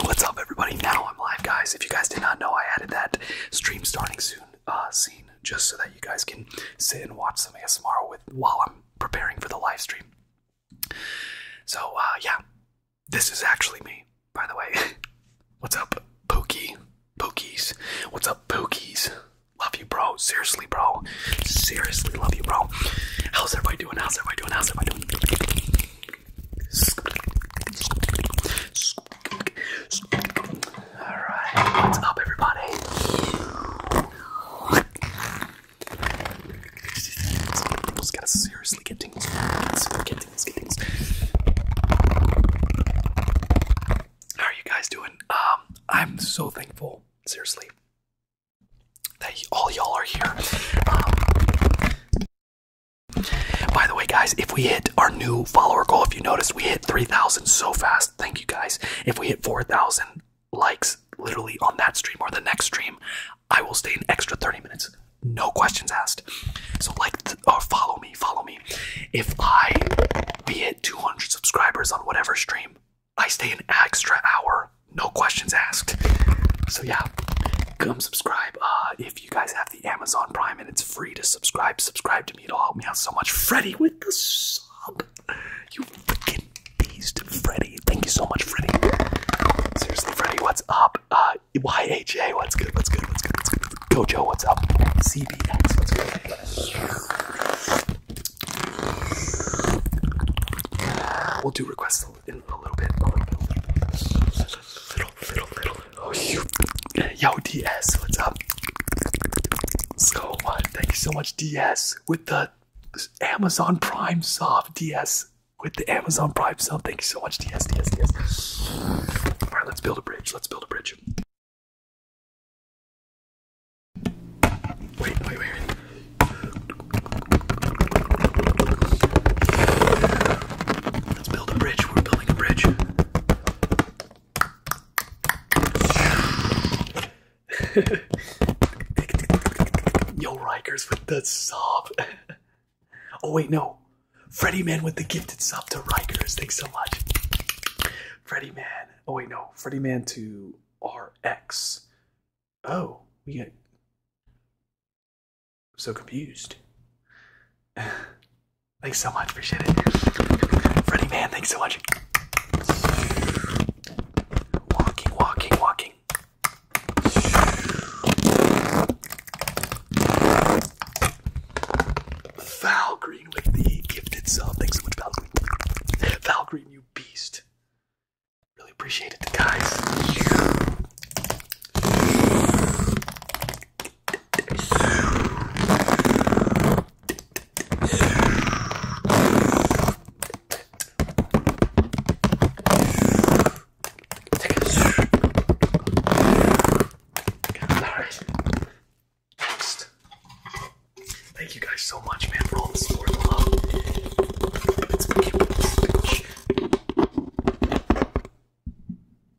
What's up, everybody? Now I'm live, guys. If you guys did not know, I added that stream starting soon uh, scene just so that you guys can sit and watch some ASMR with while I'm preparing for the live stream. So uh, yeah, this is actually me, by the way. What's up, Pookie? Pookies. What's up, Pookies? Love you, bro. Seriously, bro. Seriously, love you, bro. How's everybody doing? How's everybody doing? How's everybody doing? Alright, what's up, everybody? Let's gotta seriously get things. Get things, get things. How are you guys doing? Um, I'm so thankful, seriously, that all y'all are here. Um, by the way, guys, if we hit our new follower goal, if you noticed, we hit 3,000 so fast. Thank you guys. If we hit 4,000 likes literally on that stream or the next stream, I will stay an extra 30 minutes. No questions asked. So, like or follow me me, follow me. If I be at 200 subscribers on whatever stream, I stay an extra hour, no questions asked. So yeah, come subscribe. Uh, if you guys have the Amazon Prime and it's free to subscribe, subscribe to me. It'll help me out so much. Freddy with the sub. You freaking beast, Freddy. Thank you so much, Freddy. Seriously, Freddy, what's up? Uh, YHA, what's good? What's good? What's good? What's good? What's good? Gojo, what's up? CBX, what's good? We'll do requests in a little bit. Oh, you. Yo, DS, what's up? So what? Thank you so much, DS, with the Amazon Prime sub. DS, with the Amazon Prime sub. Thank you so much, DS, DS, DS. All right, let's build a bridge. Let's build a bridge. Wait, wait, wait, Let's build a bridge. We're building a bridge. Yo, Rikers with the sub. oh, wait, no. Freddy Man with the gifted sub to Rikers. Thanks so much. Freddy Man. Oh wait, no, Freddy Man to RX. Oh, we get so confused. thanks so much, appreciate it. Freddy Man, thanks so much. Walking, walking, walking. Valkyrie Valkyrie with the gifted sub. Thanks so much, Valkyrie. Valkyrie, you beast. Really appreciate guys. Next. Thank you guys so much, man, for all the support Let's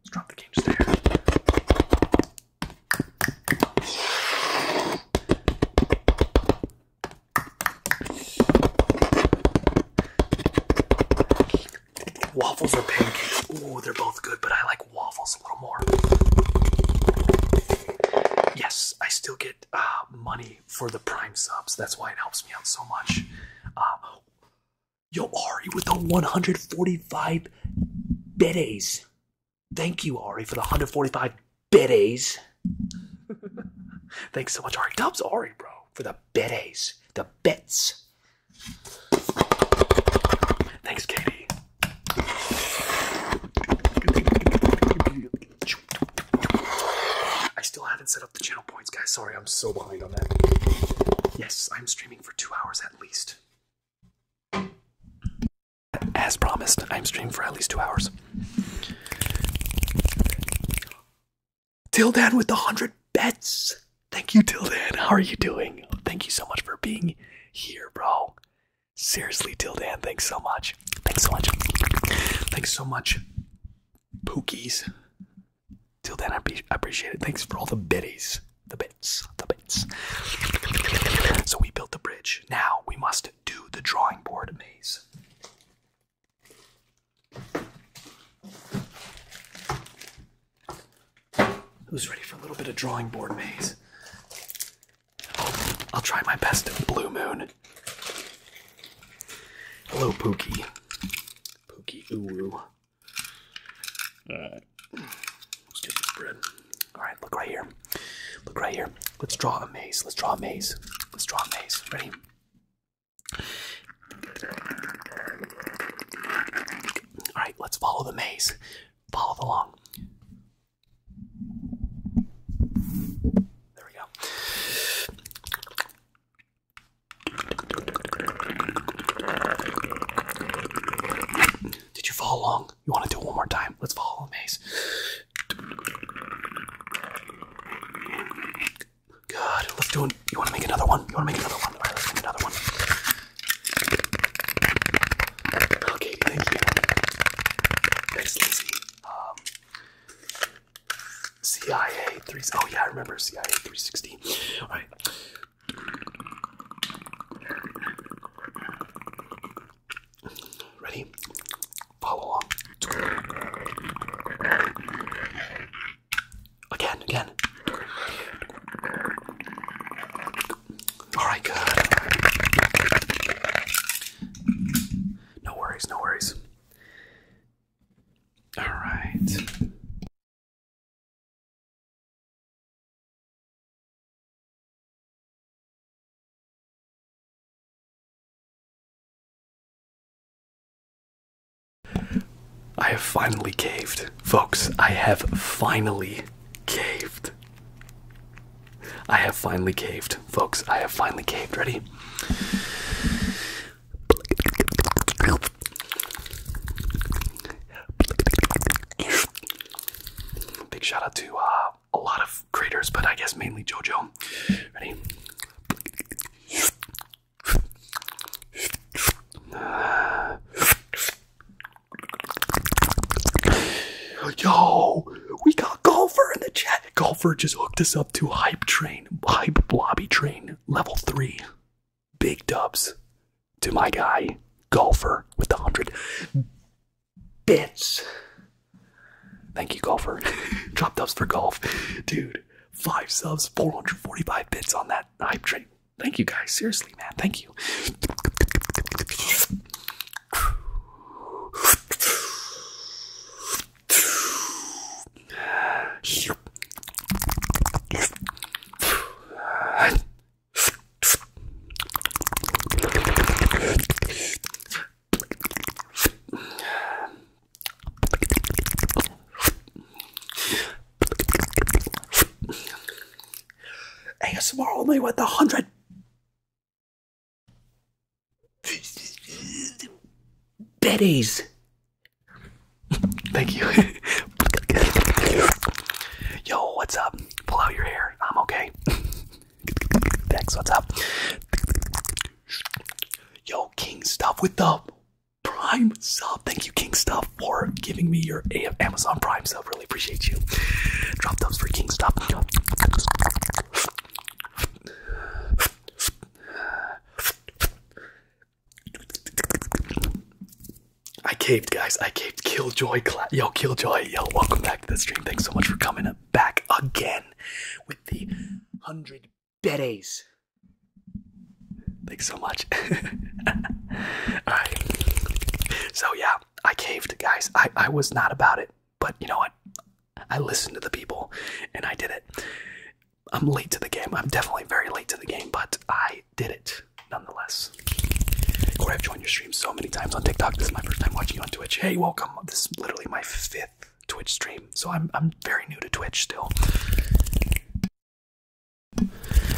drop the game Waffles or pancakes? Ooh, they're both good, but I like waffles a little more. Yes, I still get uh, money for the Prime subs. That's why it helps me out so much. Uh, yo, Ari, with the 145 biddies. Thank you, Ari, for the 145 biddies. Thanks so much, Ari. Dubs Ari, bro, for the biddies. The bits. Thanks, Katie. I still haven't set up the channel points, guys. Sorry, I'm so behind on that. Yes, I'm streaming for two hours at least. As promised, I'm streaming for at least two hours. then, with the 100 bets. Thank you, then. How are you doing? Thank you so much for being here, bro. Seriously, then, thanks so much. Thanks so much. Thanks so much, Pookies. Tildan, then, I appreciate it. Thanks for all the bitties, The bits. The bits. So we built the bridge. Now we must do the drawing board maze. Who's ready for a little bit of drawing board maze? I'll try my best Blue Moon. Hello, Pookie. Pookie ooh. Let's get this bread. Alright, look right here. Look right here. Let's draw a maze. Let's draw a maze. Let's draw a maze. Ready? Alright, let's follow the maze. Follow along. There we go. Did you follow along? You want to do it one more time? Let's follow the maze. Good. Let's do it. You want to make another one? You want to make another one? All right, let's make another one. Okay, thank you. Next, Lindsay. Um, CIA 3. Oh, yeah, I remember CIA 360. All right. Ready? Follow along. Again, again. Alright, good. No worries, no worries. Alright. I have finally caved. Folks, I have finally caved. I have finally caved, folks. I have finally caved. Ready? Big shout out to uh, a lot of creators, but I guess mainly JoJo. Ready? Yo, we got Golfer in the chat. Golfer just hooked us up to Hype Train, Hype Blobby Train, level three. Big dubs to my guy, Golfer, with the hundred bits. Thank you, Golfer. Drop dubs for golf, dude. Five subs, 445 bits on that hype train. Thank you guys. Seriously, man. Thank you. ASMR only with a hundred Betty's. Thank you. Yo, what's up? Pull out your hair. I'm okay. Dex, what's up? Yo, King Stuff with the Prime sub. Thank you, King Stuff, for giving me your Amazon Prime sub. Really I appreciate you. Drop thumbs for King Stop. I caved, guys. I caved. Killjoy, yo, Killjoy, yo, welcome back to the stream. Thanks so much for coming back again with the hundred biddies. Thanks so much. All right. So yeah, I caved, guys. I I was not about it. But you know what? I listened to the people and I did it. I'm late to the game. I'm definitely very late to the game, but I did it nonetheless. Corey, I've joined your stream so many times on TikTok. This is my first time watching you on Twitch. Hey, welcome. This is literally my fifth Twitch stream, so I'm, I'm very new to Twitch still.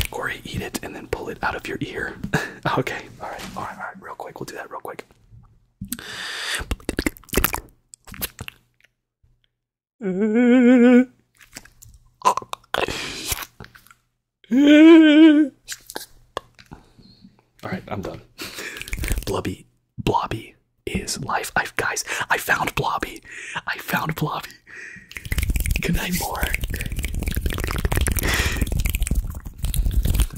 Corey, eat it and then pull it out of your ear. okay, all right, all right, all right, real quick. We'll do that real quick. All right, I'm done. Blobby, Blobby is life. i guys, I found Blobby. I found Blobby. Good night, more.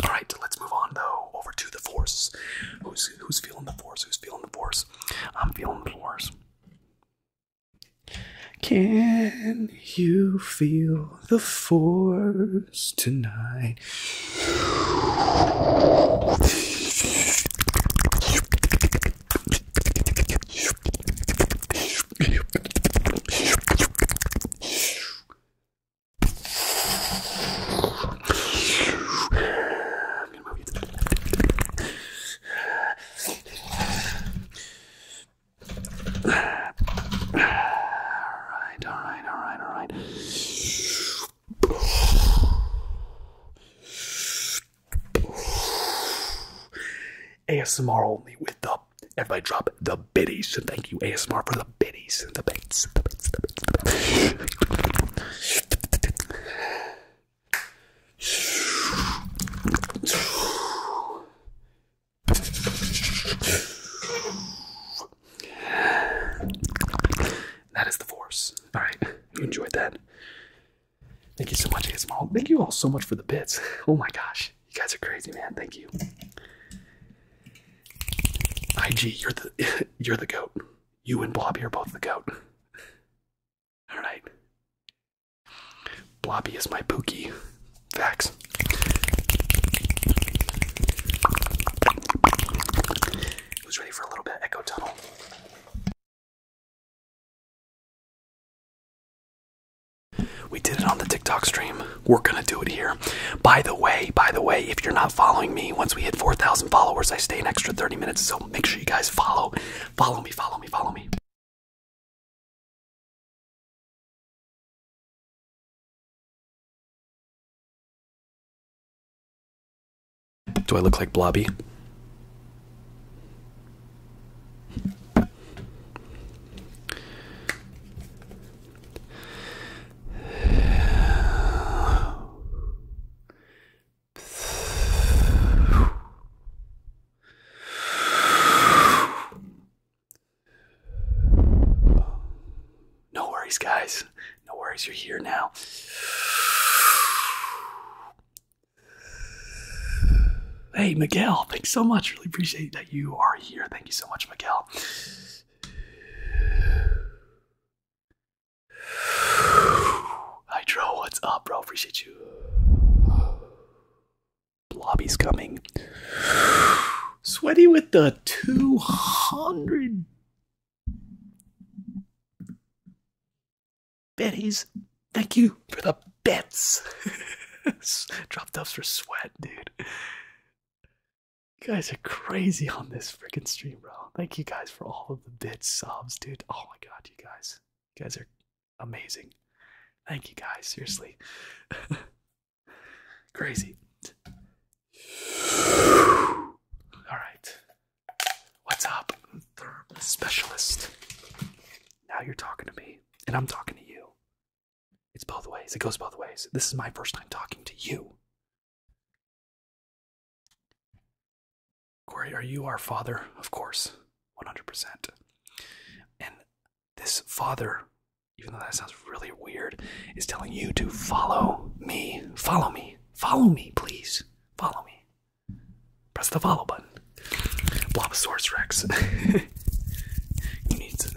All right, let's move on though to the force. Who's who's feeling the force? Who's feeling the force? I'm feeling the force. Can you feel the force tonight? Alright, alright, alright, alright. ASMR only with the everybody drop the biddies. Thank you, ASMR for the the bitties, the bits, the bits, the bits, That is the force. All right, you enjoyed that. Thank you so much, ASMR. Thank you all so much for the bits. Oh my gosh, you guys are crazy, man. Thank you. IG, you're the you're the goat. You and Blobby are both the goat. All right. Blobby is my pookie. Facts. Who's ready for a little bit echo tunnel? We did it on the TikTok stream we're gonna do it here. By the way, by the way, if you're not following me, once we hit 4,000 followers, I stay an extra 30 minutes. So make sure you guys follow, follow me, follow me, follow me. Do I look like Blobby? No worries, guys. No worries, you're here now. Hey, Miguel, thanks so much. Really appreciate that you are here. Thank you so much, Miguel is Hydro, what's up, bro? Appreciate you. Blobby's coming. Sweaty with the 200 betties. Thank you for the bets. Drop dubs for sweat, dude. You guys are crazy on this freaking stream, bro. Thank you guys for all of the bits, subs, dude. Oh my god, you guys. You guys are amazing. Thank you guys, seriously. crazy. Alright. What's up, therm specialist? Now you're talking to me, and I'm talking to you. It's both ways. It goes both ways. This is my first time talking to you. Corey, are you our father? Of course, 100%. And this father, even though that sounds really weird, is telling you to follow me. Follow me. Follow me, please. Follow me. Press the follow button. Blob Source Rex. who needs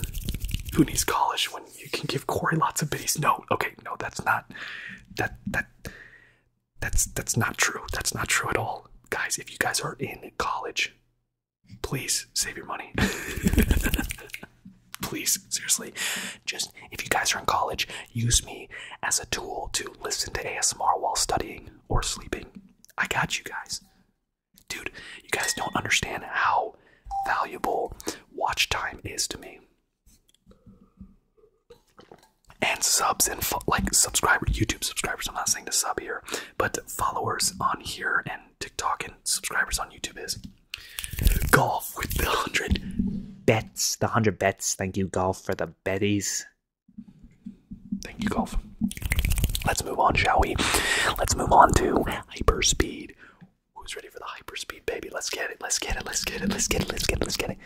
who needs college you can give Corey lots of biddies. No, okay, no, that's not that that that's that's not true. That's not true at all. Guys, if you guys are in college, please save your money. please, seriously. Just if you guys are in college, use me as a tool to listen to ASMR while studying or sleeping. I got you guys. Dude, you guys don't understand how valuable watch time is to me and subs and like subscriber YouTube subscribers. I'm not saying to sub here, but followers on here and TikTok and subscribers on YouTube is golf with the hundred bets. The hundred bets. Thank you, golf, for the betties. Thank you, golf. Let's move on, shall we? Let's move on to hyperspeed. Who's ready for the hyper speed baby? Let's get it. Let's get it. Let's get it. Let's get it. Let's get it. Let's get it.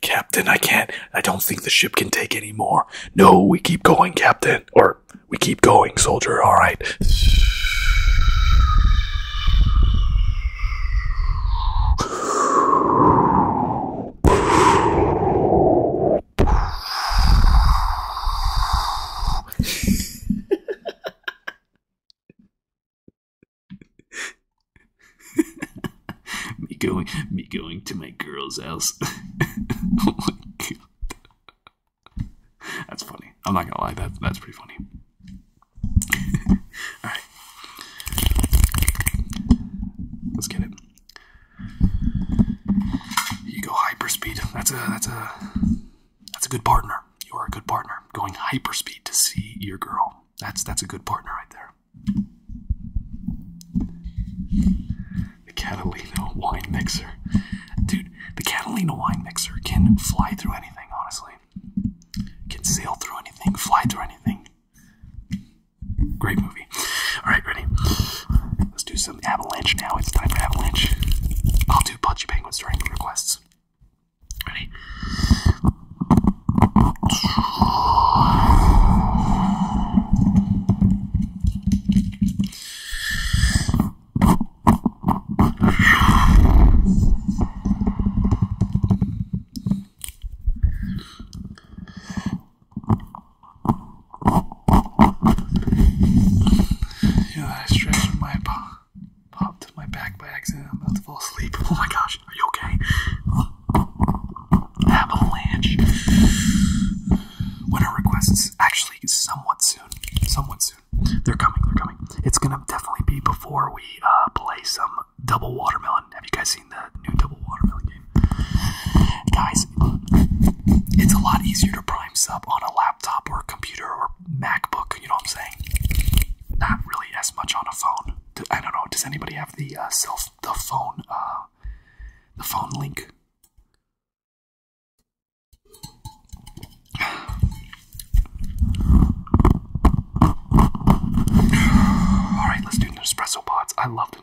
Captain, I can't. I don't think the ship can take any more. No, we keep going, Captain. Or we keep going, soldier. All right. me going, me going to my girl's house. oh my god, that's funny. I'm not gonna lie, that that's pretty funny. All right, let's get it. You go hyperspeed. That's a that's a that's a good partner. You are a good partner. Going hyperspeed to see your girl. That's that's a good partner right there. The Catalina wine mixer. Dude, the Catalina wine mixer can fly through anything, honestly. Can sail through anything, fly through anything. Great movie. All right, ready? Let's do some Avalanche now. It's time for Avalanche. I'll do Pudgy Penguins during requests. Ready? You I stretched my paw, popped my back by accident. I'm about to fall asleep. Oh my gosh, are you okay? Avalanche. Winter requests actually somewhat soon. Somewhat soon. They're coming, they're coming. It's gonna definitely be before we uh, play some double watermelon. Have you guys the new Watermelon game. Guys, it's a lot easier to prime sub on a laptop or computer or MacBook, you know what I'm saying? Not really as much on a phone. I don't know, does anybody have the uh, self, the phone, uh, the phone link? All right, let's do the espresso pods. I love there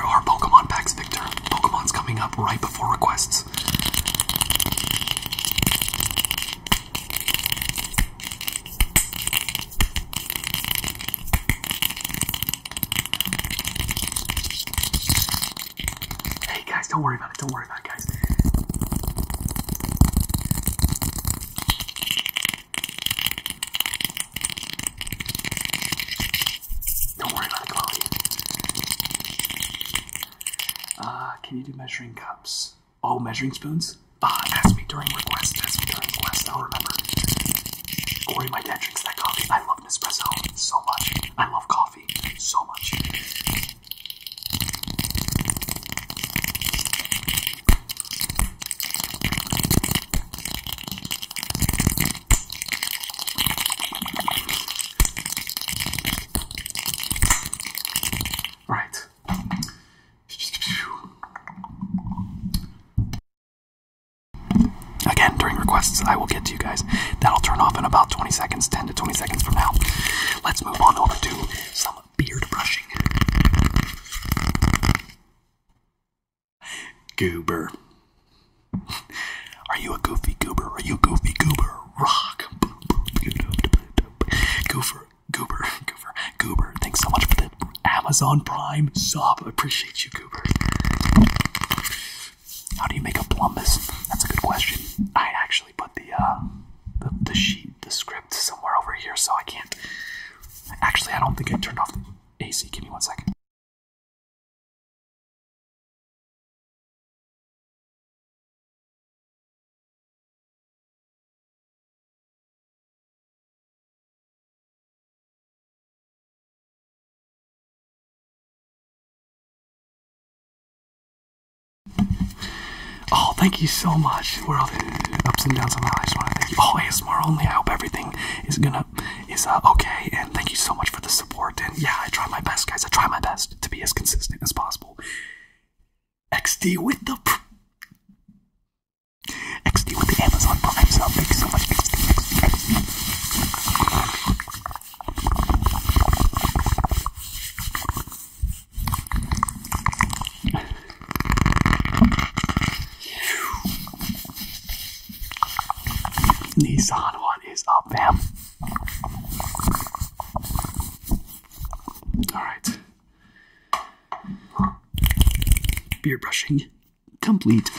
are Pokemon packs, Victor. Pokemon's coming up right before requests. Hey guys, don't worry about it. Don't worry about it, guys. Don't worry about the quality. Uh, can you do measuring cups? Oh, measuring spoons? Ah, ask me during request. Ask me during request. I'll remember. Glory, my dad drinks that coffee. I love Nespresso so much. I love coffee so much. Right. Again, during requests, I will get to you guys. That'll turn off in about 20 seconds, 10 10 to 20 seconds from now. Let's move on over to some beard brushing. Goober. Are you a goofy goober? Are you goofy goober? Rock. Goofer, goober, goober, goober. Thanks so much for the Amazon Prime sub. appreciate you, goober. How do you make a plumbus? That's a good question. I actually put the, uh, the the sheet, the script somewhere over here, so I can't. Actually, I don't think I turned off the AC. Give me one second. Oh, thank you so much. World ups and downs of that. I just want to thank you. Oh, more. only. I hope everything is gonna is uh, okay. And thank you so much for the support. And yeah, I try my best, guys. I try my best to be as consistent as possible. XD with the XD with the Amazon Prime sub. Thank you so much. XD, XD, XD. Nissan, what is up, fam? Alright. Beard brushing complete.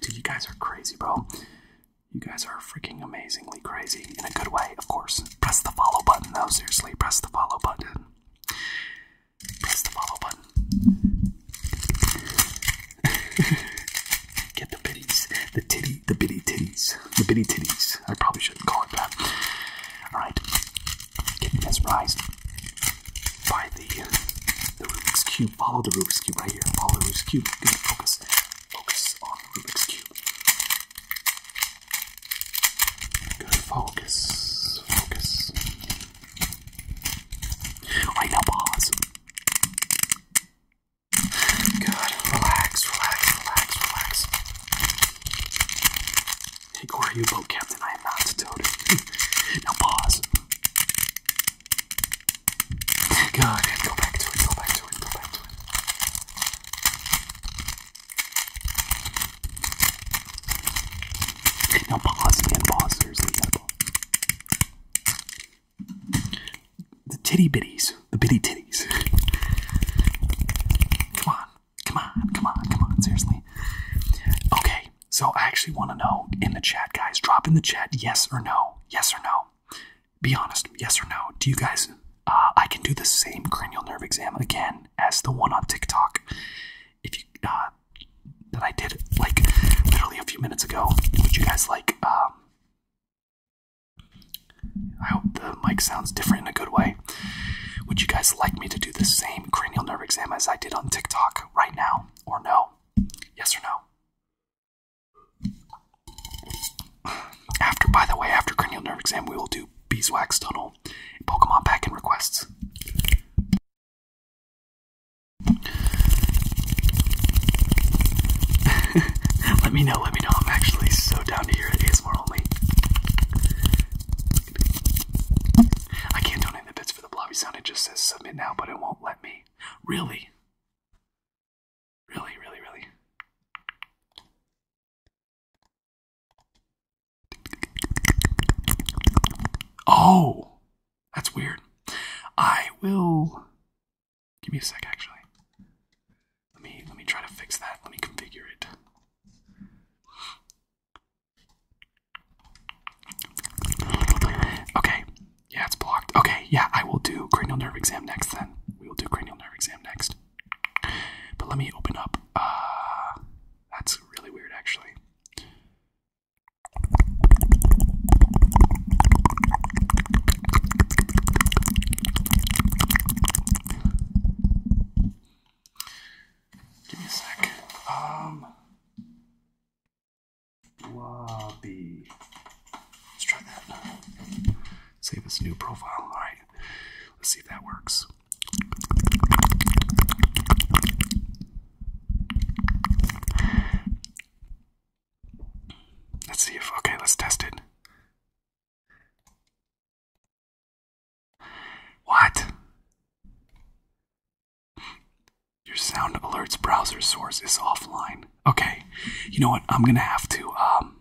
Dude, you guys are crazy, bro. You guys are freaking amazingly crazy in a good way, of course. Press the follow button, though. Seriously, press the follow button. Press the follow button. Get the bitties, the titty, the bitty titties, the bitty titties. I probably shouldn't call it that. All right, getting mesmerized by the the Rubik's Cube. Follow the Rubik's Cube right here. Follow the Rubik's Cube. Good. Focus. Focus on Rubik's Cube. Good. Focus. Focus. Right now, pause. Good. Relax, relax, relax, relax. Hey, Corey, you boat captain. I am not a toad. now, pause. God, go back to it, go back to it, go back to it. Now pause, man, pause. to pause. The titty bitties, the bitty titties. come on, come on, come on, come on. Seriously. Okay, so I actually want to know in the chat, guys. Drop in the chat, yes or no, yes or no. Be honest, yes or no? Do you guys? Uh, I can do the same cranial nerve exam again as the one on TikTok. If you uh, that I did like literally a few minutes ago. Would you guys like? Um, I hope the mic sounds different in a good way. Would you guys like me to do the same cranial nerve exam as I did on TikTok right now, or no? Yes or no? After, by the way, after cranial nerve exam, we will do beeswax tunnel, Pokemon back in requests. let me know, let me know. I'm actually so down to hear it. ASMR only. I can't donate the bits for the blobby sound. It just says submit now, but it won't let me. Really? Really, really, really. Oh, that's weird. I will. Give me a sec, actually. Let me let me try to fix that. Let me configure it. Okay, yeah, it's blocked. Okay, yeah, I will do cranial nerve exam next then. We will do cranial nerve exam next. But let me open up. Uh, that's really weird, actually. Give me a second. Um, Let's try that. Save as new profile. All right. Let's see if that works. Let's see if, okay, let's test it. What? Your sound alerts browser source is offline. Okay, you know what? I'm gonna have to. Um,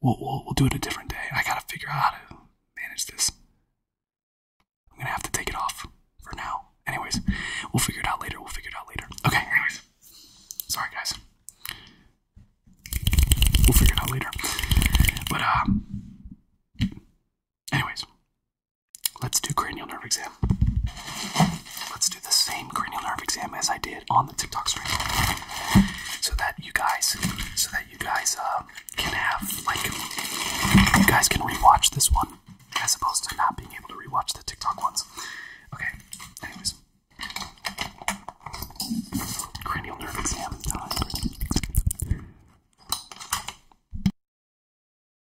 we'll we'll we'll do it a different day. I gotta figure out how to manage this. I'm gonna have to take it off for now. Anyways, we'll figure it out later. We'll figure it out later. Okay. Anyways, sorry guys. We'll figure it out later. But um, anyways, let's do cranial nerve exam. Let's do the same cranial nerve exam as I did on the TikTok stream, so that you guys, so that you guys uh, can have like, you guys can rewatch this one as opposed to not being able to rewatch the TikTok ones. Okay. Anyways, cranial nerve exam.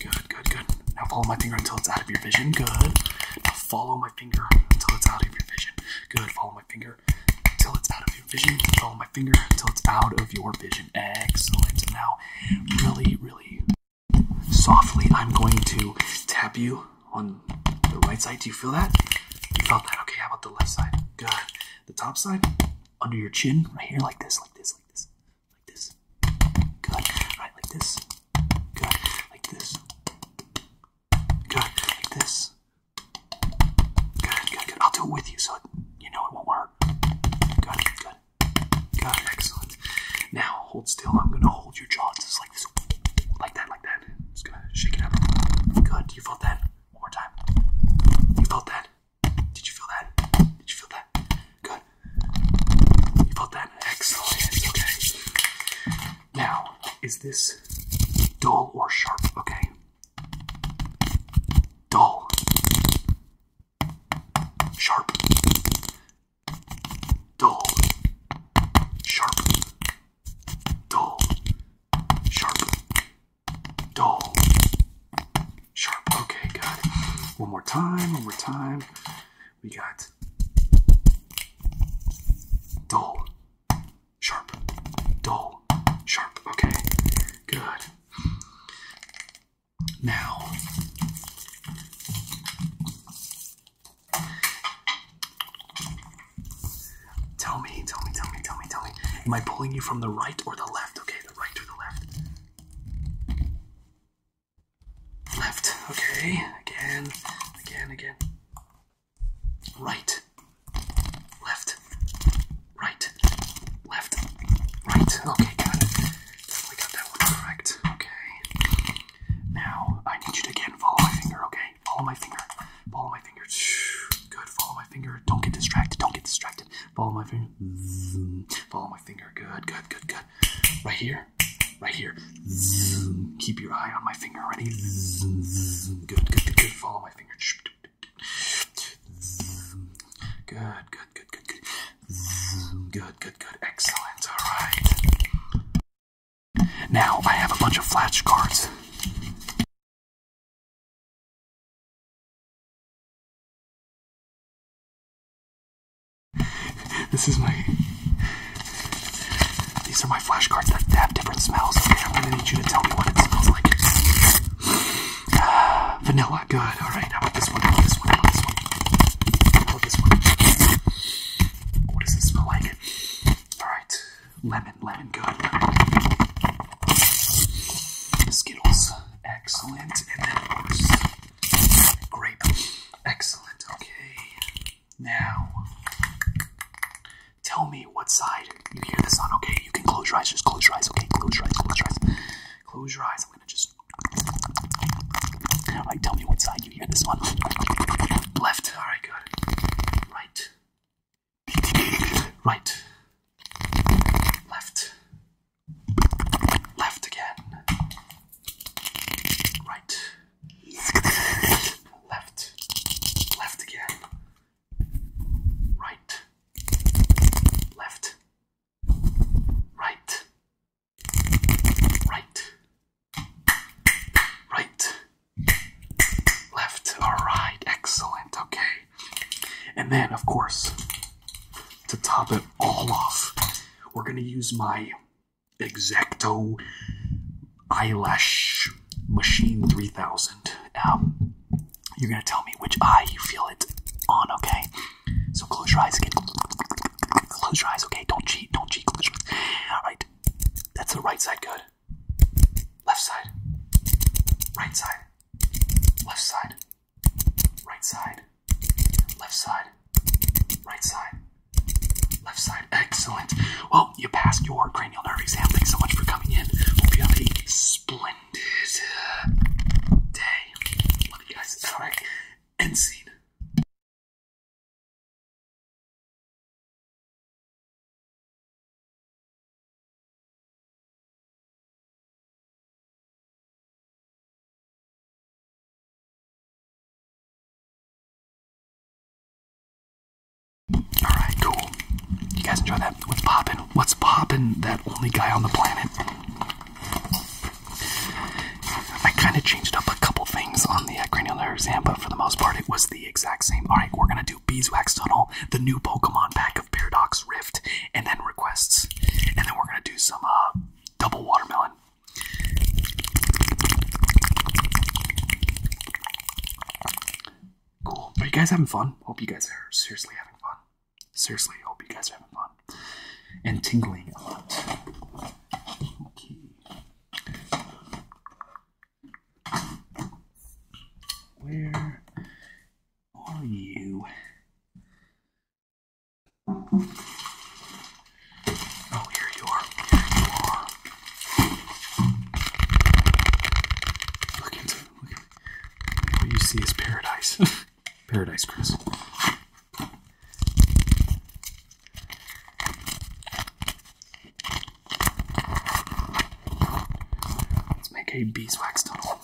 Good, good, good. Now follow my finger until it's out of your vision. Good. Now follow my finger until it's out of your vision. Good. Follow my finger until it's out of your vision. Follow my finger until it's out of your vision. Excellent. Now, really, really softly, I'm going to tap you on the right side. Do you feel that? You felt that. Okay, how about the left side? Good. The top side, under your chin, right here, like this, like this, like this. Like this. Good. Right, like this. Good. Like this. Good. Like this. Good, good, good. I'll do it with you so you know it won't work. Good, good. Good, excellent. Now hold still. I'm gonna hold your jaw just like this. Like that, like that. Just gonna shake it up. Good. You felt that? One more time. You felt that? Did you feel that? Did you feel that? Good put that X okay? Now, is this dull or sharp? Okay. Dull. Sharp. Dull. Sharp. Dull. Sharp. Dull. Sharp. Okay, good. One more time, one more time. We got dull, sharp, dull, sharp. Okay, good. Now, tell me, tell me, tell me, tell me, tell me. Am I pulling you from the right or the left? Okay, the right or the left? Left. Okay. Again. Again. Again. Right. Left. Right. Left. Right. Okay, good. Definitely got that one correct. Okay. Now I need you to again follow my finger, okay? Follow my finger. Follow my finger. Good. Follow my finger. Don't get distracted. Don't get distracted. Follow my finger. Follow my finger. Good. Good. Good. Good. Right here. Right here. Keep your eye on my finger. Ready? Good, good, good, good. Follow my finger. Good, good, good, good, good. Good, good, good. Excellent. All right. Now I have a bunch of flashcards. This is my. These are my flashcards that have different smells. Okay, I'm gonna need you to tell me what it smells like. vanilla, good. All right, how about this one? How about this one? this one? How this one? What does this smell like? All right, lemon, lemon, good. Skittles, excellent. And then, of course, Grape. Excellent. Okay. Now, tell me what side you hear this on. Okay, you can close your eyes. Just close your eyes. Okay, close your eyes. Close your eyes. Close your eyes. I'm gonna just. All right, tell me what side you hear this on. Left. All right, good. Right. Right. Left. Left again. Right. Left. Left again. Right. Left. Right. Right. Right. Left. Alright. Excellent. Okay. And then, of course, to top it all off, we're going to use my Exacto eyelash machine 3000. Um, you're gonna tell me which eye you feel it on, okay? So close your eyes again. Close your eyes, okay? Don't cheat, don't cheat. Close your eyes. Alright, that's the right side, good. Left side, right side, left side, right side, Left side, right side, left side. Excellent. Well, you passed your cranial nerve exam. Thanks so much for coming in. Hope you have a splendid uh, day. Love you guys. All right. End scene. Alright, cool. You guys enjoy that? What's poppin'? What's poppin'? That only guy on the planet. I kind of changed up a couple things on the uh, cranial nerve exam, but for the most part, it was the exact same. Alright, we're gonna do Beeswax Tunnel, the new Pokemon pack of Paradox Rift, and then requests. And then we're gonna do some uh, double watermelon. Cool. Are you guys having fun? Hope you guys are seriously having fun. Seriously, hope you guys are having fun. And tingling a lot. Okay. Where are you? Oh, here you are. look at what you see is paradise. paradise, Chris. Let's make a beeswax tunnel.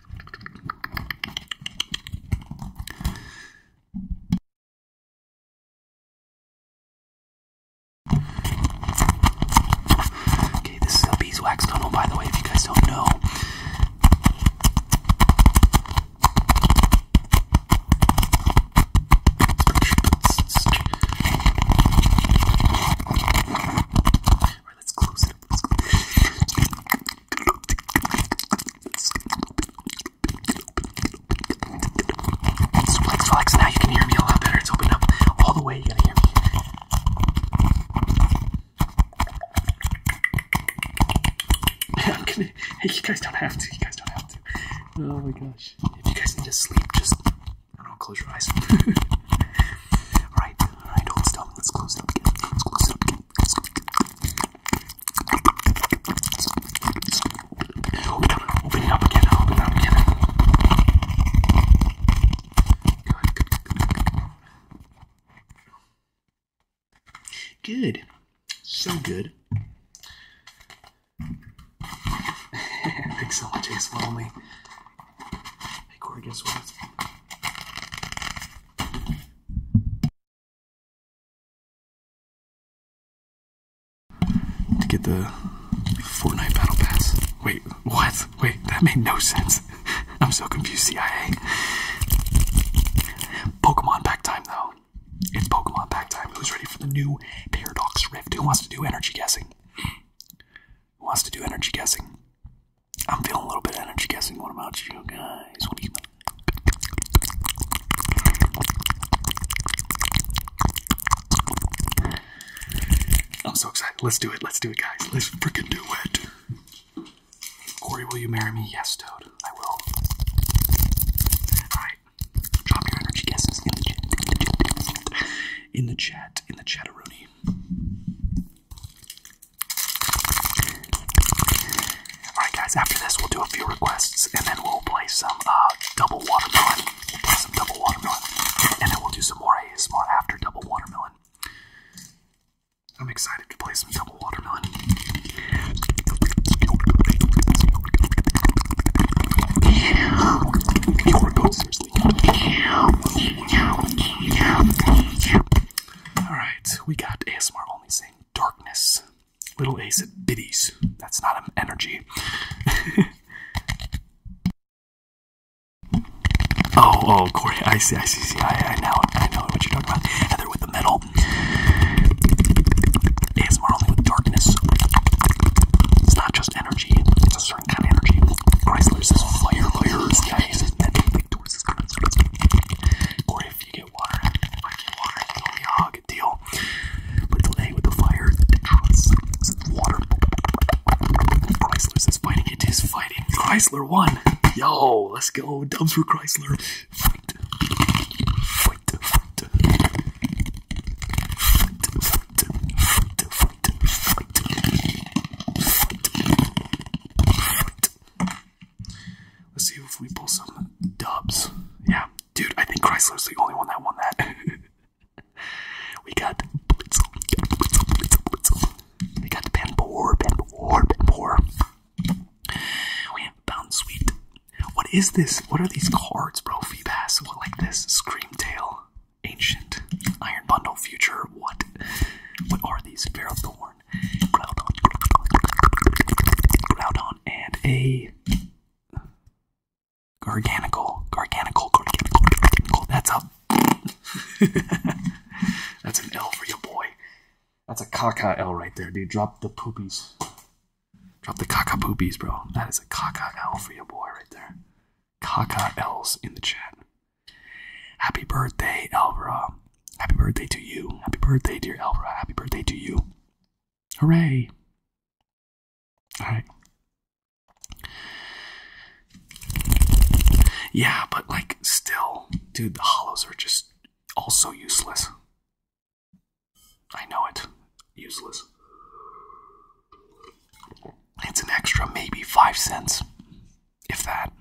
Okay, this is the beeswax tunnel, by the way, if you guys don't know. Alright, let's close it. Let's close it. Flex, flex. Now you can hear me a lot better. It's opened up all the way. You gotta hear me. I'm gonna, hey, you guys don't have to. You guys don't have to. Oh my gosh. If you guys need to sleep, just, I don't know, close your eyes. alright, alright, hold still. Let's close it up again. Let's close it up again. Let's, Open it up, open it up again, open it up again. Good, good, good, good. Good. So good. Pixel, Jay, swallow me. Hey, Corey, guess what? to get the Fortnite battle pass. Wait, what? Wait, that made no sense. I'm so confused, CIA. Pokemon pack time, though. It's Pokemon pack time. Who's ready for the new Paradox Rift? Who wants to do energy guessing? Who wants to do energy guessing? I'm feeling a little bit energy guessing. What about you guys? I'm so excited. Let's do it. Let's do it, guys. Let's freaking do it. Corey, will you marry me? Yes, Toad. I will. Alright. Drop your energy guesses in the chat. In the chat. In Alright, guys, after this, we'll do a few requests and then we'll play some uh, double watermelon. some double watermelon. And then we'll do some more ASMR after double watermelon. I'm excited to play some double watermelon. Alright, we got ASMR only saying darkness. Little Ace at Biddies. That's not an energy. oh, oh, Corey. I see, I see, see. I, I, now, I know what you're talking about. Heather with the metal. ASMR with darkness. It's not just energy. It's a certain kind of energy. Chrysler says fire, fire. CIA water. water, you can only deal. But delay with the fire, Chrysler's is It is fighting. Chrysler won. Yo, let's go. Dubs for Chrysler. Fight. Fight. Fight. Fight. Fight. Fight. Fight. Fight. Fight. Fight. Let's see if we pull some dubs. Yeah, dude, I think Chrysler's the only one that won that. we got Blitzel, Blitzel, Blitzel, Blitzel. We got Panpour, Panpour, Panpour. We have Bound Sweet. What is this? What are these cards, bro? Fee Feebas, what like this? Scream Tail, Ancient, Iron Bundle, Future, what? What are these? Fear of Thorn. Groudon, and a Garganical, Garganical, That's a. That's an L for your boy. That's a caca L right there, dude. Drop the poopies. Drop the caca poopies, bro. That is a caca L for your boy right there. Caca L's in the chat. Happy birthday, Elbro. Happy birthday to you. Happy birthday, dear Alfred. Happy birthday to you. Hooray! Alright. Yeah, but like, still, dude, the hollows are just also useless. I know it. Useless. It's an extra maybe five cents, if that.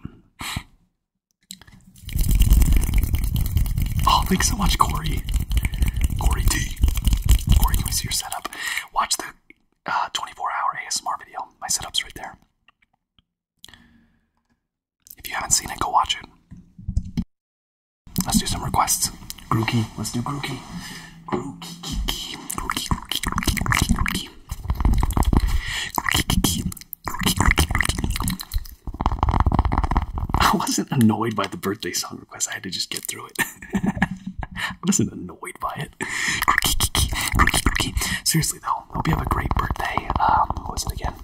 Oh, thanks so much, Corey. Corey D. Corey, can we see your setup? Watch the 24-hour uh, ASMR video. My setup's right there. If you haven't seen it, go watch it. Let's do some requests. Grookey, let's do Grookey. I wasn't annoyed by the birthday song request. I had to just get through it. I wasn't annoyed by it. Seriously though, hope you have a great birthday. Um, what again?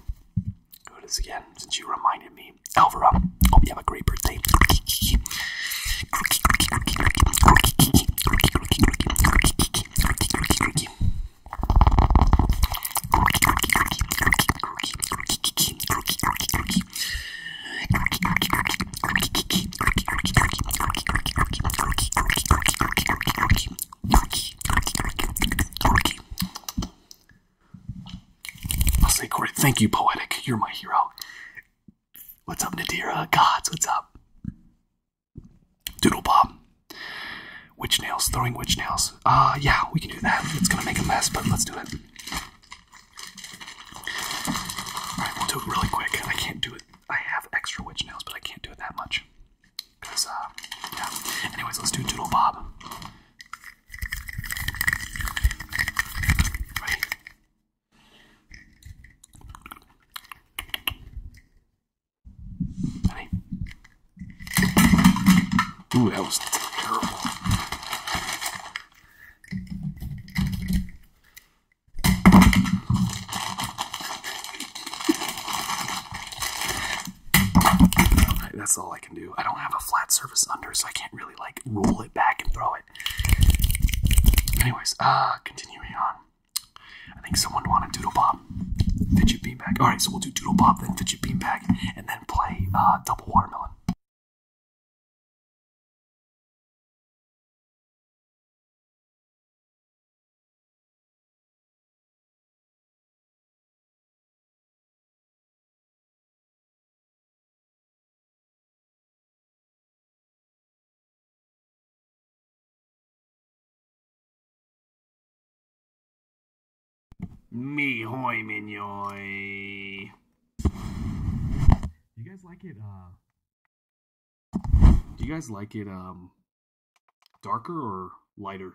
What is again? Since you reminded me, Alvaro. Hope you have a great birthday. I'll say, Corey, thank you, Poetic. You're my hero. What's up, Nadira? Gods, what's up? Doodle Bob. Witch nails, throwing witch nails. Ah, yeah, we can do that. It's gonna make a mess, but let's do it. Alright, we'll do it really quick. I can't do it. I have extra witch nails, but I can't do it that much. Because, uh, Anyways, let's do Doodle Bob. Ooh, that was terrible. that's all I can do. I don't have a flat surface under, so I can't really like roll it back and throw it. Anyways, ah, continuing on. I think someone wanted Doodle Bob. Fidget Beanbag. Alright, so we'll do Doodle Bob, then Fidget Beanbag, and then and play uh, Double Watermelon. Me hoy mignoy. You guys like it? Uh, do you guys like it um, darker or lighter?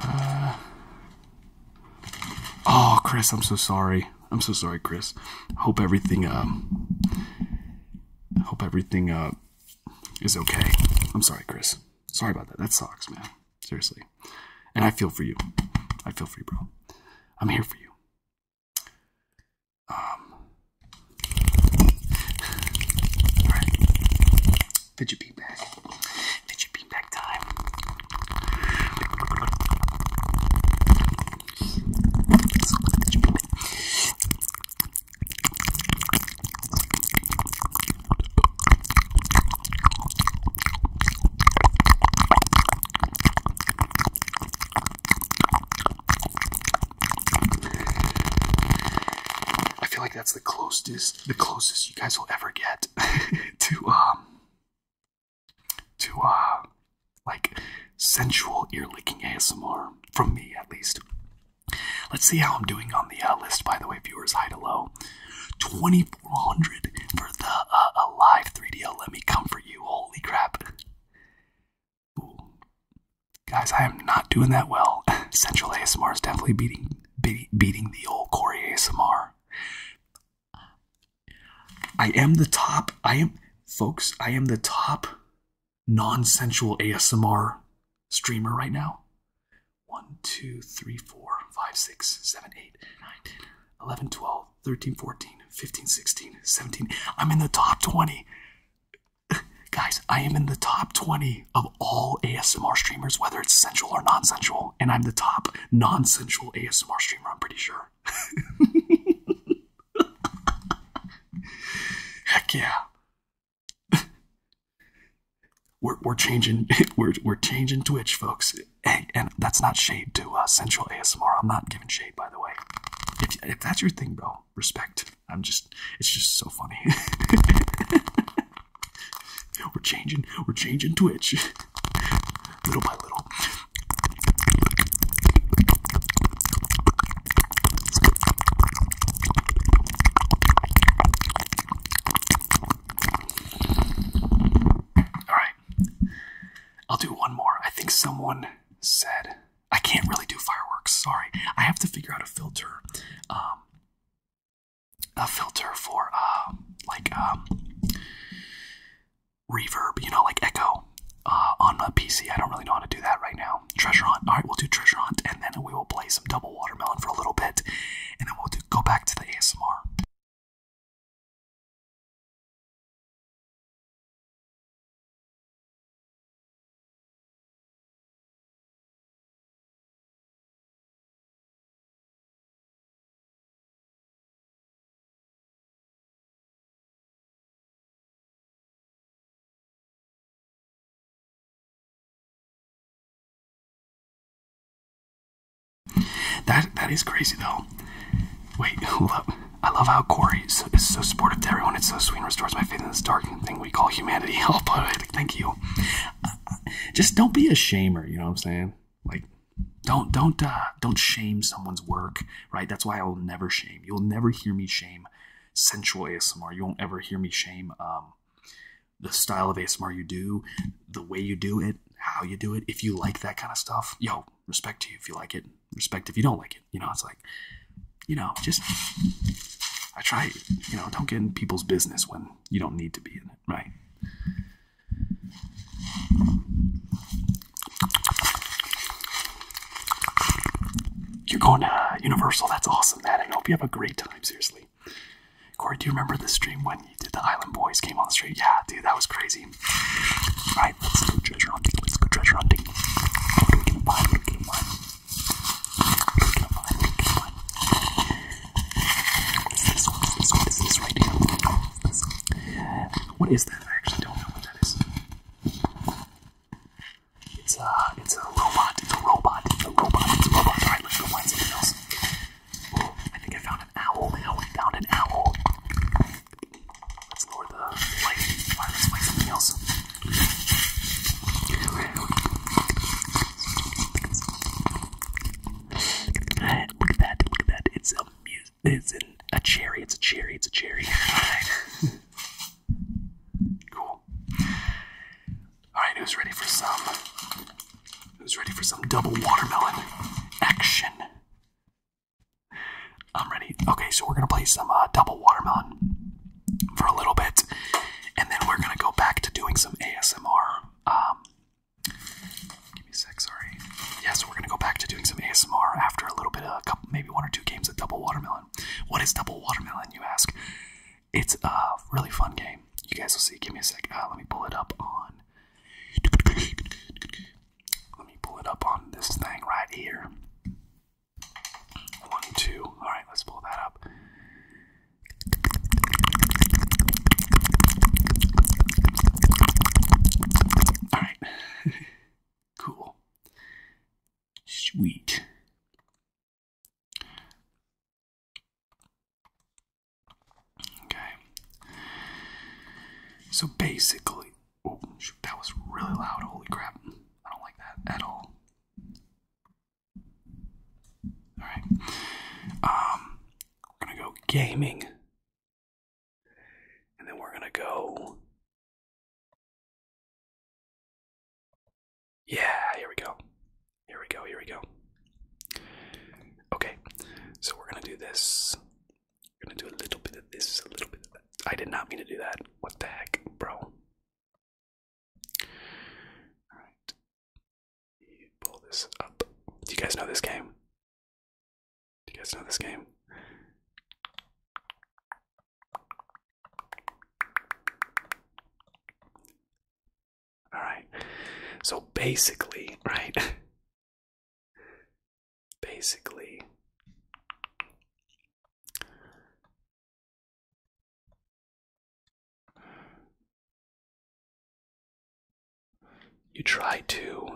Uh, oh, Chris, I'm so sorry. I'm so sorry, Chris. Hope everything um I hope everything uh, is okay. I'm sorry, Chris. Sorry about that. That sucks, man. Seriously. And I feel for you. I feel for you, bro. I'm here for you. Um. All right. Fidget bean bag. Fidget bean bag time. I feel like that's the closest, the closest you guys will ever get to um to uh like sensual ear licking ASMR from me at least. Let's see how I'm doing on the uh, list, by the way, viewers. hide to low, 2400 for the uh, a live 3 d oh, Let me comfort you. Holy crap, guys! I am not doing that well. Central ASMR is definitely beating beating the old Corey ASMR. I am the top. I am, folks. I am the top non sensual ASMR streamer right now. 1, 2, 3, 4, 5, 6, 7, 8, 9, 10, 11, 12, 13, 14, 15, 16, 17. I'm in the top 20. Guys, I am in the top 20 of all ASMR streamers, whether it's sensual or non sensual. And I'm the top non sensual ASMR streamer, I'm pretty sure. Heck yeah. we're, we're changing we're, we're changing Twitch, folks. and that's not shade to uh, Central ASMR. I'm not giving shade, by the way. If, if that's your thing, bro, respect. I'm just it's just so funny. we're changing we're changing Twitch little by little. Alright. I'll do one more. I think someone said I can't really do fireworks. Sorry. I have to figure out a filter. Um a filter for um like um reverb, you know, like echo. Uh, on a PC. I don't really know how to do that right now. Treasure hunt. All right, we'll do treasure hunt, and then we will play some double watermelon for a little bit, and then we'll go back to the ASMR. That that is crazy though. Wait, hold up. I love how Corey is, so supportive to everyone. It's so sweet and restores my faith in this dark thing we call humanity. Help! Thank you. Uh, just don't be a shamer. You know what I'm saying? Like, don't don't uh, don't shame someone's work. Right? That's why I will never shame. You'll never hear me shame sensual ASMR. You won't ever hear me shame um, the style of ASMR you do, the way you do it, how you do it. If you like that kind of stuff, yo, respect to you if you like it. Respect if you don't like it. You know, it's like, you know, just I try, you know, don't get in people's business when you don't need to be in it, right? You're going to Universal. That's awesome, man. I hope you have a great time, seriously. Corey, do you remember the stream when you did the Island Boys came on the stream? Yeah, dude, that was crazy. Right? right, let's go treasure hunting. Let's go treasure hunting. What is that? I actually don't know what that is. It's a, it's a robot. It's a robot. It's a robot. It's a robot. All right, let's go find something else. Oh, I think I found an owl. Now we found an owl. Let's lower the light. find something else. Look at that. Look at that. It's a, it's an, a cherry. It's a cherry. It's a cherry. All right. Cool. Alright, who's ready for some who's ready for some double watermelon action? I'm ready. Okay, so we're gonna play some uh, double watermelon for a little bit, and then we're gonna go back to doing some ASMR. Um, give me a sorry. Yeah, so we're gonna go back to doing some ASMR after a little bit of uh, a couple, maybe one or two games of double watermelon. What is double watermelon, you ask? It's a really fun game. You guys will see. Give me a sec. Uh, let me pull it up on. Let me pull it up on this thing right here. One, two. All right, let's pull that up. All right. cool. Sweet. Okay. So basically, oh shoot, that was really loud. Holy crap. I don't like that at all. Alright. Um, we're gonna go gaming. And then we're gonna go yeah, here we go. Here we go, here we go. Okay, so we're gonna do this. We're gonna do a little bit of this, a little bit of that. I did not mean to do that. What the heck, bro? Alright. pull this up. Do you guys know this game? Do you guys know this game? All right. So basically, right? basically, you try to.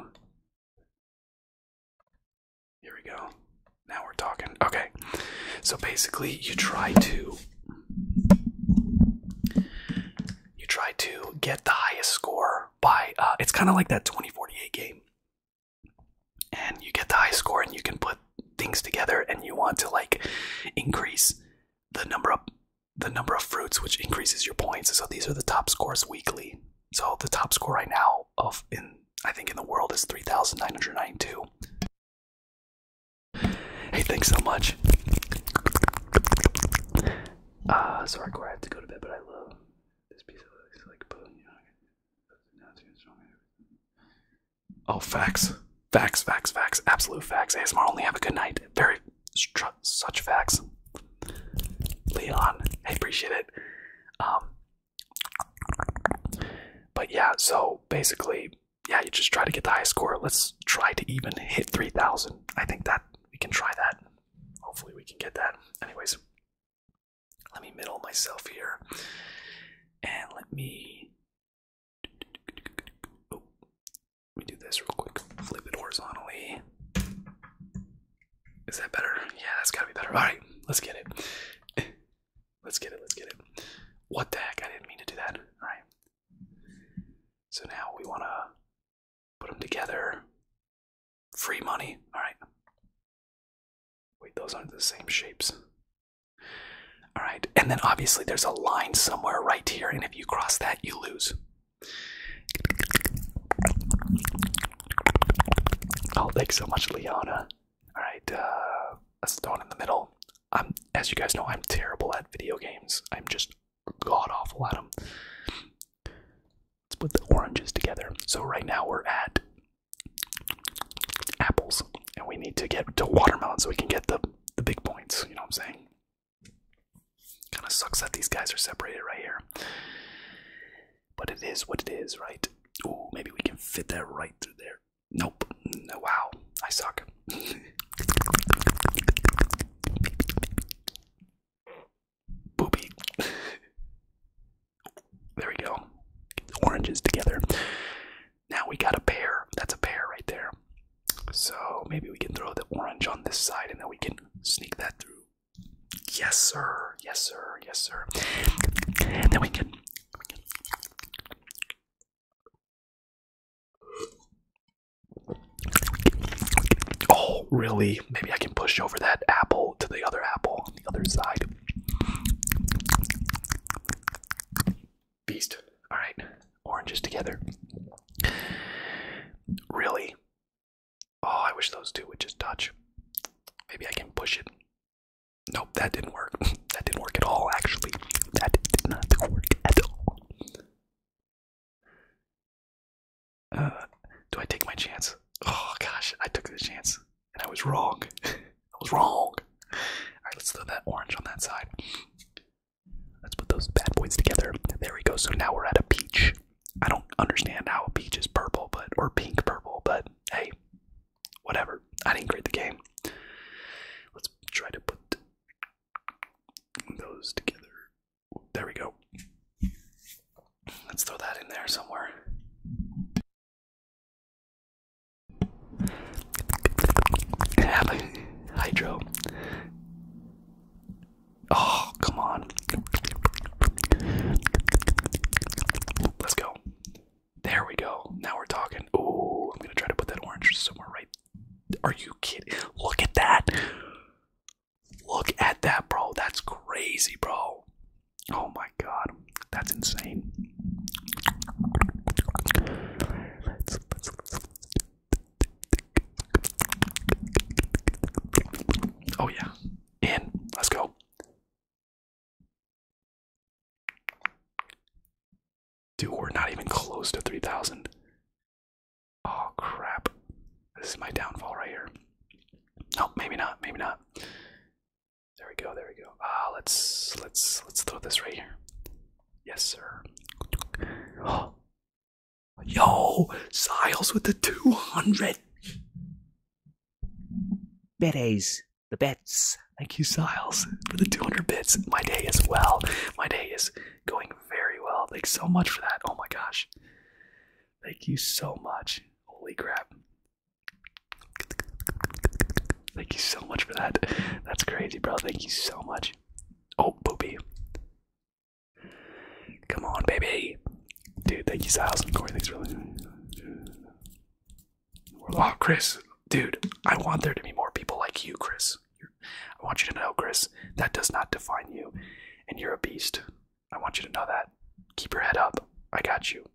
Here we go. Now we're talking. Okay. So basically, you try to you try to get the highest score by uh, it's kind of like that 2048 game. And you get the high score and you can put things together and you want to like increase the number of the number of fruits which increases your points. So these are the top scores weekly. So the top score right now of in I think in the world is 3992. Hey, thanks so much. Uh, sorry, I have to go to bed, but I love this piece of like, you Oh, facts, facts, facts, facts, absolute facts. ASMR only have a good night. Very such facts. Leon, I appreciate it. Um, but yeah, so basically, yeah, you just try to get the highest score. Let's try to even hit 3,000. I think that we can try that. Hopefully, we can get that. Anyways, let me middle myself here. And let me. Oh, let me do this real quick. Flip it horizontally. Is that better? Yeah, that's gotta be better. Alright, let's get it. Let's get it. Let's get it. What the heck? I didn't mean to do that. All right. So now we want to put them together. Free money. All right. Wait, those aren't the same shapes. All right. And then obviously there's a line somewhere right here. And if you cross that, you lose. Oh, thanks so much, Leona. All right, uh, that's the one in the middle. I'm, as you guys know, I'm terrible at video games. I'm just god awful at them. Let's put the oranges together. So right now we're at apples, and we need to get to watermelon so we can get the the big points. You know what I'm saying? Kind of sucks that these guys are separated right here, but it is what it is, right? Ooh, maybe we can fit that right through there. Nope. Wow, I suck. Booby. there we go. Oranges together. Now we got a pair. That's a pair right there. So maybe we can throw the orange on this side and then we can sneak that through. Yes, sir. Yes, sir. Yes, sir. then We can Oh, really? Maybe I can push over that apple to the other apple on the other side. Beast. Alright, oranges together. Really? Oh, I wish those two would just touch. Maybe I can push it Nope, that didn't work. that didn't work at all, actually. That did not work at all. Uh, do I take my chance? Oh gosh, I took the chance and I was wrong. I was wrong. Alright, let's throw that orange on that side. Let's put those bad boys together. There we go. So now we're at a peach. I don't understand how a peach is purple, but or pink purple, but hey, whatever. I didn't create the game. Let's try to put those together. There we go. Let's throw that in there somewhere. hydro. Oh, come on. Let's go. There we go. Now we're talking. Oh, I'm gonna try to put that orange somewhere right. Are you kidding? Look at that. Look at that, bro. That's crazy, bro. Oh my god. That's insane. Oh yeah. In. Let's go. Dude, we're not even close to 3,000. Oh, crap. This is my downfall right here. No, maybe not. Maybe not. There we go. There we go. Ah, let's let's let's throw this right here. Yes, sir. Yo, Siles with the 200. Berets the bets. Thank you, Siles, for the 200 bits. My day is well. My day is going very well. Thanks so much for that. Oh my gosh. Thank you so much. Holy crap. Thank you so much for that. That's crazy, bro. Thank you so much. Oh, booby. Come on, baby. Dude, thank you, Siles. Corey, thanks for listening. Oh, Chris, dude, I want there to be more people like you, Chris. I want you to know, Chris, that does not define you, and you're a beast. I want you to know that. Keep your head up. I got you.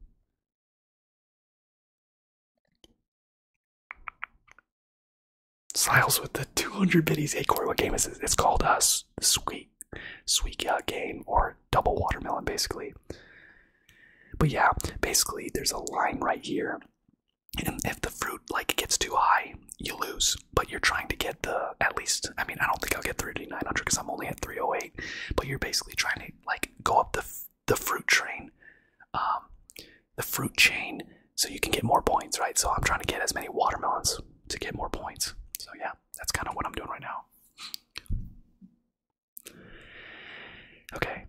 Siles with the 200 biddies. Hey, Corey, what game is this? It's called a sweet, sweet game, or double watermelon, basically. But yeah, basically, there's a line right here and if the fruit like gets too high you lose but you're trying to get the at least i mean i don't think i'll get 3900 because i'm only at 308 but you're basically trying to like go up the the fruit train um the fruit chain so you can get more points right so i'm trying to get as many watermelons to get more points so yeah that's kind of what i'm doing right now okay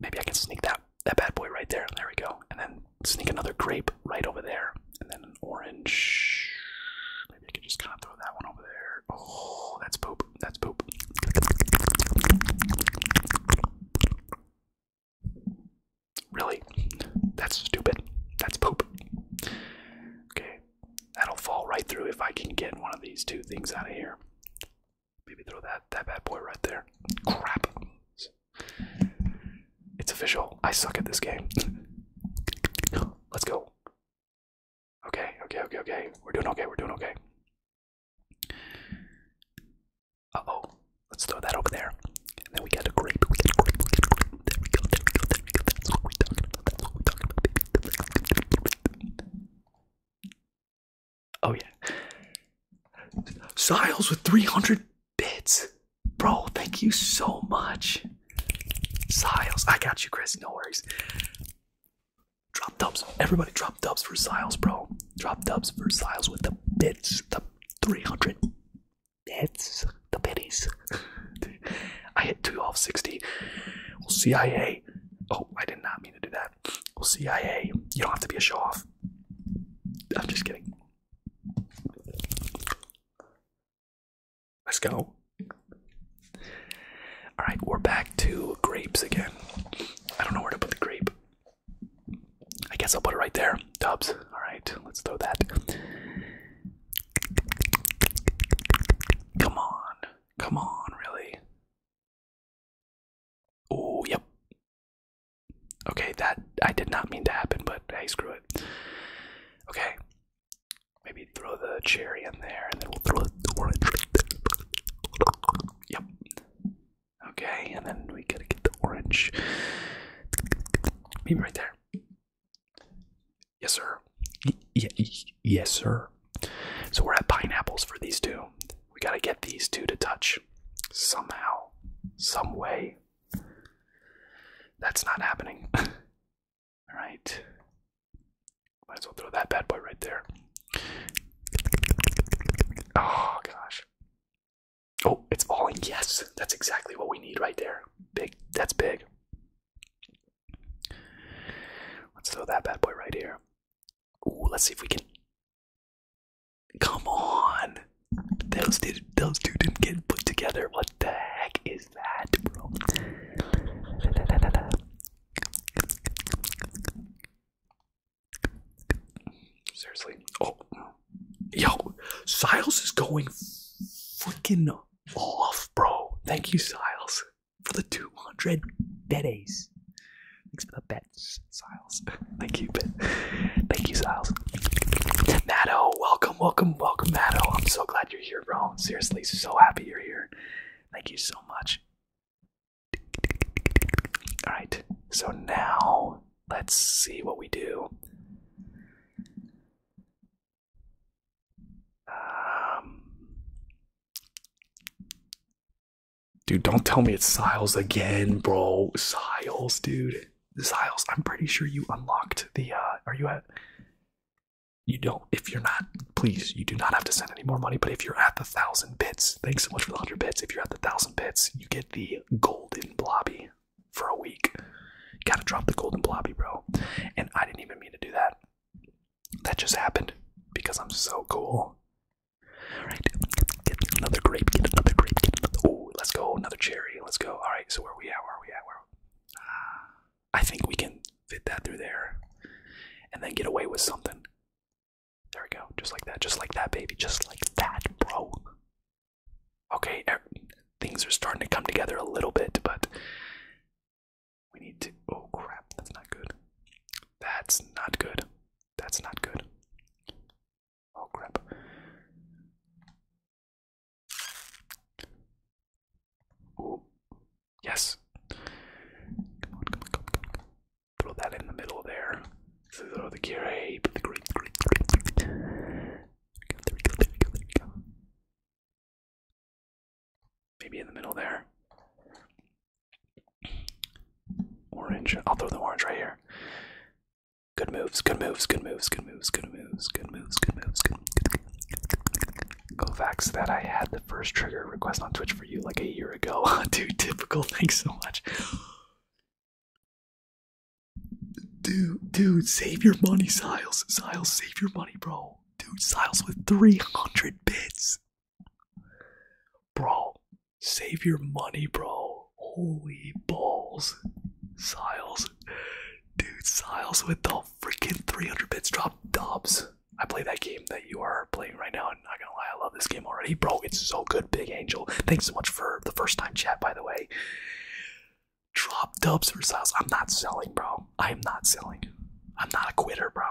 maybe i can sneak that that bad boy right there. There we go. And then sneak another grape right over there. And then an orange. Maybe I could just kind of throw that one over there. Oh, that's poop. That's poop. Really? That's stupid. That's poop. Okay. That'll fall right through if I can get one of these two things out of here. Maybe throw that that bad boy right there. Crap. It's official. I suck at this game. Let's go. Okay, okay, okay, okay. We're doing okay, we're doing okay. Uh-oh. Let's throw that over there. And then we got a grape. We got a grape. We got a grape. There we go, there we go, there we go. That's what we're talking about. That's what we're talking about, baby. Oh yeah. Siles with 300 bits. Bro, thank you so much. Siles, I got you, Chris. No worries. Drop dubs. Everybody drop dubs for Siles, bro. Drop dubs for Siles with the bits. The 300 bits. The bitties. I hit 2 off 60. Well, CIA. Oh, I did not mean to do that. Well, CIA, you don't have to be a showoff. I'm just kidding. Let's go. Alright, we're back to grapes again. I don't know where to put the grape. I guess I'll put it right there. Dubs. Alright, let's throw that. Come on. Come on, really. Oh, yep. Okay, that I did not mean to happen, but hey, screw it. Okay. Maybe throw the cherry in there and then we'll throw the orange. Yep. Okay, and then we gotta get the orange. Maybe right there. Yes, sir. Y yes, sir. So we're at pineapples for these two. We gotta get these two to touch somehow, some way. That's not happening. All right. Might as well throw that bad boy right there. Oh, gosh. Oh, it's falling. Yes, that's exactly what we need right there. Big. That's big. Let's throw that bad boy right here. Ooh, let's see if we can Come on. Those did two didn't get put together. What the heck is that, bro? Seriously. Oh. Yo, Siles is going freaking off, bro. Thank you, Siles, for the 200 bed Thanks for the bed that Thank you, Ben. Thank you, Siles. Matto, welcome, welcome, welcome, Matto. I'm so glad you're here, bro. Seriously, so happy you're here. Thank you so much. Alright, so now let's see what we do. Um, Dude, don't tell me it's Siles again, bro. Siles, dude. Siles, I'm pretty sure you unlocked the uh are you at you don't if you're not please you do not have to send any more money but if you're at the thousand bits thanks so much for the hundred bits if you're at the thousand bits you get the golden blobby for a week gotta drop the golden blobby bro and i didn't even mean to do that that just happened because i'm so cool Alright, another grape, another grape, Oh, let's go, another cherry, let's go. Alright, so where are we at? Where are we at? Where I think we can fit that through there and then get away with something. There we go, just like that, just like that, baby, just like that, bro. Okay, things are starting to come together a little bit, but we need to. Oh crap, that's not good. That's not good. That's not good. Oh crap. yes. Throw that in the middle there. Throw the green, Maybe in the middle there. Orange. I'll throw the orange right here. Good moves, good moves, good moves, good moves, good moves, good moves, good moves, good Govax that I had the first trigger request on Twitch for you like a year ago. Dude, typical, thanks so much. Dude, dude, save your money, Siles. Siles, save your money, bro. Dude, Siles with 300 bits. Bro, Save your money, bro. Holy balls. Siles. Dude, Siles with the freaking 300 bits drop dubs. I play that game that you are playing right now, and I'm not gonna lie, I love this game already. Bro, it's so good, Big Angel. Thanks so much for the first time chat, by the way. Drop dubs for Siles. I'm not selling, bro. I am not selling. I'm not a quitter, bro.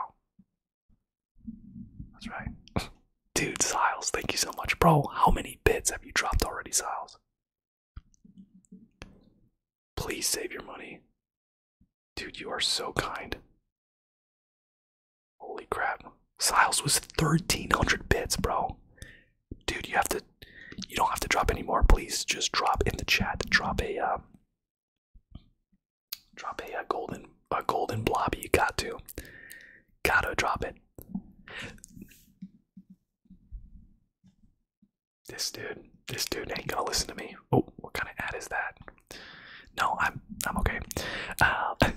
That's right. Dude, Siles, thank you so much. Bro, how many bits have you dropped already, Siles? Please save your money. Dude, you are so kind. Holy crap. Siles was 1300 bits, bro. Dude, you have to you don't have to drop anymore. Please just drop in the chat. Drop a uh, drop a, golden a golden blob. You got to. Gotta drop it. This dude, this dude ain't gonna listen to me. Oh, what kind of ad is that? No, I'm I'm okay. Um,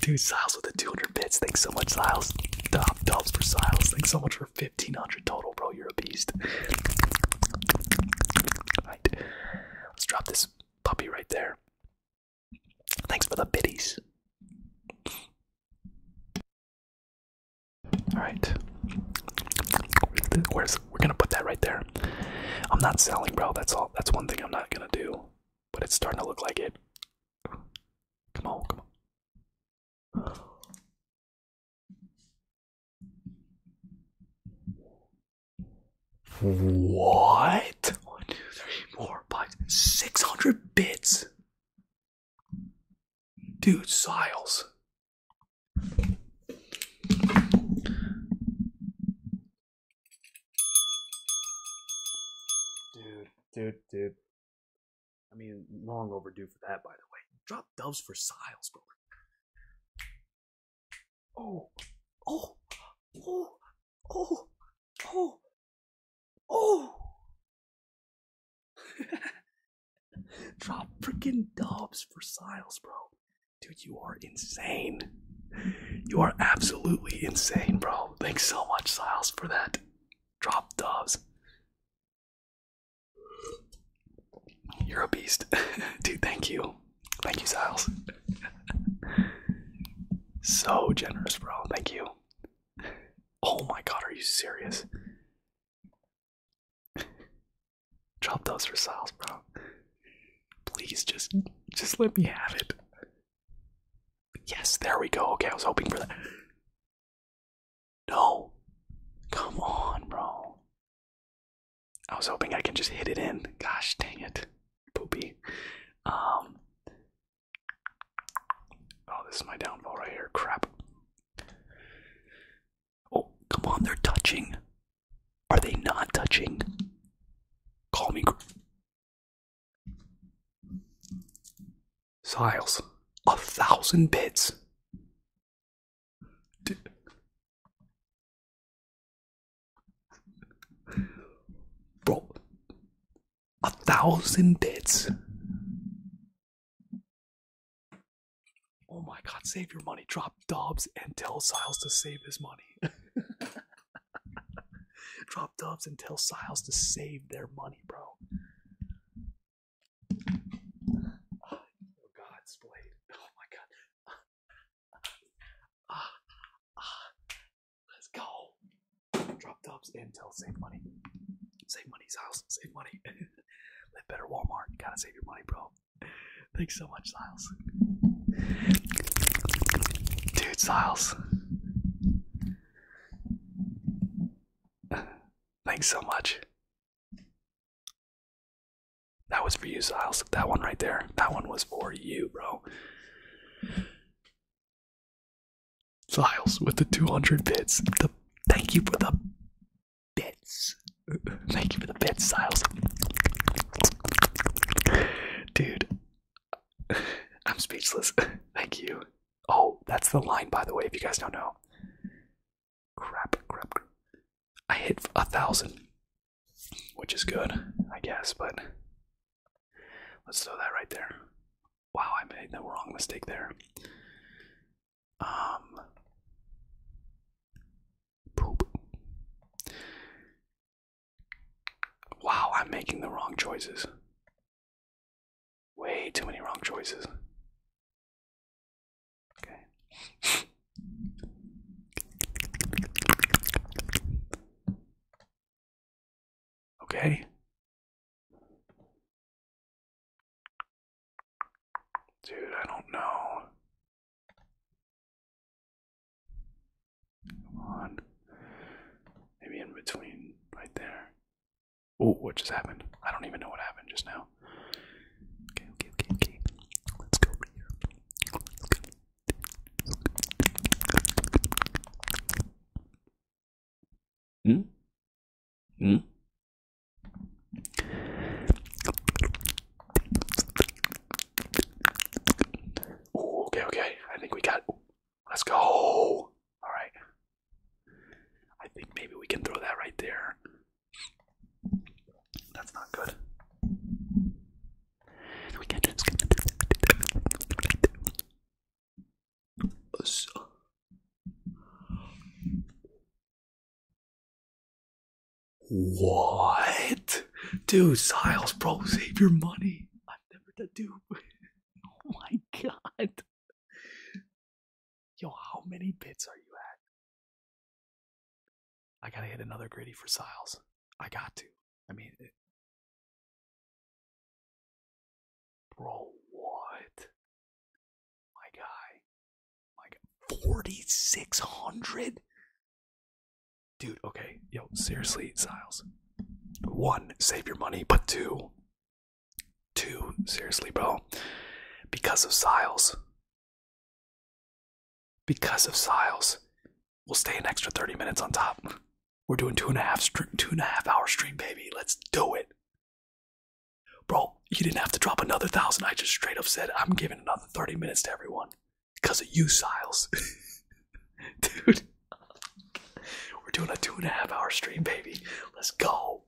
dude, Siles with the 200 bits. Thanks so much, Siles. Dub dubs for Siles. Thanks so much for 1500 total, bro. You're a beast. All right, let's drop this puppy right there. Thanks for the biddies. Alright. we're gonna put that right there. I'm not selling, bro. That's all that's one thing I'm not gonna do. But it's starting to look like it. Come on, come on. What? Six hundred bits. Dude, Siles. Dude, dude, dude. I mean, long overdue for that, by the way. Drop doves for Siles, bro. Oh, oh, oh, Oh, oh, oh. Drop fricking doves for Siles, bro. Dude, you are insane. You are absolutely insane, bro. Thanks so much, Siles, for that. Drop doves. You're a beast. Dude, thank you. Thank you, Siles. So generous, bro. Thank you. Oh my god, are you serious? Drop those for sales, bro. Please just just let me have it. Yes, there we go. Okay, I was hoping for that. No. Come on, bro. I was hoping I can just hit it in. Gosh dang it. Poopy. Um Oh, this is my downfall right here. Crap. Oh, come on, they're touching. Are they not touching? Call me. Siles, a thousand bits. Bro, a thousand bits. Oh my god, save your money. Drop Dobbs and tell Siles to save his money. Drop Dobbs and tell Siles to save their money, bro. Oh god, Splade. Oh my god. Uh, uh, Let's go. Drop tops Intel. Save money. Save money's house. Save money. Live better Walmart. Gotta save your money, bro. Thanks so much, Styles. Dude, Styles. Thanks so much. That was for you, Styles. That one right there. That one was for you, bro. Styles with the 200 bits. The, thank you for the bits. Thank you for the bits, Styles. Dude, I'm speechless. Thank you. Oh, that's the line, by the way, if you guys don't know. crap, crap. I hit a thousand, which is good, I guess, but Let's throw that right there. Wow, I made the wrong mistake there. Um, poop. Wow, I'm making the wrong choices. Way too many wrong choices. Okay. Okay. Dude, I don't know. Come on. Maybe in between, right there. Oh, what just happened? I don't even know what happened just now. Okay, okay, okay, okay. Let's go Hmm? Hmm? okay, okay. I think we got. let's go. All right. I think maybe we can throw that right there. That's not good. What? Dude, Siles, bro, save your money. I'm never the dude. oh my god. Yo, how many bits are you at? I gotta hit another gritty for Siles. I got to. I mean, bro, what? My guy, my guy, forty six hundred. Dude, okay, yo, seriously, Styles. One, save your money, but two, two, seriously, bro, because of Styles. Because of Styles, we'll stay an extra 30 minutes on top. We're doing two and a half two and a half hour stream, baby. Let's do it, bro. You didn't have to drop another thousand. I just straight up said I'm giving another thirty minutes to everyone because of you, Siles, dude. We're doing a two and a half hour stream, baby. Let's go.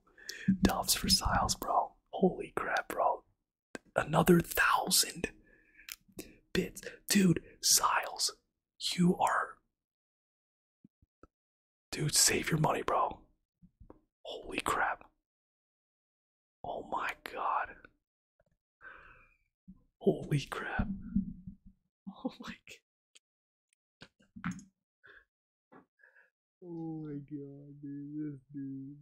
Doves for Siles, bro. Holy crap, bro. Another thousand bits, dude. Siles, you are Dude, save your money, bro. Holy crap. Oh my god. Holy crap. Oh my god. Oh my god, dude.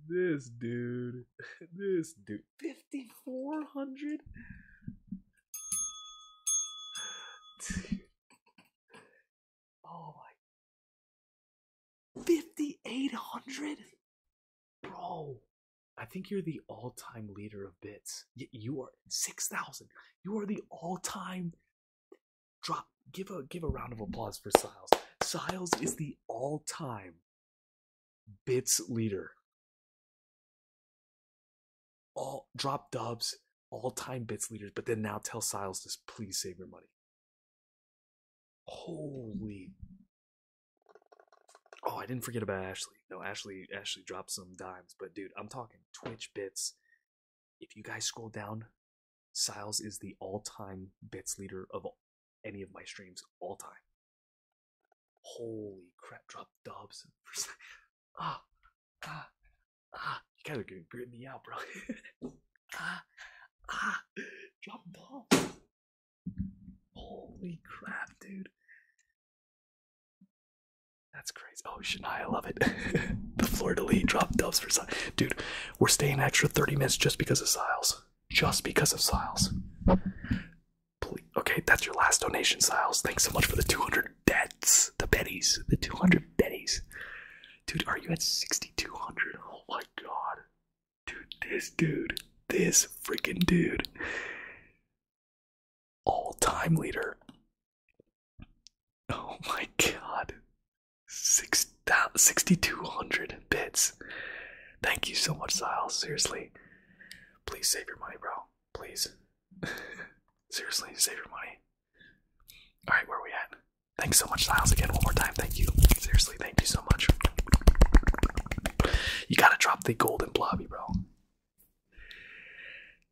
This dude. This dude. This dude. 5400 oh my. 5,800? Bro. I think you're the all-time leader of bits. You, you are 6,000. You are the all-time drop. Give a give a round of applause for Siles. Siles is the all-time bits leader all drop dubs, all time bits leaders, but then now tell Siles to please save your money. Holy. Oh, I didn't forget about Ashley. No, Ashley Ashley dropped some dimes, but dude, I'm talking Twitch bits. If you guys scroll down, Siles is the all-time bits leader of any of my streams all time. Holy crap, drop dubs. ah, ah, ah. You guys are gonna grit me out, bro. ah, ah. Drop ball. Holy crap, dude. That's crazy. Oh, Shania, I love it. the Florida lead drop doves for Siles. Dude, we're staying extra 30 minutes just because of Siles. Just because of Siles. Okay, that's your last donation, Siles. Thanks so much for the 200 bets. The betties. The 200 betties. Dude, are you at 6,200? Oh my god. Dude, this dude. This freaking dude. All time leader. Oh my god. 6,200 bits. Thank you so much, Siles. Seriously. Please save your money, bro. Please. Seriously, save your money. All right, where are we at? Thanks so much, Styles. Again, one more time. Thank you. Seriously, thank you so much. You gotta drop the golden blobby, bro.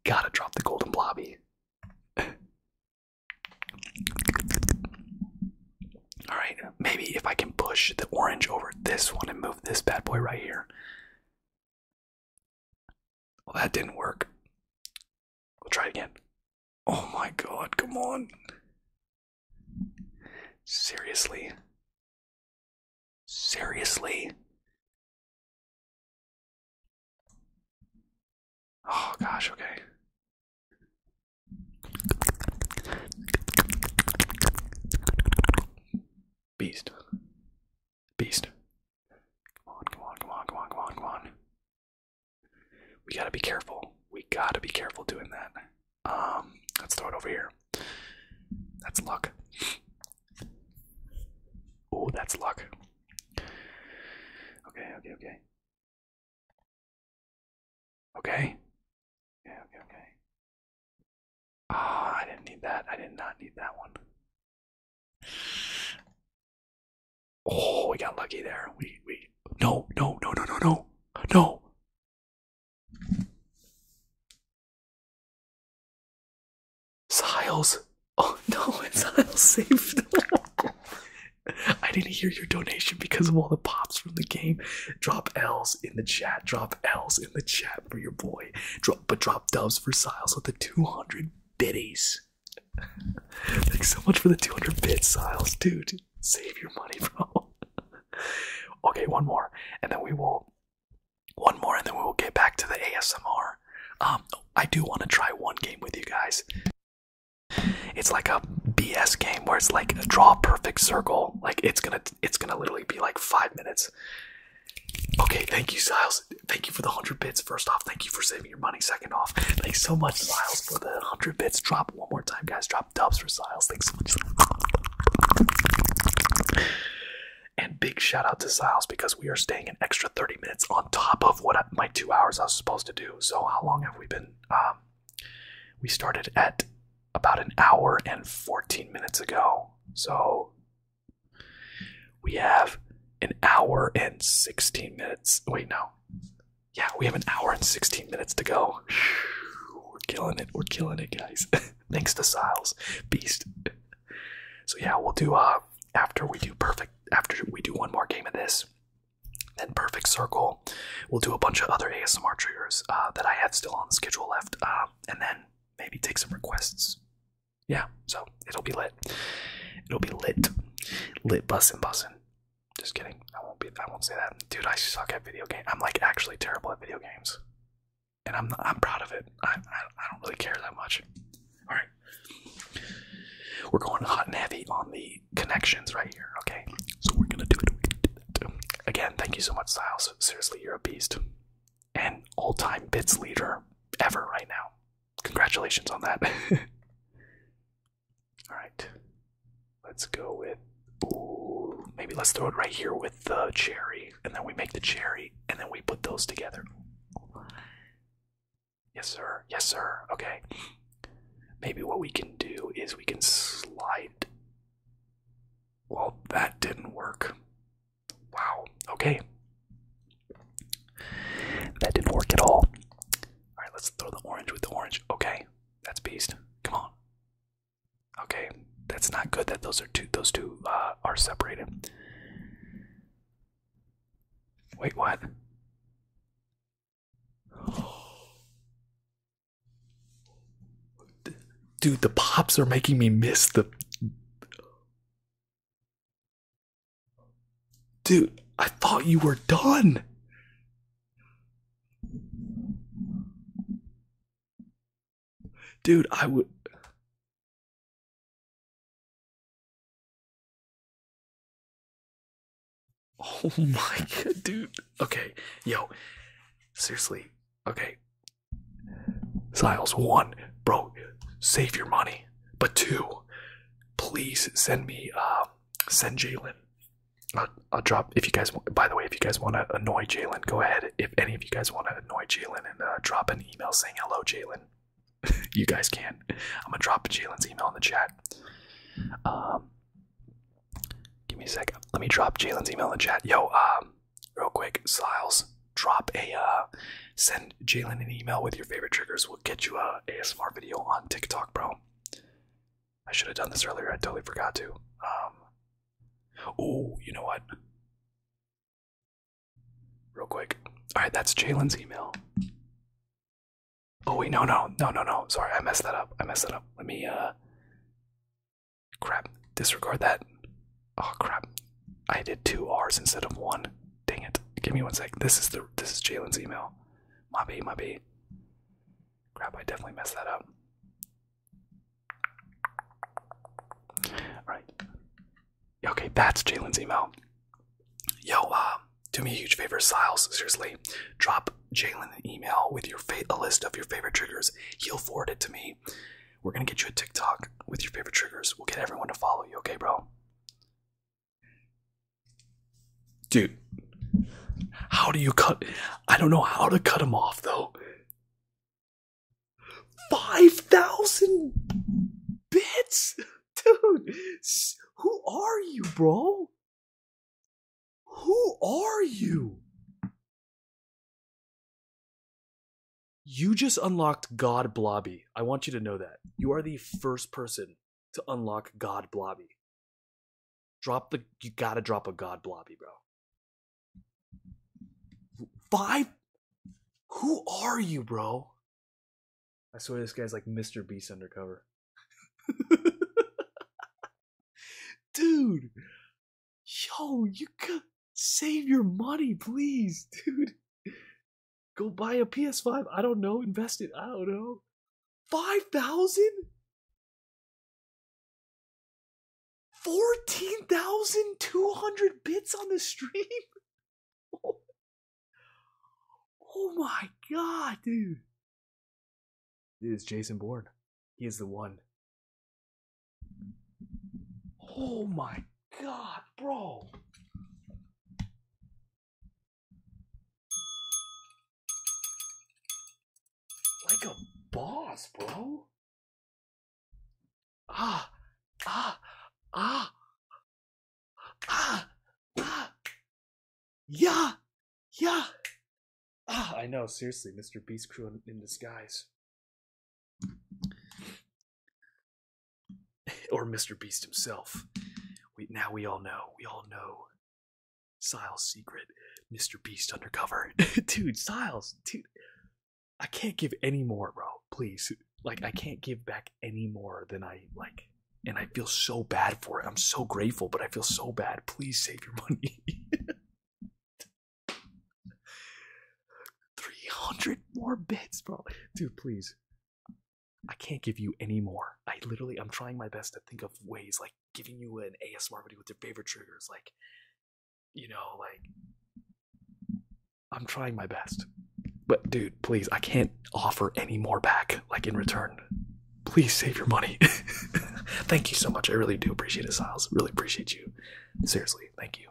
Gotta drop the golden blobby. All right, maybe if I can push the orange over this one and move this bad boy right here, well, oh, that didn't work. We'll try again. Oh my god, come on. Seriously? Seriously? Oh gosh, okay. Beast. Beast. Come on, come on, come on, come on, come on, come on. We gotta be careful. We gotta be careful doing that. Um, let's throw it over here. That's luck. Oh, that's luck. Okay, okay, okay. Okay. Yeah, okay, okay. Ah, I didn't need that. I did not need that one. Oh, we got lucky there. We we no no no no no no no. Siles. Oh no, it's Siles saved. I didn't hear your donation because of all the pops from the game. Drop L's in the chat. Drop L's in the chat for your boy. Drop but drop doves for Siles with the 200 bitties. Thanks so much for the 200 bit Siles, dude. Save your money, bro. okay, one more, and then we will. One more, and then we will get back to the ASMR. Um, I do want to try one game with you guys. It's like a BS game where it's like draw a perfect circle. Like it's gonna, it's gonna literally be like five minutes, Okay, thank you, Siles. Thank you for the 100 bits. First off, thank you for saving your money. Second off, thanks so much, Siles, for the 100 bits. Drop one more time, guys. Drop dubs for Siles. Thanks so much. And big shout out to Siles because we are staying an extra 30 minutes on top of what my two hours I was supposed to do. So, how long have we been? Um, we started at about an hour and 14 minutes ago. So, we have an hour and 16 minutes. Wait, no. Yeah, we have an hour and 16 minutes to go. We're killing it. We're killing it, guys. Thanks to Siles. Beast. So yeah, we'll do uh after we do perfect after we do one more game of this, then perfect circle. We'll do a bunch of other ASMR triggers uh, that I have still on the schedule left, um, and then maybe take some requests yeah, so it'll be lit. It'll be lit. Lit bussin' bussin'. Just kidding. I won't be I won't say that. Dude, I suck at video games. I'm like actually terrible at video games. And I'm I'm proud of it. I I, don't really care that much. All right. We're going hot and heavy on the connections right here, okay? So we're gonna do it. We're gonna do it. Again, thank you so much, Styles. Seriously, you're a beast. And all-time bits leader ever right now congratulations on that. All right, let's go with. Ooh, maybe let's throw it right here with the cherry, and then we make the cherry, and then we put those together. Yes, sir. Yes, sir. Okay. Maybe what we can do is we can slide. Well, that didn't work. Wow, okay. That didn't work at all. Alright, let's throw the orange with the orange. Okay, that's beast. Come on. Okay, that's not good that those are two those two uh, are separated. Wait, what? Dude, the pops are making me miss the Dude, I thought you were done. Dude, I would. Oh my god, dude. Okay, yo. Seriously. Okay. Siles, one, bro, save your money. But two, please send me um, send Jalen. I'll, drop if you guys. By the way, if you guys want to annoy Jalen, go ahead. If any of you guys want to annoy Jalen and uh, drop an email saying hello, Jalen, you guys can. I'm gonna drop Jalen's email in the chat. Um, give me a second. Let me drop Jalen's email in the chat. Yo, um, real quick, Siles, drop a uh, send Jalen an email with your favorite triggers. will get you a ASMR video on TikTok, bro. I should have done this earlier. I totally forgot to. oh, you know what? Real quick. All right, that's Jalen's email. Oh wait, no, no, no, no, no. Sorry, I messed that up. I messed that up. Let me. Uh, crap. Disregard that. Oh crap. I did two R's instead of one. Dang it. Give me one sec. This is the this is Jalen's email. My B, my Crap, I definitely messed that up. Alright. Okay, that's Jalen's email. Yo, uh, do me a huge favor, Styles. Seriously, drop Jalen an email with your fa a list of your favorite triggers. He'll forward it to me. We're gonna get you a TikTok with your favorite triggers. We'll get everyone to follow you, okay, bro? Dude, how do you cut? I don't know how to cut him off though. 5,000 bits? Dude, who are you, bro? Who are you? You just unlocked God Blobby. I want you to know that. You are the first person to unlock God Blobby. Drop the you gotta drop a God Blobby, bro. Five Who are you, bro? I swear this guy's like Mr. Beast undercover. dude. Yo, you could save your money, please, dude. Go buy a PS5. I don't know. Invest it. I don't know. 5,000? 14,200 bits on the stream? Oh. my god, dude. It is Jason Bourne. He is the one. Oh my god, bro. Like a boss, bro. Ah, ah, ah, ah, ah. Yeah, yeah. Ah, I know, seriously, Mr. Beast Crew in, in disguise. or Mr. Beast himself. now we all know. We all know. Siles' secret. Mr. Beast undercover. dude, Siles, dude. I can't give any more, bro. Please. Like I can't give back any more than I like and I feel so bad for it. I'm so grateful, but I feel so bad. Please save your money. 300 more bits, bro. Dude, please. I can't give you any more. I literally, I'm trying my best to think of ways like giving you an ASMR video with your favorite triggers. Like, you know, like, I'm trying my best. But dude, please, I can't offer any more back, like in return. Please save your money. thank you so much. I really do appreciate it, Styles. Really appreciate you. Seriously, thank you.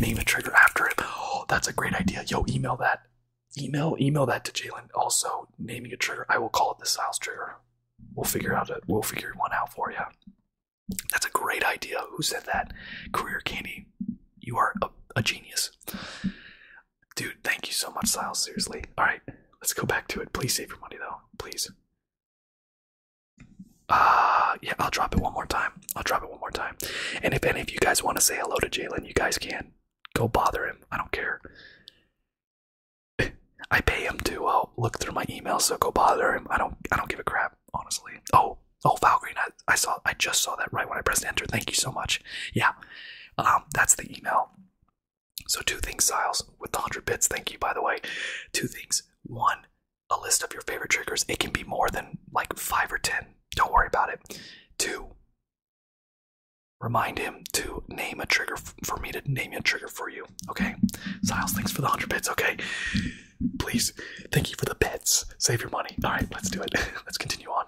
Name a trigger after it. Oh, that's a great idea. Yo, email that email email that to Jalen. Also, naming a trigger, I will call it the Styles trigger. We'll figure out a, we'll figure one out for you. That's a great idea. Who said that? Career Candy, you are a, genius, dude. Thank you so much, Styles. Seriously. All right, let's go back to it. Please save your money though, please. Uh, yeah, I'll drop it one more time. I'll drop it one more time. And if any of you guys want to say hello to Jalen, you guys can go bother him. I don't care. I pay him to uh, look through my email. so go bother him. I don't. I don't give a crap, honestly. Oh, oh, Valkyrie. I, I saw. I just saw that right when I pressed enter. Thank you so much. Yeah, um, that's the email. So two things, Styles, with the hundred bits. Thank you, by the way. Two things. One, a list of your favorite triggers. It can be more than like five or ten. Don't worry about it. Two, Remind him to name a trigger for me to name a trigger for you. Okay, Siles, thanks for the hundred bits. Okay, please, thank you for the bits. Save your money. All right, let's do it. let's continue on.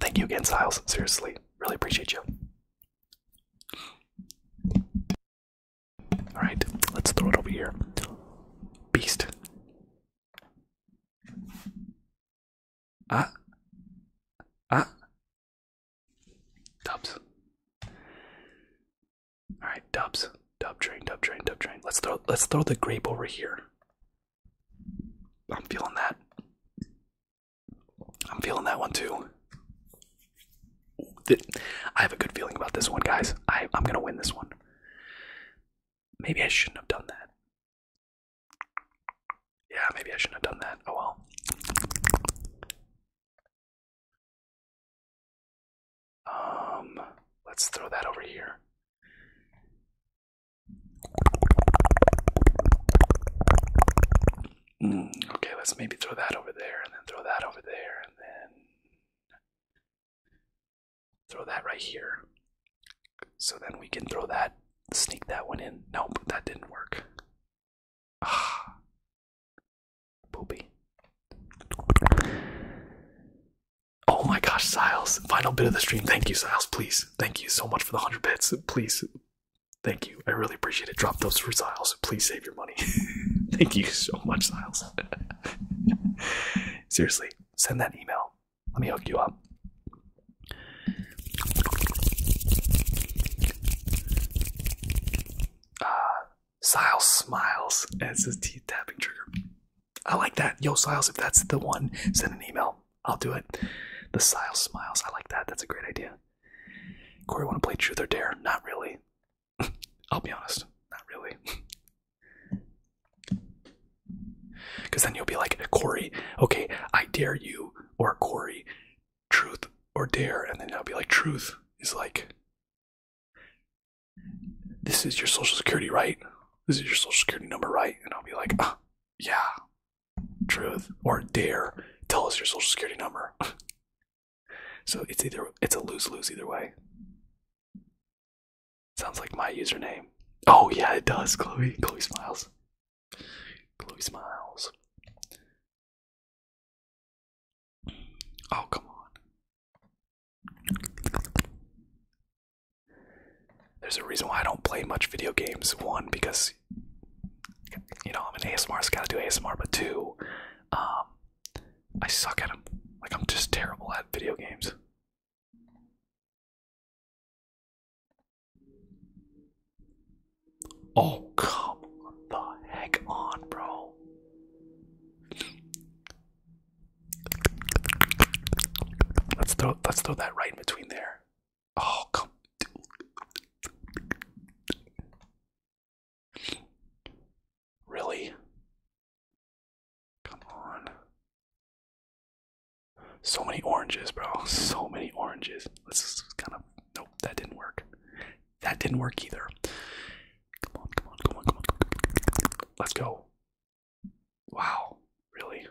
Thank you again, Siles. Seriously, really appreciate you. All right, let's throw it over here. Beast, Ah. Ah. Dubs. Alright, dubs. Dub train, dub train, dub train. Let's throw let's throw the grape over here. I'm feeling that. I'm feeling that one too. I have a good feeling about this one, guys. I, I'm gonna win this one. Maybe I shouldn't have done that. Yeah, maybe I shouldn't have done that. Oh well. Um, let's throw that over here. Hmm, okay, let's maybe throw that over there, and then throw that over there, and then Throw that right here. So then we can throw that, sneak that one in. Nope, that didn't work. Ah. Poopy. Oh my gosh, Siles. Final bit of the stream. Thank you, Siles. Please. Thank you so much for the 100 bits. Please. Thank you. I really appreciate it. Drop those for Siles. Please save your money. Thank you so much, Siles. Seriously, send that email. Let me hook you up. Uh, Siles smiles as his teeth tapping trigger. I like that. Yo, Siles, if that's the one, send an email. I'll do it. The Siles smiles. I like that. That's a great idea. Corey, want to play Truth or Dare? Not really. I'll be honest. Not really. Because then you'll be like, Corey, okay, I dare you, or Corey, truth or dare. And then I'll be like, truth is like, this is your social security, right? This is your social security number, right? And I'll be like, uh, yeah, truth or dare. Tell us your social security number. so it's either, it's a lose lose either way. Sounds like my username. Oh yeah, it does, Chloe. Chloe smiles. Chloe smiles. Oh come on. There's a reason why I don't play much video games. One, because you know I'm an ASMR, so gotta do ASMR. But two, um, I suck at them. Like I'm just terrible at video games. Oh, come the heck on, bro. Let's throw let's throw that right in between there. Oh, come. Really? Come on. So many oranges, bro. So many oranges. Let's kind of. Nope, that didn't work. That didn't work either. Come on, come on, come on, come on. Let's go. Wow, really?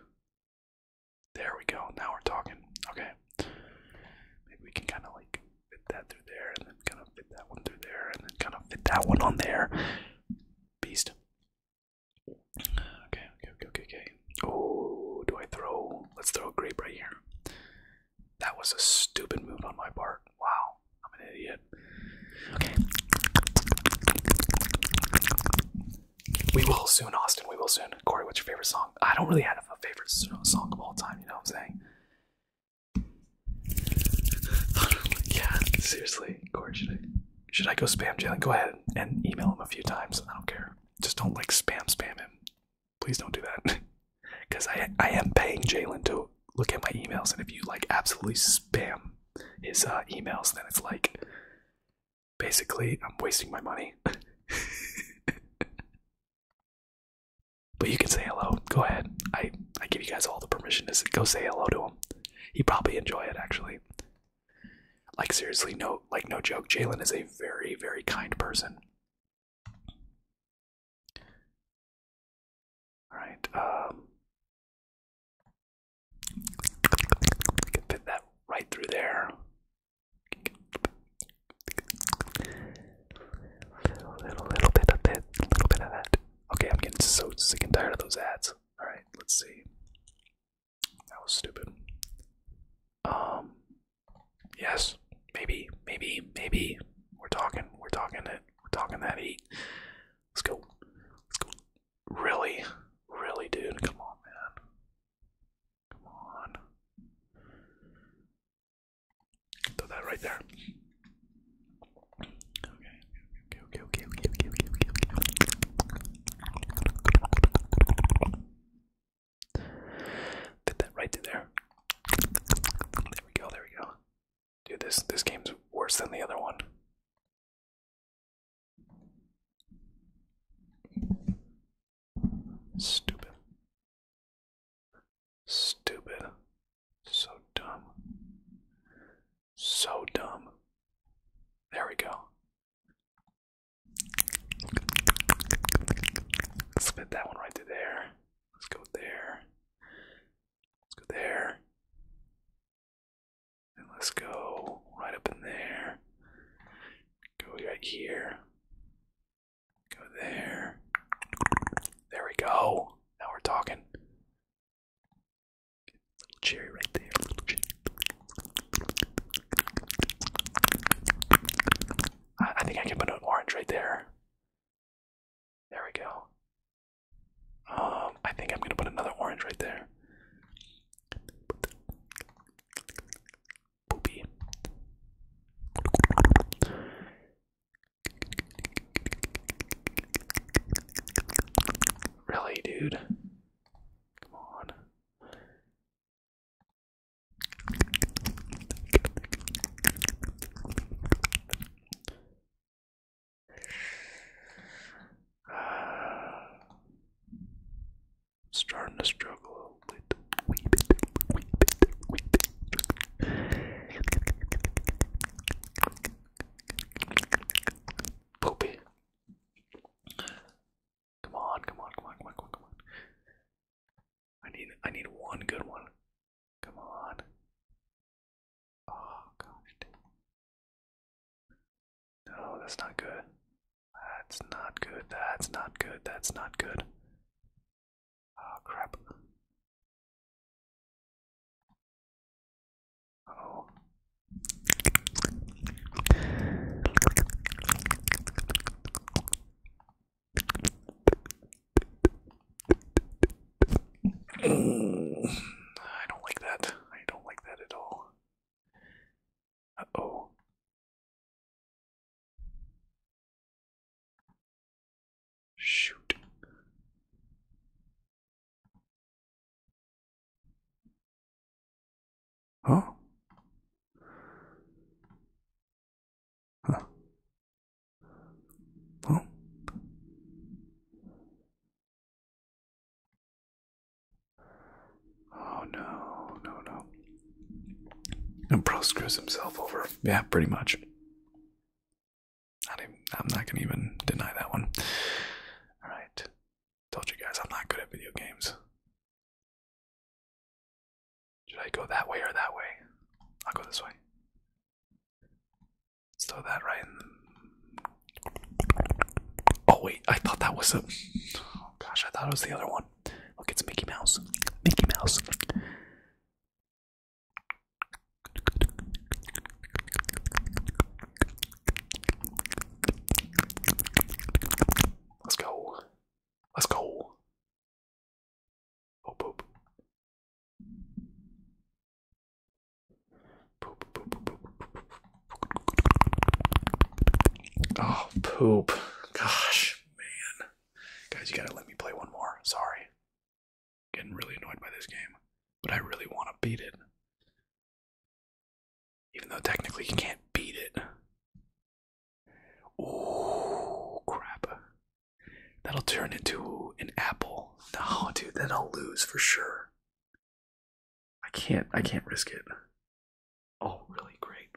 There we go. Now we're talking. Okay. Maybe we can kind of like fit that through there and then kind of fit that one through there and then kind of fit that one on there. Beast. Okay, okay, okay, okay, okay. Oh, do I throw? Let's throw a grape right here. That was a stupid move on my part. Wow, I'm an idiot. Okay. We will soon, Austin. We will soon. Corey, what's your favorite song? I don't really have a favorite song of all time, you know what I'm saying? yeah, seriously. Corey, should I? should I go spam Jalen? Go ahead and email him a few times. I don't care. Just don't like spam spam him. Please don't do that. Because I I am paying Jalen to look at my emails, and if you like absolutely spam his uh, emails, then it's like basically I'm wasting my money. but you can say hello. Go ahead. I I give you guys all the permission to go say hello to him. He probably enjoy it actually. Like seriously, no, like no joke. Jalen is a very, very kind person. All right, um, can fit that right through there. Little, little, little bit of it, little bit of that. Okay, I'm getting so sick and tired of those ads. All right, let's see. That was stupid. Um, yes, maybe, maybe, maybe. We're talking, we're talking it, we're talking that eight. Let's go. Let's go. Really, really, dude. Come on, man. Come on. Throw that right there. Okay, okay, okay, okay, okay, okay, okay, okay. Did that right to there. There we go, there we go. Dude, this this game's worse than the other one. Stupid. Stupid. So dumb. So dumb. There we go. Let's that one right to there. Let's go there. Let's go there. And let's go right up in there. Go right here. Go there. There we go. Now we're talking. Little cherry right there. Little cherry. I, think I can put an orange right there. There we go. Um, I think I'm gonna put another orange right there. Really, dude? Come on. Starting to struggle a little bit. Come on, come on, come on, come on, come on, I need I need one good one. Come on. Oh gosh dang. No, that's not good. That's not good. That's not good. That's not good. Oh crap. oh. I don't like that. I don't like that at all. Uh oh. Shoot. Huh? Huh? Huh? Oh no, no, no. And Pro screws himself over. Yeah, pretty much. I'm not going to even deny that one. Alright. Told you guys I'm not good at video games. Should I go that way or that way? I'll go this way. throw that right Oh, wait, I thought that was a. Oh, gosh, I thought it was the other one. Look, it's Mickey Mouse. Mickey Mouse. Let's go. Let's go. Oh, poop. Oh, poop. Gosh, man. Guys, you gotta let me play one more. Sorry. Getting really annoyed by this game, but I really want to beat it. Even though technically you can't beat it. Ooh, crap. That'll turn into an apple. No, dude, then I'll lose for sure. I can't I can't risk it. Oh, really great.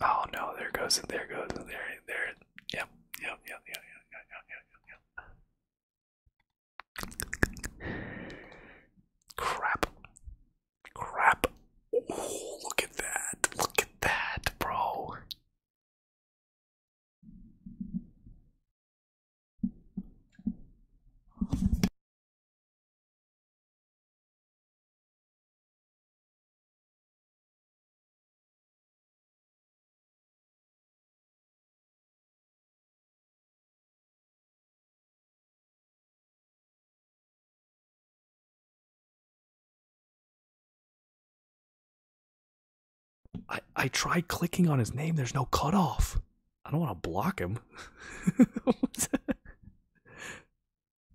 Oh no, there goes there goes there, there. yep, yep, yep, yep, yep, yep, yep, yep. Crap. Crap. look at that. Look at that, bro. I, I tried clicking on his name. There's no cutoff. I don't want to block him.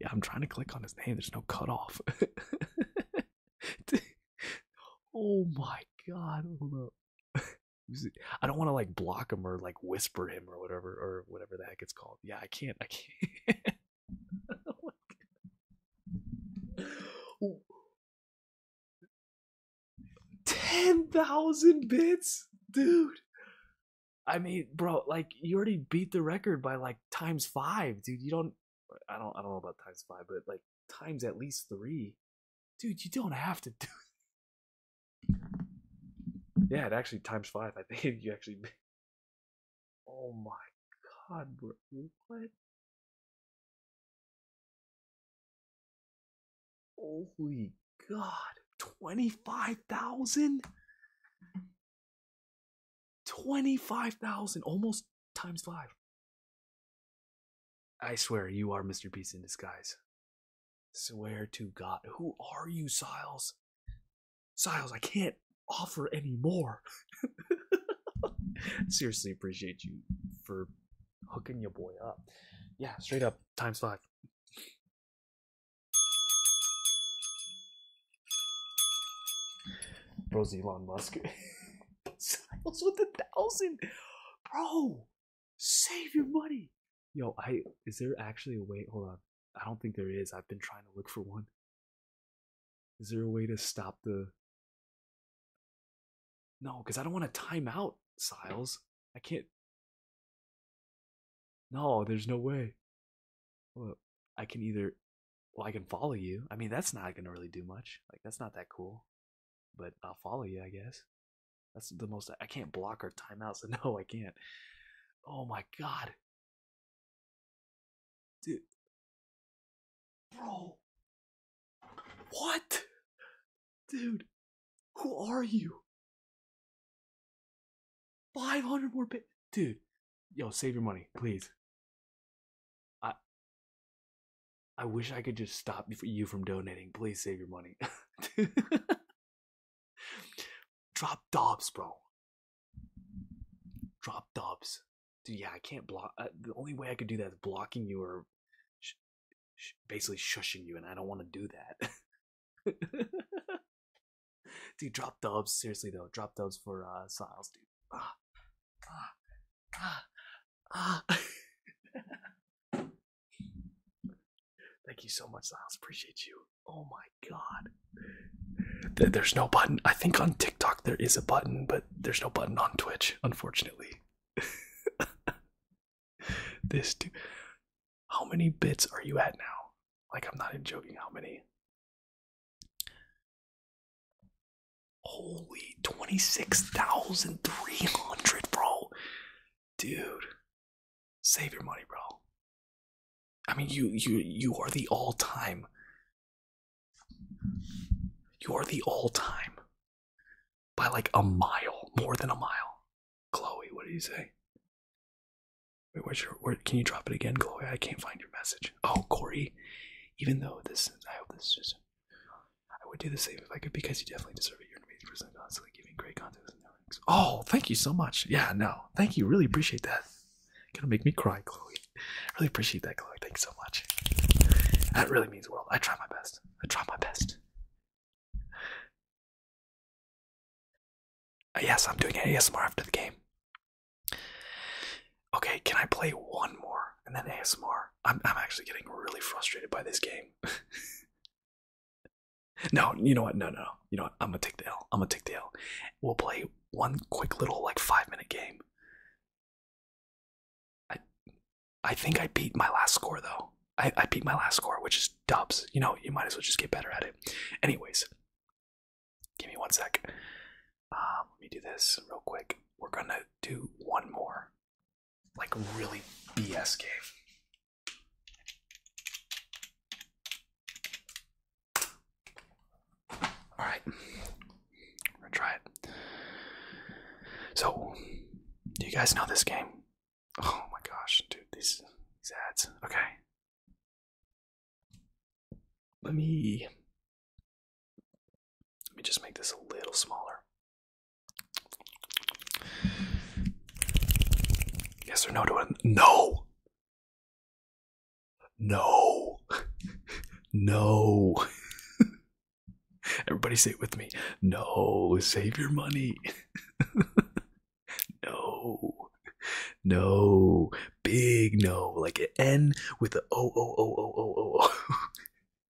yeah, I'm trying to click on his name. There's no cutoff. oh my god, hold up. I don't want to like block him or like whisper him or whatever or whatever the heck it's called. Yeah, I can't. I can't. oh Ten thousand bits, dude. I mean, bro, like you already beat the record by like times five, dude. You don't I don't I don't know about times five, but like times at least three, dude, you don't have to do. Yeah, it actually times five. I think you actually. Oh my god, What? Holy god! Twenty five thousand. 25,000 almost times five. I swear you are Mr. Peace in disguise. Swear to God. Who are you, Siles? Siles, I can't offer any more. Seriously appreciate you for hooking your boy up. Yeah, straight up, times five. Bro's Elon Musk. Siles with a thousand, bro. Save your money, yo. I is there actually a way? Hold on, I don't think there is. I've been trying to look for one. Is there a way to stop the? No, because I don't want to time out Siles. I can't. No, there's no way. Well, I can either. Well, I can follow you. I mean, that's not gonna really do much. Like, that's not that cool but I'll follow you, I guess. That's the most I can't block our timeout, so no, I can't. Oh my god. Dude. Bro. What? Dude, who are you? 500 more bit. Dude, yo, save your money, please. I I wish I could just stop you from donating. Please save your money. Drop Dobbs, bro. Drop Dobbs. Dude, yeah, I can't block. Uh, the only way I could do that is blocking you or basically shushing you, and I don't want to do that. dude, drop Dobbs. Seriously, though. Drop Dobbs for uh, Siles, dude. Ah. Ah, ah, ah. Thank you so much, Liles. Appreciate you. Oh my god. There's no button. I think on TikTok there is a button, but there's no button on Twitch, unfortunately. this dude. How many bits are you at now? Like, I'm not even joking. How many? Holy 26,300, bro. Dude, save your money, bro. I mean, you you you are the all-time. You are the all-time by like a mile, more than a mile. Chloe, what do you say? Wait, where's your where can you drop it again, Chloe? I can't find your message. Oh, Corey, even though this I hope this is I would do the same if I could because you definitely deserve it. You're an amazing person, constantly giving great content. Oh, thank you so much. Yeah, no, thank you. Really appreciate that. Gonna make me cry, Chloe. Really appreciate that, Chloe. Thanks so much. That really means the world. I try my best. I try my best. Uh, yes, I'm doing ASMR after the game. Okay, can I play one more and then ASMR? I'm, I'm actually getting really frustrated by this game. no, you know what? No, no, no. You know what? I'm gonna take the L. I'm gonna take the L. We'll play one quick little like five minute game. I, I think I beat my last score though. I, I beat my last score, which is dubs. You know, you might as well just get better at it. Anyways, give me one sec. Um, let me do this real quick. We're gonna do one more like really BS game. All right, we're gonna try it. So, do you guys know this game? Oh my gosh, dude, these these ads. Okay, let me let me just make this a little smaller. Yes or no to a No! No! no! Everybody say it with me. No, save your money. no. No. Big no. Like an N with a O O O O O O.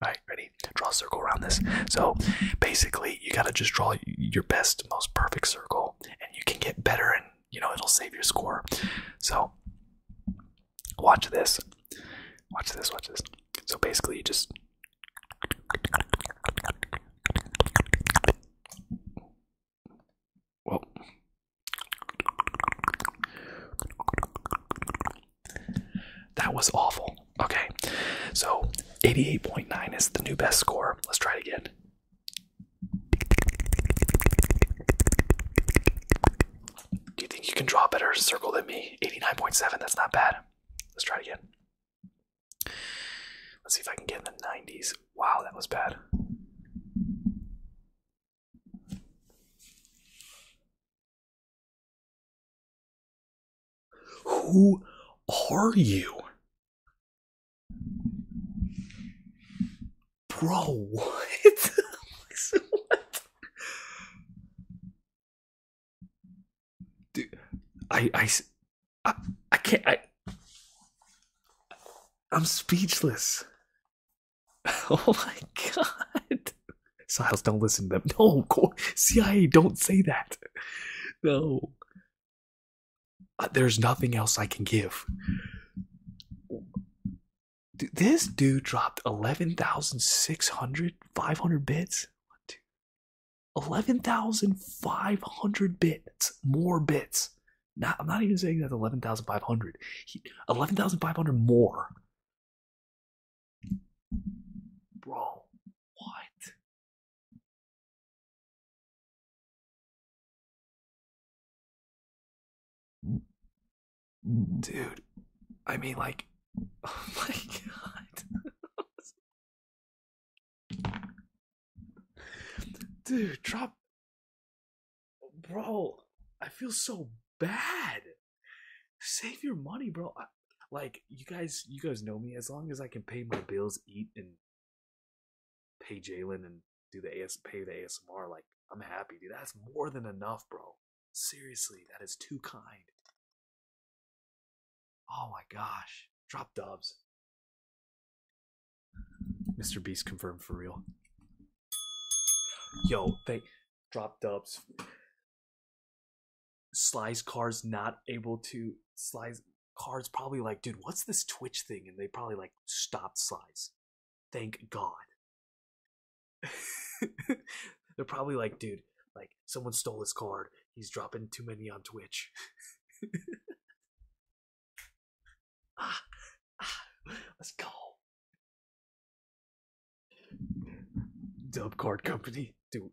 All right, ready? Draw a circle around this. So basically, you gotta just draw your best, most perfect circle, and you can get better, and you know it'll save your score. So watch this, watch this, watch this. So basically, you just well. That was awful. Okay, so 88.9 is the new best score. Let's try it again. Do you think you can draw a better circle than me? 89.7, that's not bad. Let's try it again. Let's see if I can get in the 90s. Wow, that was bad. Who are you? Bro, what? Dude, I, I, I, I can't, I, I'm speechless. Oh my god. Siles, don't listen to them. No, CIA, don't say that. No. Uh, there's nothing else I can give. This dude dropped 11,600, 500 bits. 11,500 bits. More bits. I'm not even saying that's 11,500. 11,500 more Bro, what? Dude, I mean, like, oh my god. Dude, drop. Bro, I feel so bad save your money, bro. like you guys, you guys know me. As long as I can pay my bills, eat, and pay Jalen and do the AS, pay the ASMR, like I'm happy, dude. That's more than enough, bro. Seriously, that is too kind. Oh my gosh, drop dubs. Mr. Beast confirmed for real. Yo, they drop dubs. Slice car's not able to slice car's probably like, dude, what's this Twitch thing? And they probably like stopped Sly's. Thank God. They're probably like, dude, like someone stole his card. He's dropping too many on Twitch. ah, ah, let's go. Dub card company, dude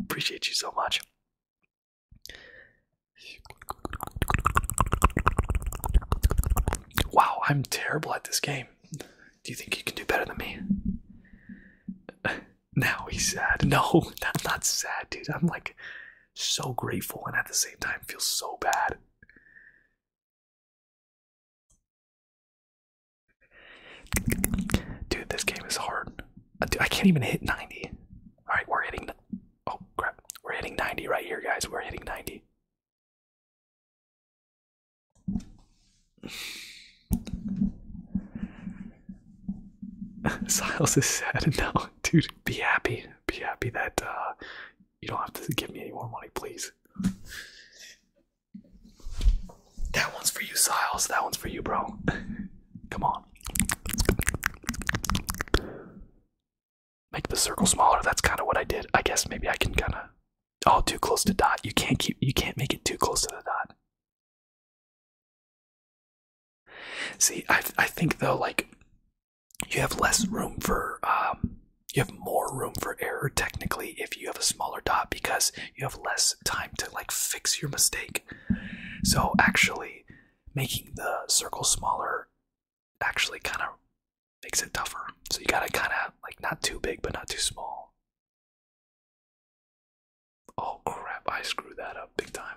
Appreciate you so much. Wow, I'm terrible at this game. Do you think you can do better than me? Now he's sad. No, i not sad, dude. I'm like so grateful and at the same time feel so bad. Dude, this game is hard. Uh, I can't even hit 90. All right, we're hitting. Oh crap, we're hitting 90 right here, guys. We're hitting 90. Siles is sad now, dude. Be happy. Be happy that uh, you don't have to give me any more money, please. That one's for you, Siles. That one's for you, bro. Come on. Make the circle smaller. That's kind of what I did. I guess maybe I can kind of. Oh, too close to dot. You can't keep. You can't make it too close to the dot. See, I I think though, like you have less room for. Um, you have more room for error technically if you have a smaller dot because you have less time to like fix your mistake so actually, making the circle smaller actually kind of makes it tougher. So you gotta kind of like not too big, but not too small. Oh crap, I screwed that up big time.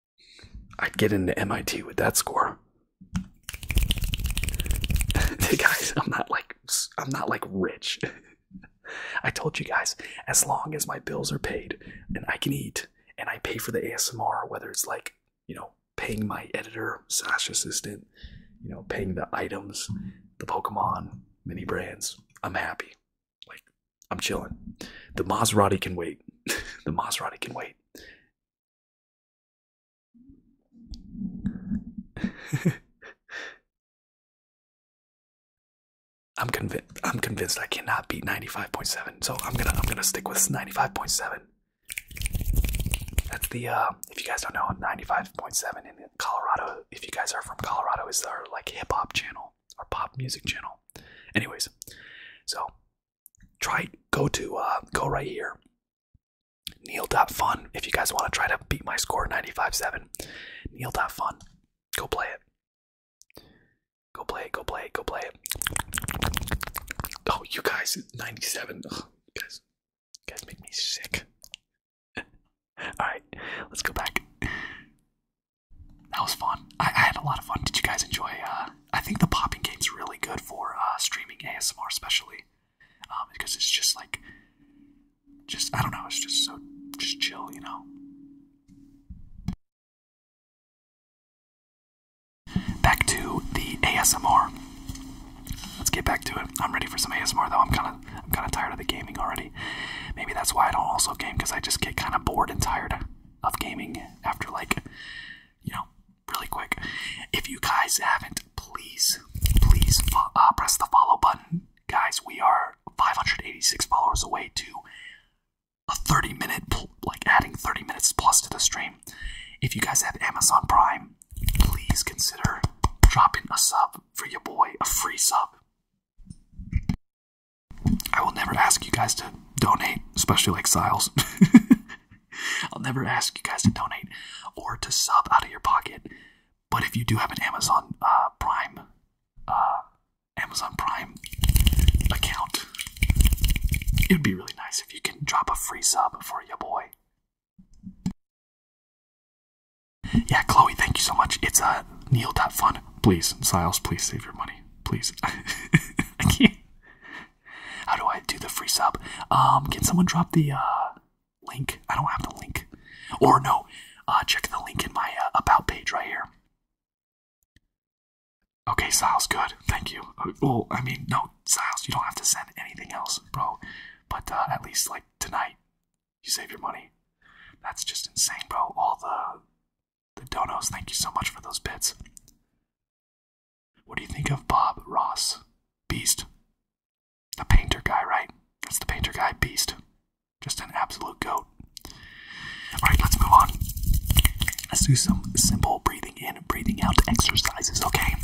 I'd get into MIT with that score. guys, I'm not like I'm not like rich. I told you guys, as long as my bills are paid and I can eat and I pay for the ASMR, whether it's like, you know, paying my editor, Sash assistant, you know, paying the items, the Pokemon, mini brands, I'm happy. Like, I'm chilling. The Maserati can wait. the Maserati can wait. I'm convinced. I'm convinced I cannot beat 95.7, so I'm gonna I'm gonna stick with 95.7. That's the uh, if you guys don't know, 95.7 in Colorado. If you guys are from Colorado, is our like hip hop channel, our pop music channel. Anyways, so try go to uh, go right here. Neil fun if you guys want to try to beat my score 95-7. Neil fun. Go play it. Go play it. Go play it. Go play it. Oh, you guys, 97. Ugh, you guys, you guys make me sick. All right, let's go back. That was fun. I, had a lot of fun. Did you guys enjoy? Uh, I think the popping game's really good for uh, streaming ASMR, especially um, because it's just like, just I don't know, it's just so just chill, you know. Back to the ASMR. Let's get back to it. I'm ready for some ASMR though. I'm kind of I'm kind of tired of the gaming already. Maybe that's why I don't also game because I just get kind of bored and tired of gaming after like, you know, really quick. If you guys haven't, please, please uh, uh press the follow button. Guys, we are 586 followers away to a 30 minute, like adding 30 minutes plus to the stream. If you guys have Amazon Prime, please consider dropping a sub for your boy, a free sub. I will never ask you guys to donate, especially like Siles. I'll never ask you guys to donate or to sub out of your pocket. But if you do have an Amazon uh, Prime, uh, Amazon Prime account, it'd be really nice if you can drop a free sub for your boy. Yeah, Chloe, thank you so much. It's a uh, Fun, Please, Siles, please save your money. Please. Thank you. How do I do the free sub? Um, can someone drop the uh, link? I don't have the link. Or no, uh, check the link in my uh, about page right here. Okay, styles, good. Thank you. Well, I mean, no, styles. you don't have to send anything else, bro. But at least, like, tonight, you save your money. That's just insane, bro. All the, the donos, thank you so much for those bits. What do you think of Bob Ross? Beast. The painter guy, right? That's the painter guy, Beast. Just an absolute goat. Alright, let's move on. Let's do some simple breathing in and breathing out exercises, okay?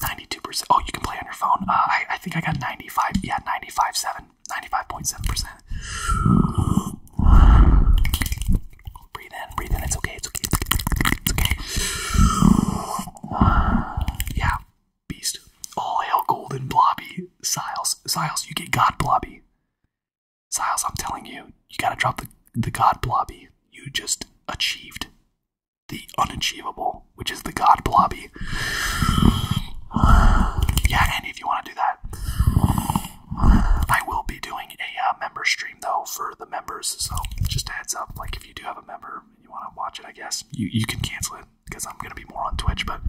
92%. Oh, you can play on your phone. Uh, I, I think I got 95. Yeah, 95.7. 95.7%. Breathe in, breathe in. It's okay. It's okay. It's okay. Yeah, beast. All hail golden blobby. Siles, Siles, you get god blobby. Siles, I'm telling you, you gotta drop the the god blobby. You just achieved the unachievable, which is the god blobby. Yeah, Andy, if you want to do that. I will be doing a uh, member stream though for the members, so just heads up. Like if you do have a member and you want to watch it, I guess you you can cancel it because I'm gonna be more on Twitch. But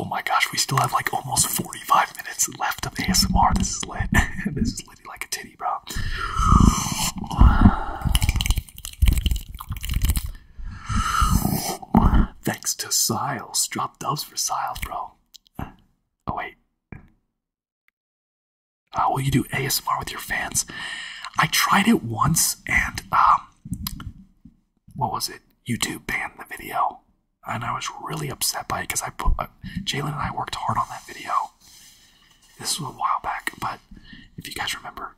Oh my gosh, we still have like almost 45 minutes left of ASMR. This is lit. this is lit like a titty, bro. Thanks to Siles. Drop dubs for Siles, bro. Oh, wait. Uh, will you do ASMR with your fans? I tried it once and, um, what was it? YouTube banned the video. And I was really upset by it because I put, uh, Jalen and I worked hard on that video. This was a while back, but if you guys remember,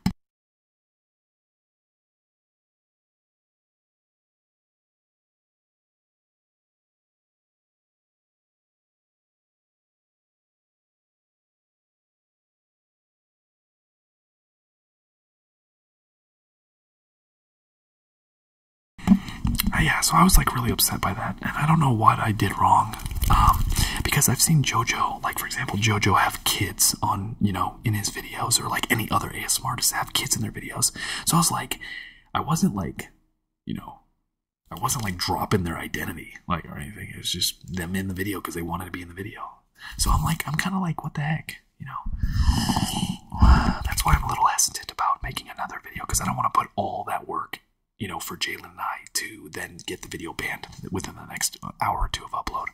uh, yeah, so I was like really upset by that, and I don't know what I did wrong. Um, because I've seen JoJo, like for example, JoJo have kids on, you know, in his video or like any other ASMR artists have kids in their videos. So I was like, I wasn't like, you know, I wasn't like dropping their identity like or anything. It was just them in the video because they wanted to be in the video. So I'm like, I'm kind of like, what the heck, you know? That's why I'm a little hesitant about making another video because I don't want to put all that work, you know, for Jalen and I to then get the video banned within the next uh, hour or two of uploading.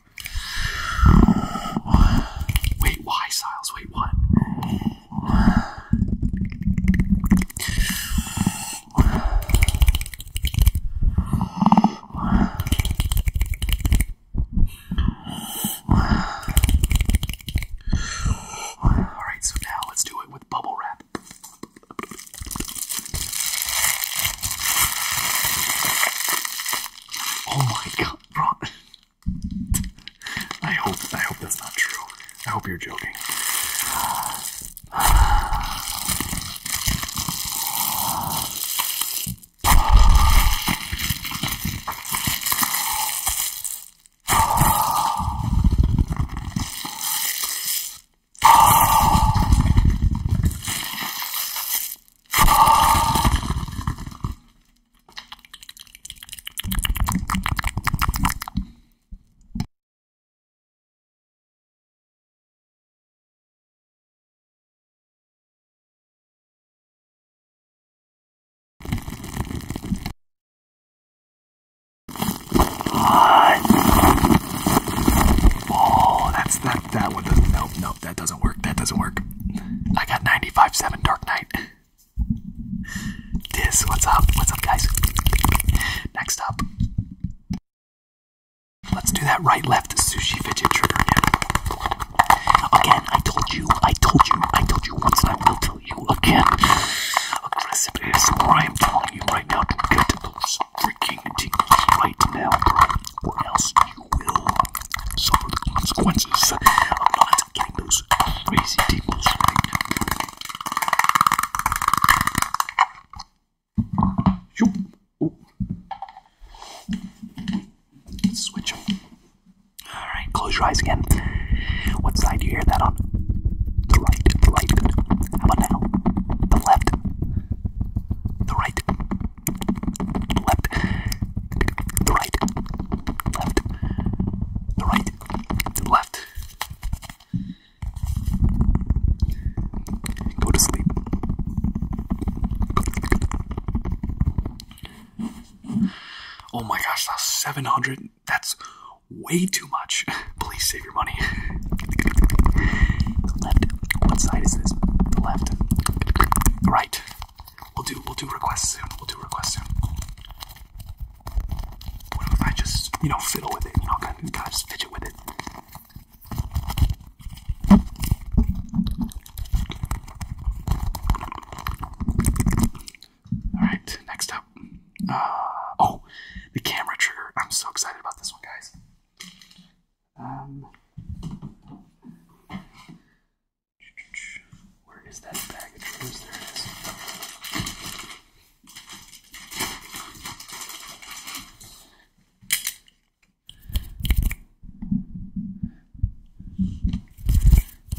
Wait, why, Siles? Wait, what? Alright, so now let's do it with bubble wrap. Oh my god, bro! I hope I hope that's not true. I hope you're joking. Oh, that's not that one. Nope, no that doesn't work. That doesn't work. I got 95-7 Dark Knight. This, what's up? What's up, guys? Next up. Let's do that right left sushi fidget trigger again. Again, I told you, I told you, I told you once, and I will tell you again. Aggressive ASMR, I am telling you right now to get to those freaking tingles right now, bro. else will suffer the consequences of not those crazy deals right. Switch them. Alright, close your eyes again. What side do you hear that on? The right, the right. How about now? The left, the right, left, the right, left, the right, left. Go to sleep. Oh my gosh, that's 700. That's way too much. Please save your money. left. What side is this? The left. The right. We'll do we'll do requests soon. We'll do requests soon. What if I just you know fiddle with it? You know, kind just fidget with it. All right, next up. Uh, oh, the camera trigger. I'm so excited about this one, guys. Um, where is that package? Where's there it is.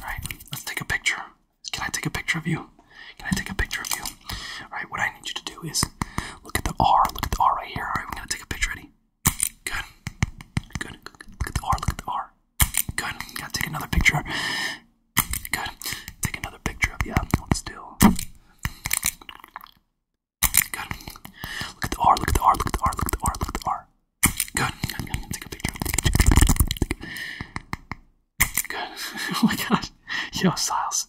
Alright, let's take a picture. Can I take a picture of you? Can I take a picture of you? Alright, what I need you to do is look at the R, look at the R right here. Alright, we're gonna take a picture, ready? Good. Good. Look at the R. Look at the R. Good. Gotta take another picture. Good. Take another picture of you. Hold still. Good. Look at the R. Look at the R. Look at the R. Look at the R. Look at the R. Good. I'm gonna take a picture. Good. oh my gosh. Yo, Siles.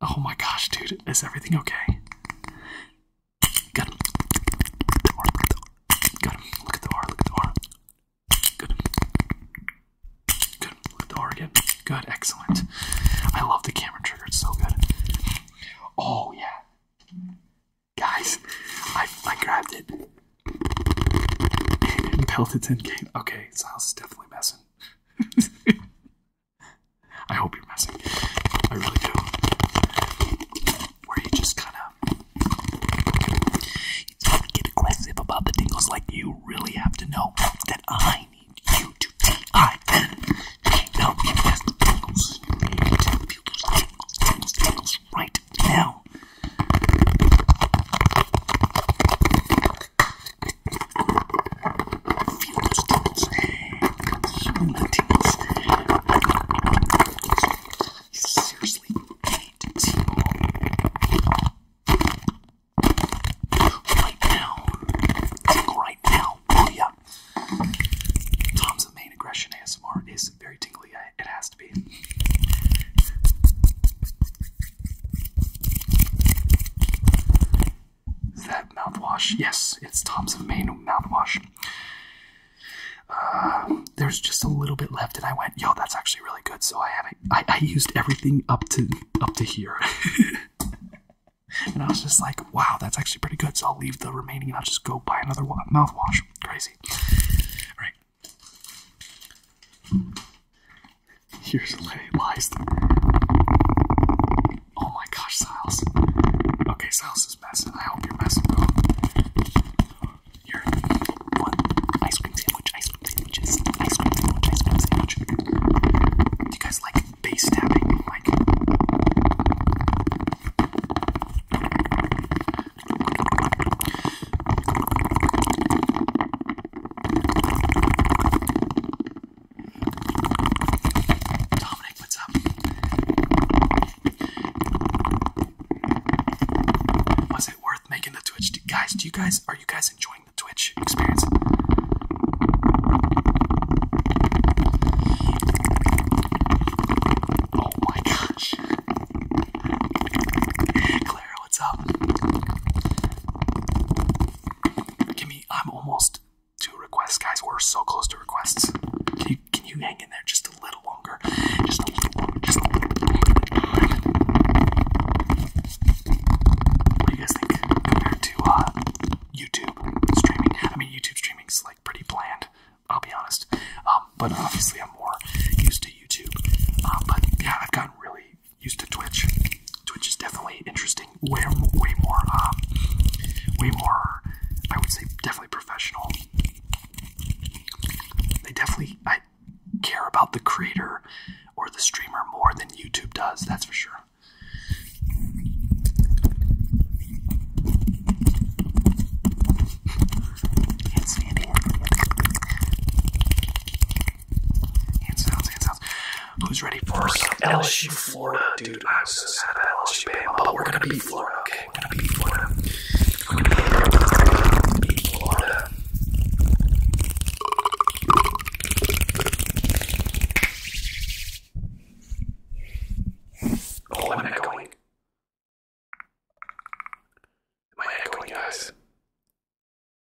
Oh my gosh, dude. Is everything okay? Got Look at the R. Look at the R. Good. Good. Look at the R again. Good. Excellent. I love the camera trigger. It's so good. Oh, yeah. Guys, I, I grabbed it. and pelted in, k Okay, Silas is definitely messing. I hope you're messing. I really do. Where you just kind of get aggressive about the tingles, like you really have to know that I need you to T-I-N. feel those tingles right now. Feel those tingles. So intense. Seriously, hate it. Right now. right now. yeah. Tom's main aggression ASMR is very tingly. It has to be. Is that mouthwash? Yes, it's Tom's main mouthwash. Um, there's just a little bit left, and I went, "Yo, that's actually really good." So I haven't. I, I used everything up to up to here, and I was just like, "Wow, that's actually pretty good." So I'll leave the remaining, and I'll just go buy another wa mouthwash. Crazy. All right. Here's lies. Oh my gosh, Silas. Okay, Silas is messing. I hope you're messing, bro. Here, one ice cream sandwich, ice cream sandwiches, ice cream sandwich, ice cream sandwich. Do you guys like bass tapping? Like. Dominic, what's up. Was it worth making the Twitch? guys, do you guys are you guys enjoying the Twitch experience? Oh my gosh. Clara, what's up? Give me I'm almost Two requests, guys. We're so close to requests. Can you, can you hang in there just a little longer? Just a little longer. Just a little longer. What do you guys think compared to uh, YouTube streaming? I mean, YouTube streaming's like pretty bland. I'll be honest. Um, but obviously, I'm more used to YouTube. Uh, but yeah, I've gotten really used to Twitch. Twitch is definitely interesting. Way, way more. Um, way more. I would say definitely professional. They definitely I care about the creator or the streamer more than YouTube does, that's for sure. Who's ready for some LSU Florida? Dude, I'm sad LSU, but we're gonna beat Florida, gonna Gonna be Florida. Oh, i echoing. Am I echoing, guys?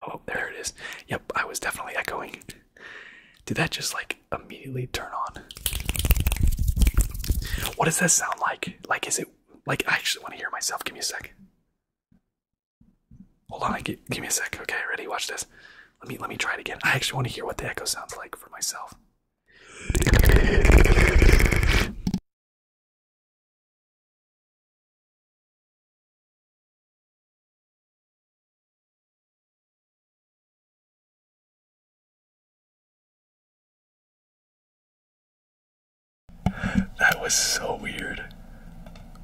Oh, there it is. Yep, I was definitely echoing. Did that just like immediately turn on. What does this sound like? Like, is it like I actually want to hear myself? Give me a sec. Hold on, give, give me a sec. Okay, ready? Watch this. Let me let me try it again. I actually want to hear what the echo sounds like for myself. That was so weird.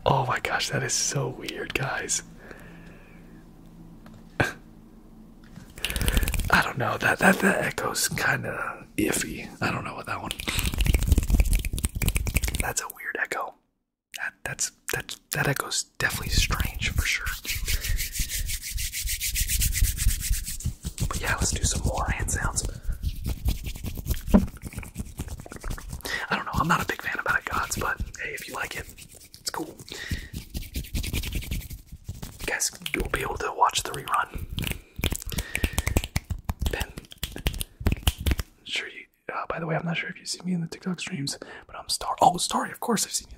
Oh my gosh, that is so weird, guys. I don't know. That that that echo's kind of iffy. I don't know what that one. That's a weird echo. That that's that that echo's definitely strange for sure. But yeah, let's do some more hand sounds. I don't know, I'm not a big fan of Bad Gods, but hey, if you like it, it's cool. You guys, you'll be able to watch the rerun. Ben, sure uh, by the way, I'm not sure if you see me in the TikTok streams, but I'm Star. Oh, Starry, of course I've seen you.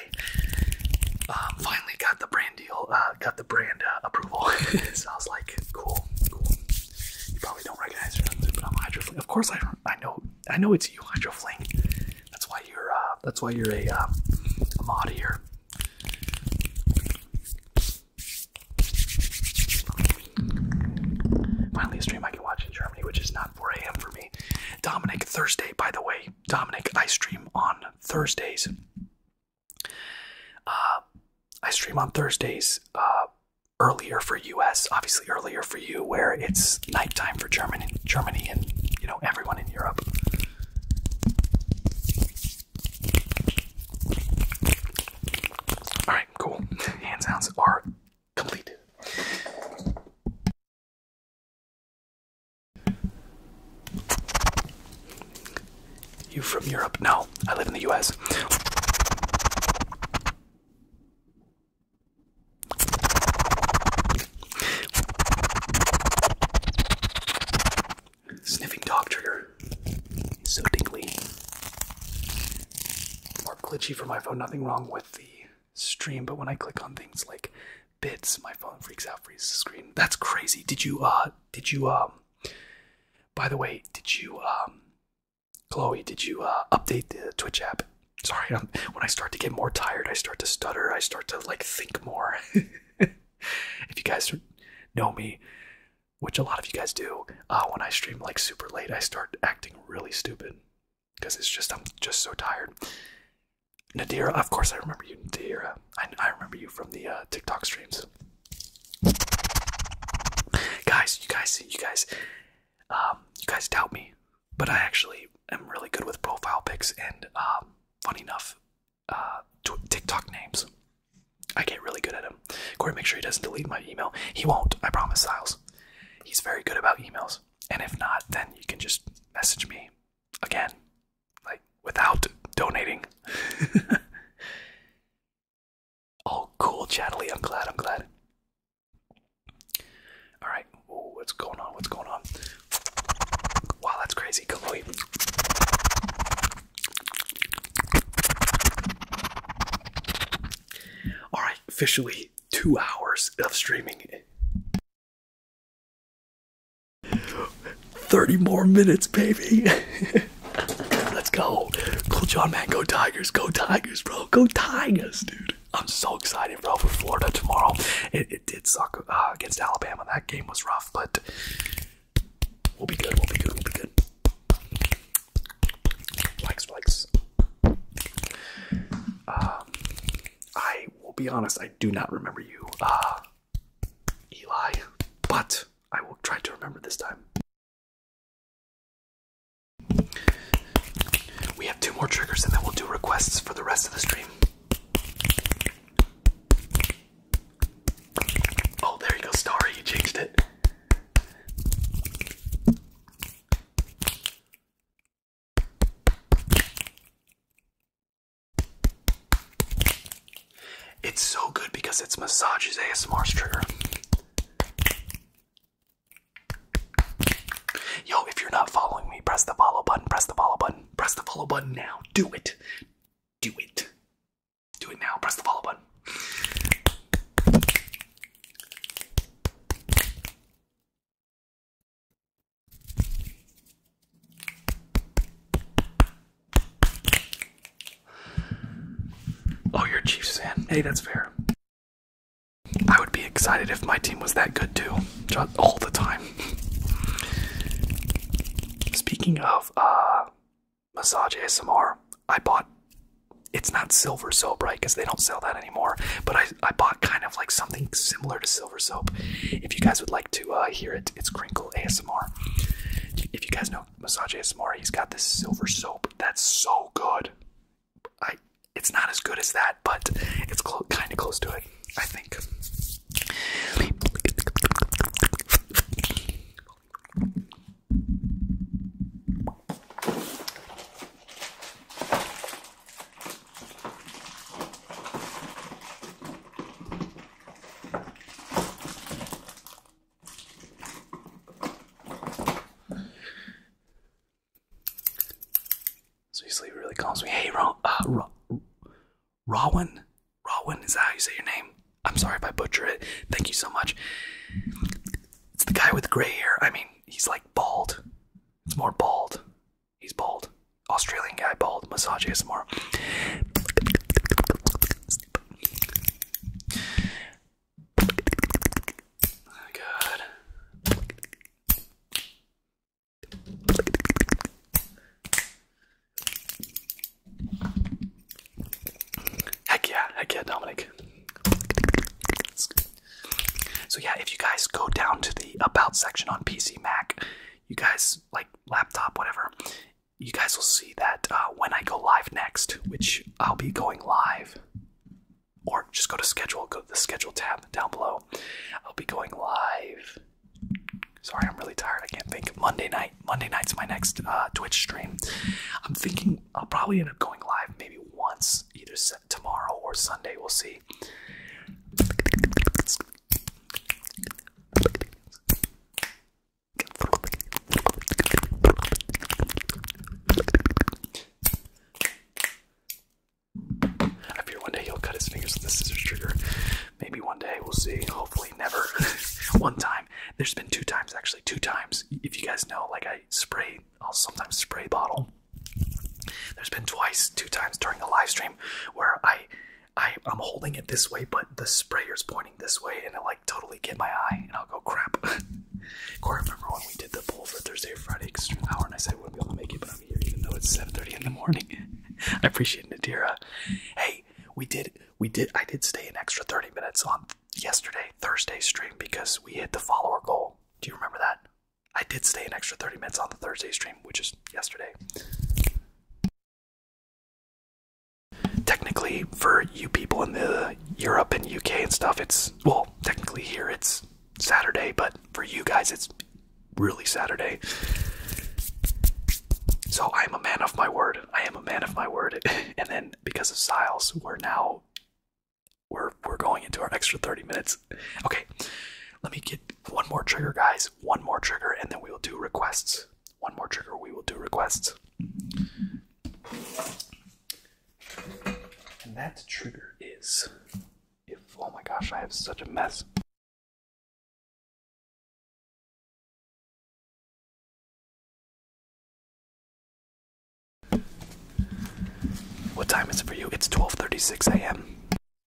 Uh, finally got the brand deal, uh, got the brand uh, approval. so I was like, cool, You probably don't recognize me, but I'm hydrofling. Of course, I I know I know it's you, Hydroflink. That's why you're that's why you're a, a mod here. Finally, a stream I can watch in Germany, which is not 4 a.m. for me. Dominic Thursday, by the way, Dominic. I stream on Thursdays. Uh, I stream on Thursdays uh, earlier for U.S. Obviously earlier for you, where it's nighttime for Germany, Germany, and you know everyone in Europe. All right, cool. Hand sounds are complete. You from Europe? No, I live in the US. Sniffing dog trigger. So tingly. More glitchy for my phone. Nothing wrong with the stream, but when I click on things like bits. My phone freaks out, freezes screen. That's crazy. Did you, uh, did you, um, by the way, did you, um, Chloe, did you, uh, update the Twitch app? Sorry, when I start to get more tired, I start to stutter, I start to, like, think more. if you guys know me, which a lot of you guys do, uh, when I stream, like, super late, I start acting really stupid because it's just, I'm just so tired. Nadira, of course I remember you, Nadira. I, I remember you from the uh, TikTok streams. Guys, you guys, you guys, um, you guys doubt me, but I actually am really good with profile pics and, um, funny enough, uh, TikTok names. I get really good at him. Corey, make sure he doesn't delete my email. He won't. I promise, Styles. He's very good about emails. And if not, then you can just message me again like without donating. oh, cool, Chatley. I'm glad. I'm glad. All right. Ooh, what's going on? What's going on? Wow, that's crazy, Chloe. All right, officially two hours of streaming. 30 more minutes, baby. Let's go. Cool John, man. Go Tigers. Go Tigers, bro. Go Tigers, dude. I'm so excited, bro, for Florida tomorrow. It, did suck uh, against Alabama. That game was rough, but we'll be good. We'll be good. We'll be good. Likes, likes. Um, I will be honest. I do not remember you. Uh, Eli, but I will try to remember this time. We have two more triggers and then we'll do requests for the rest of the stream. Oh, there you go, Starry, you changed it. It's so good because it's massages ASMR's trigger. Yo, if you're not following me, press the follow button, press the follow button, press the follow button now. Do it. Do it. Do it now. Press the follow button. Oh, you're Chiefs fan. Hey, that's fair. I would be excited if my team was that good too, all the time. Speaking of uh, massage ASMR, I bought. It's not silver so right? Because they don't sell that anymore. But I, I bought kind of like something similar to silver. If you guys would like to uh, hear it, it's Crinkle ASMR. If you guys know Massage ASMR, he's got this silver soap that's so good. it's not as good as that, but it's kind of close to it, I think. So he sleep really calls me. Hey, Ro- uh, Ro- is that how you say your name? I'm sorry if I butcher it. Thank you so much. It's the guy with gray hair. I mean, he's like bald. It's more bald. He's bald. Australian guy, bald. Massage ASMR. Oh, God. Heck yeah, heck yeah, Dominic. So yeah, if you guys go down to the about section on PC Mac, you guys like laptop, whatever. You guys will see that uh, when I go live next, which I'll be going live, or just go to schedule, go to the schedule tab down below. I'll be going live. Sorry, I'm really tired. I can't think. Monday night. Monday night's my next uh, Twitch stream. I'm thinking I'll probably end up going live maybe once, either tomorrow or Sunday. We'll see. I fear one day he'll cut his fingers with the scissors trigger. Maybe one day, we'll see. Hopefully, never. one time. There's been two times, actually. Two times. If you guys know, like I spray, I'll sometimes spray bottle. There's been twice, two times during the live stream where I I, am holding it this way, but the sprayer's pointing this way, and I like totally get my eye, and I'll go crap. Corey, remember when we did the poll for Thursday Friday extra hour, and I said I wouldn't be able to make it, but I'm here even though it's 7:30 in the morning. I appreciate Nadira. Hey, we did, we did, I did stay an extra 30 minutes on yesterday Thursday stream because we hit the follower goal. Do you remember that? I did stay an extra 30 minutes on the Thursday stream, which is yesterday. Technically, for you people in the Europe and UK and stuff, it's well, technically here it's Saturday, but for you guys, it's really Saturday. So I am a man of my word. I am a man of my word. and then because of Siles, we're now we're we're going into our extra 30 minutes. Okay. Let me get one more trigger, guys. One more trigger, and then we will do requests. One more trigger, we will do requests. And that trigger is if oh my gosh, I have such a mess. What time is it for you? It's 12:36 a.m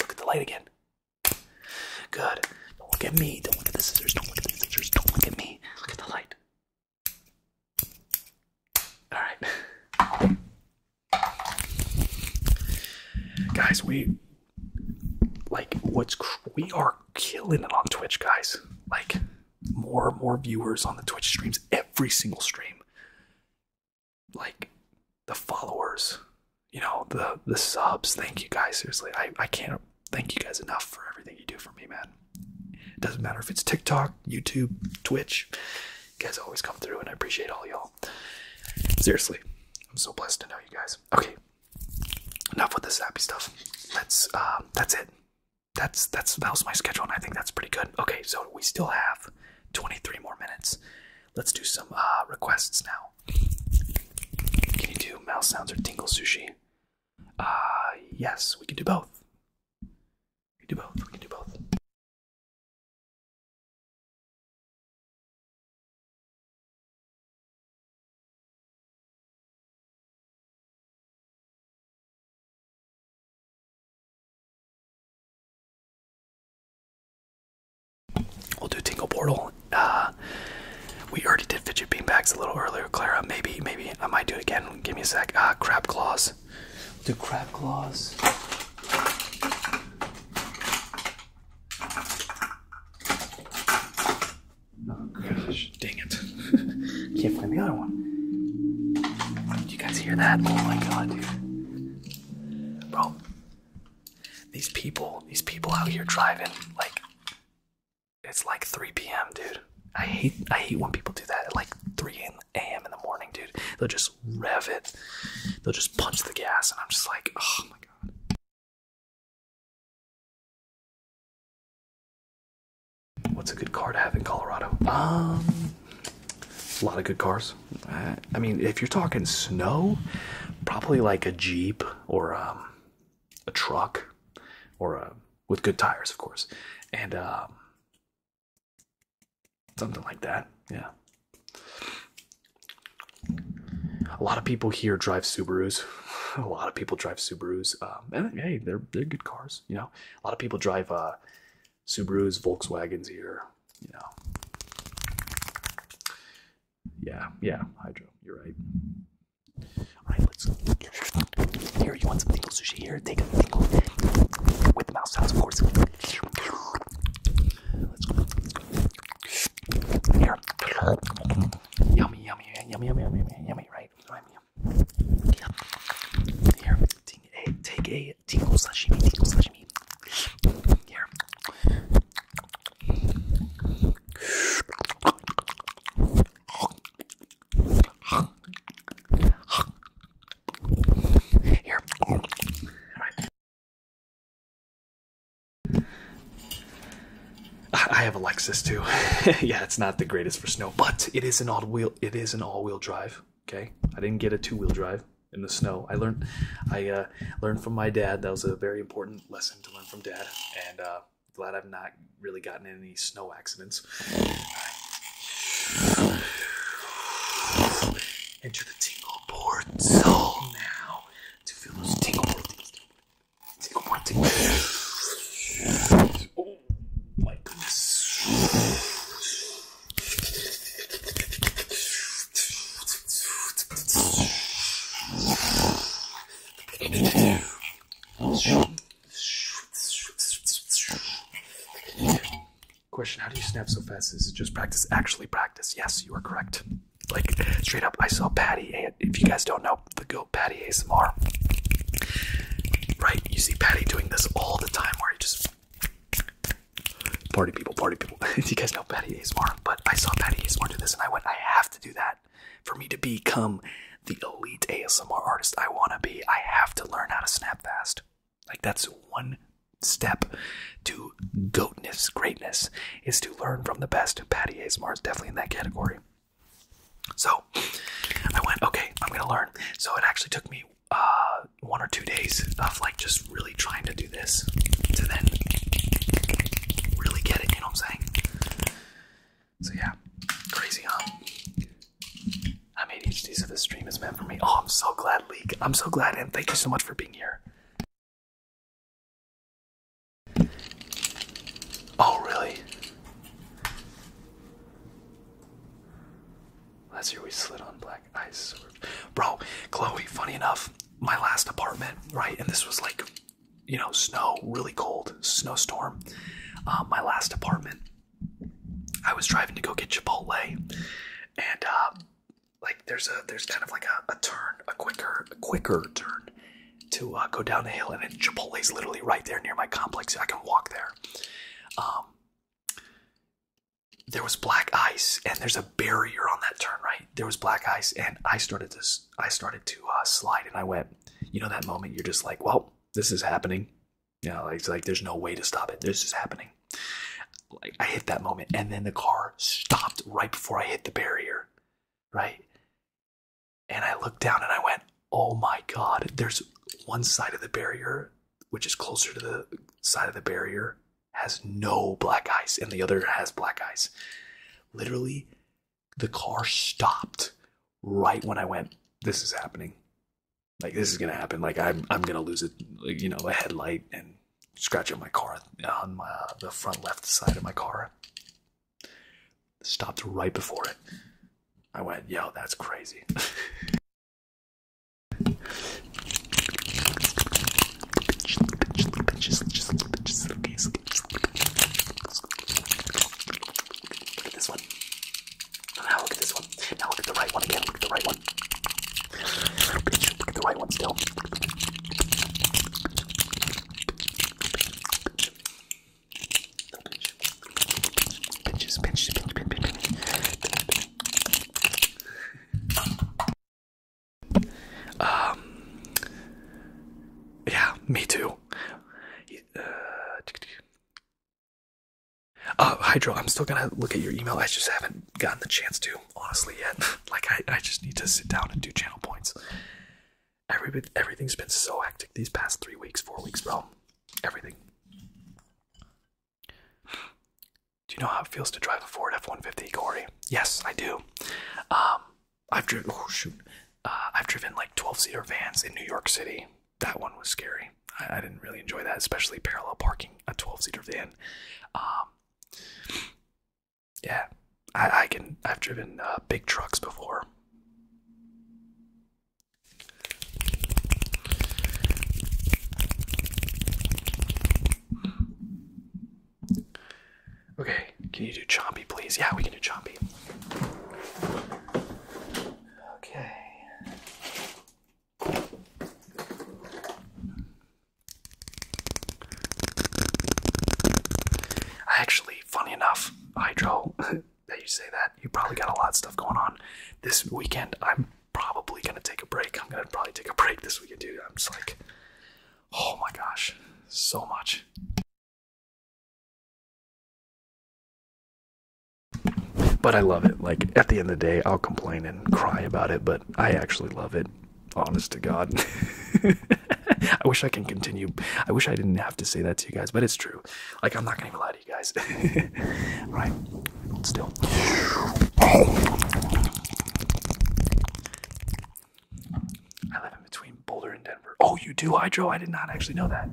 Look at the light again. Good. Don't look at me. Don't look at the scissors. Don't look at the scissors. Don't look at me. Look at the light. All right. Guys, we like what's we are killing it on Twitch, guys. Like more and more viewers on the Twitch streams every single stream like the followers, you know, the the subs. Thank you guys. Seriously, I, I can't thank you guys enough for everything you do for me, man. It doesn't matter if it's TikTok, YouTube, Twitch. guys always come through and I appreciate all y'all. Seriously, I'm so blessed to know you guys. Okay. Enough with the happy stuff. Let's uh, that's it. That's that's that was my schedule and I think that's pretty good. Okay, so we still have 23 more minutes. Let's do some uh, requests now. Can you do mouse sounds or tingle sushi? Uh, yes, we can do both. We can do both. We can do both. We'll do Tingle Portal. Uh, we already did Fidget Beanbags a little earlier, Clara. Maybe, maybe I might do it again. Give me a sec. Uh, crab Claws. do Crab Claws. Oh gosh, dang it. Can't find the other one. Did you guys hear that? Oh my god, dude. Bro, these people, these people out here driving, like, it's like 3 p.m., dude. I hate, I hate when people do that at like 3 a.m. in the morning, dude. They'll just rev it, they'll just punch the gas, and I'm just like, oh my god. What's a good car to have in Colorado? Um, a lot of good cars. Uh, I mean, if you're talking snow, probably like a Jeep or um, a truck or uh, with good tires, of course, and um, something like that. Yeah. A lot of people here drive Subarus. a lot of people drive Subarus. Um, and hey, they're, they're good cars, you know. A lot of people drive uh, Subarus, Volkswagens here you Yeah, yeah, hydro. You're right. All right, let's. Here, you want some tingle sushi? Here, take a tingle with the mouse sounds, of course. Let's go. Here. Yummy, yummy, yummy, yummy, yummy, yummy, yummy right? Yummy, yum. Here, take take a say tingle sashimi, tingle sashimi. Here. Here. I have a Lexus too. yeah, it's not the greatest for snow, but it is an all-wheel. It is an all-wheel drive. Okay, I didn't get a two-wheel drive in the snow. I learned, I uh, learned from my dad. That was a very important lesson to learn from dad, and uh, glad I've not really gotten any snow accidents. Enter the tingle board zone now to feel those tingle board things. Tingle board things. Oh my goodness. Question How do you snap so fast? Is it just practice? Actually, practice. Yes, you are correct. Like, straight up, I saw Patty. if you guys don't know, the goat Patty ASMR. Right? You see Patty doing this all the time where he just. Party people, party people. you guys know Patty Asmar, but I saw Patty Asmar do this and I went, I have to do that. For me to become the elite ASMR artist I want to be, I have to learn how to snap fast. Like, that's one step to goatness, greatness, is to learn from the best. Patty Asmar is definitely in that category. So I went, okay, I'm going to learn. So it actually took me uh, one or two days of like just really trying to do this to then really get it, you know what I'm saying? So yeah, crazy, huh? I'm ADHD, so this stream is meant for me. Oh, I'm so glad, Leek. I'm so glad, and thank you so much for being here. Oh, really? Last year we slid on black like bro, Chloe. Funny enough, my last apartment, right, and this was like, you know, snow, really cold, snowstorm. Um, my last apartment, I was driving to go get Chipotle, and uh, like there's a there's kind of like a, a turn, a quicker, quicker turn to uh, go down the hill, and then Chipotle's literally right there near my complex. I can walk there. Um, there was black ice and there's a barrier on that turn right there was black ice and i started to i started to uh, slide and i went you know that moment you're just like well this is happening you know it's like there's no way to stop it this is happening like i hit that moment and then the car stopped right before i hit the barrier right and i looked down and i went oh my god there's one side of the barrier which is closer to the side of the barrier has no black eyes and the other has black eyes. Literally, the car stopped right when I went, This is happening. Like, this is gonna happen. Like, I'm, I'm gonna lose it, like, you know, a headlight and scratch on my car on my, uh, the front left side of my car. Stopped right before it. I went, Yo, that's crazy. Look at this one. Now look at this one. Now look at the right one again. Look at the right one. Look at the right one still. Pinches, pinches, pinches, pinches, pinches. Um, yeah, me too. Uh, uh, Hydro, I'm still gonna look at your email. I just haven't gotten the chance to, honestly, yet. like, I, I just need to sit down and do channel points. Every, everything's been so hectic these past three weeks, four weeks, bro. Everything. Do you know how it feels to drive a Ford F-150, Corey? Yes, I do. Um, I've driven. Oh shoot! Uh, I've driven like 12-seater vans in New York City. That one was scary. I, didn't really enjoy that, especially parallel parking a 12-seater van. Um, yeah, I, can. I've driven uh, big trucks before. Okay, can you do chompy, please? Yeah, we can do chompy. Okay. Actually, funny enough, Hydro, that you say that, you probably got a lot of stuff going on. This weekend, I'm probably gonna take a break. I'm gonna probably take a break this weekend, dude. I'm just like, Oh my gosh, so much. But I love it. Like at the end of the day, I'll complain and cry about it, but I actually love it. Honest to God. I wish I can continue. I wish I didn't have to say that to you guys, but it's true. Like I'm not gonna lie to you guys. right. still. I live in between Boulder and Denver. Oh, you do hydro? I did not actually know that.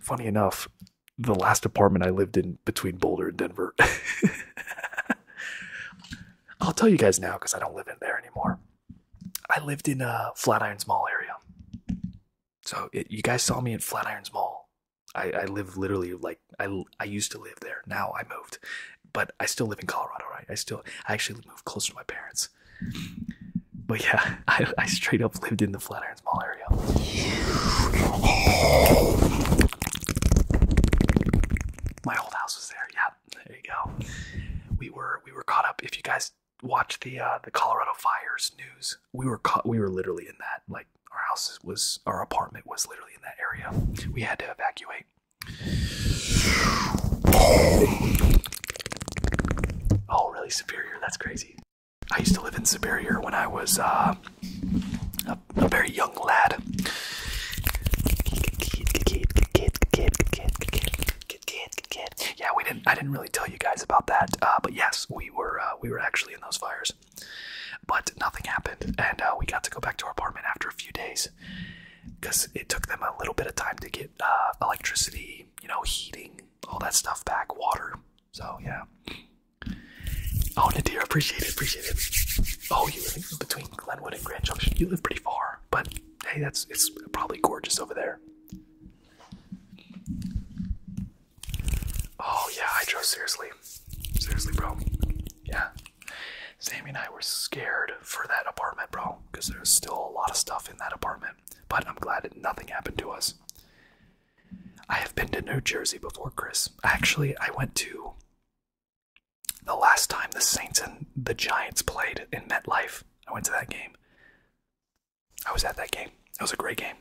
Funny enough, the last apartment I lived in between Boulder and Denver. I'll tell you guys now because I don't live in there anymore. I lived in a Flatirons Mall area. So you guys saw me at Flatirons Mall. I, I live literally like I, I used to live there. Now I moved, but I still live in Colorado, right? I still I actually moved close to my parents. But yeah, I, I straight up lived in the Flatirons Mall area. My old house was there. Yeah, there you go. We were we were caught up. If you guys watch the uh, the Colorado fires news. We were caught. We were literally in that. Like our house was, our apartment was literally in that area. We had to evacuate. Oh, really? Superior? That's crazy. I used to live in Superior when I was uh, a, a very young lad. Good kid, kid. Yeah, we didn't. I didn't really tell you guys about that, uh, but yes, we were uh, we were actually in those fires, but nothing happened, and uh, we got to go back to our apartment after a few days, because it took them a little bit of time to get uh, electricity, you know, heating, all that stuff back, water. So yeah. Oh, Nadir, appreciate it, appreciate it. Oh, you live between Glenwood and Grand Junction. You live pretty far, but hey, that's it's probably gorgeous over there. Oh yeah, I drove seriously. Seriously, bro. Yeah. Sammy and I were scared for that apartment, bro, because there's still a lot of stuff in that apartment. But I'm glad nothing happened to us. I have been to New Jersey before, Chris. Actually, I went to the last time the Saints and the Giants played in MetLife. I went to that game. I was at that game. That was a great game.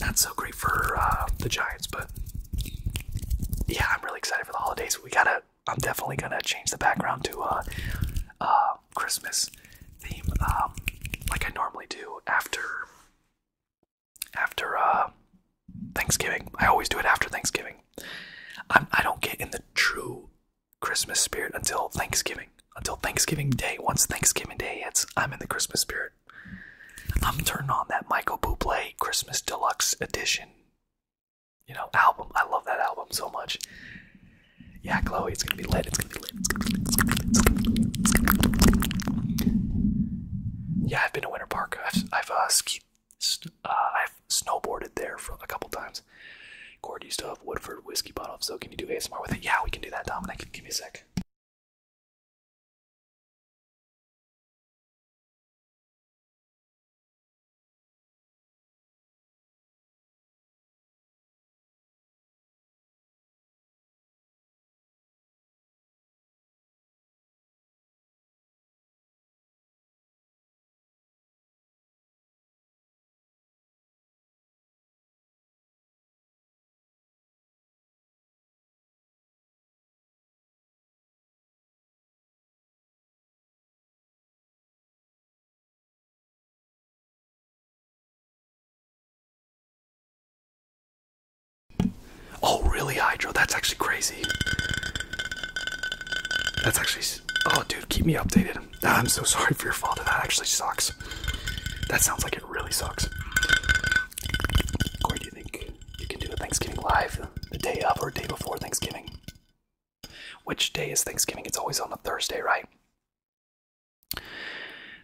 Not so great for uh, the Giants, but yeah, I'm really excited for the holidays. We gotta. I'm definitely gonna change the background to uh, uh, Christmas theme, um, like I normally do after after uh, Thanksgiving. I always do it after Thanksgiving. I'm, i do not get in the true Christmas spirit until Thanksgiving. Until Thanksgiving Day. Once Thanksgiving Day hits, I'm in the Christmas spirit. I'm turning on that Michael Bublé Christmas Deluxe Edition, you know, album. I love that album so much. Yeah, Chloe, it's gonna be lit. It's gonna be lit. Yeah, I've been to Winter Park. I've I've uh, skied, uh, I've snowboarded there for a couple times. Cord, you still have Woodford whiskey bottle, so can you do ASMR with it? Yeah, we can do that, Dominic. Give me a sec. Oh, really, Hydro? That's actually crazy. That's actually. Oh, dude, keep me updated. Ah, I'm so sorry for your father. That actually sucks. That sounds like it really sucks. Corey, do you think you can do Thanksgiving live the day of or day before Thanksgiving? Which day is Thanksgiving? It's always on a Thursday, right?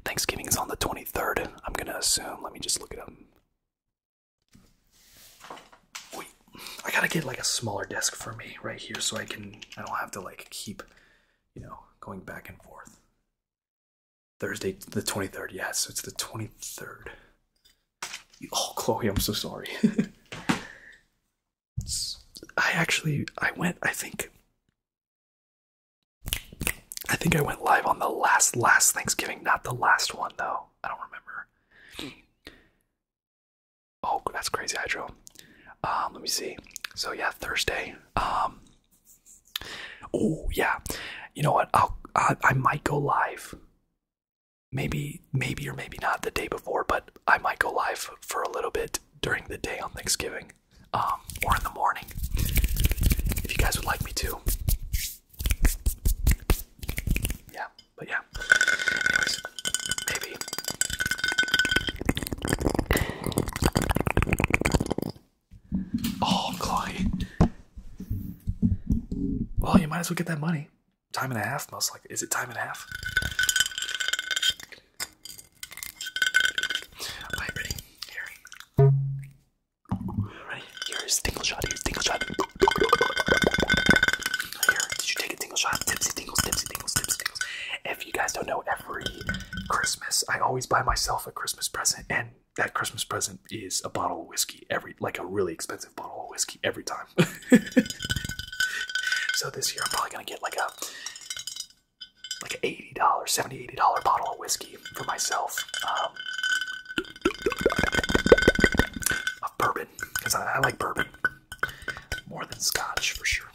Thanksgiving is on the 23rd. I'm going to assume. Let me just look it up. Wait, I got to get like a smaller desk for me right here so I can, I don't have to like keep, you know, going back and forth. Thursday, the 23rd. Yeah, so it's the 23rd. Oh, Chloe, I'm so sorry. I actually, I went, I think, I think I went live on the last, last Thanksgiving, not the last one, though. I don't remember. Oh, that's crazy, Hydro. Um, let me see. So, yeah, Thursday. Um, Oh yeah, you know what? i I, might go live. Maybe maybe or maybe not the day before, but I might go live for a little bit during the day on Thanksgiving, um, or in the morning, if you guys would like me to. Yeah, but yeah. maybe. Oh, Chloe. Well, you might as well get that money. Time and a half, most likely. Is it time and a half? All right, ready? Here. Here's tingle shot. Here's tingle shot. Here, did you take a tingle shot? Tipsy tingles, tipsy tingles, tipsy tingles. If you guys don't know, every Christmas I always buy myself a Christmas present, and that Christmas present is a bottle of whiskey every, like a really expensive bottle of whiskey every time. so this year I'm probably gonna get like a like an eighty dollar, seventy, eighty dollar bottle of whiskey for myself. Um, of bourbon, because I like bourbon more than Scotch for sure.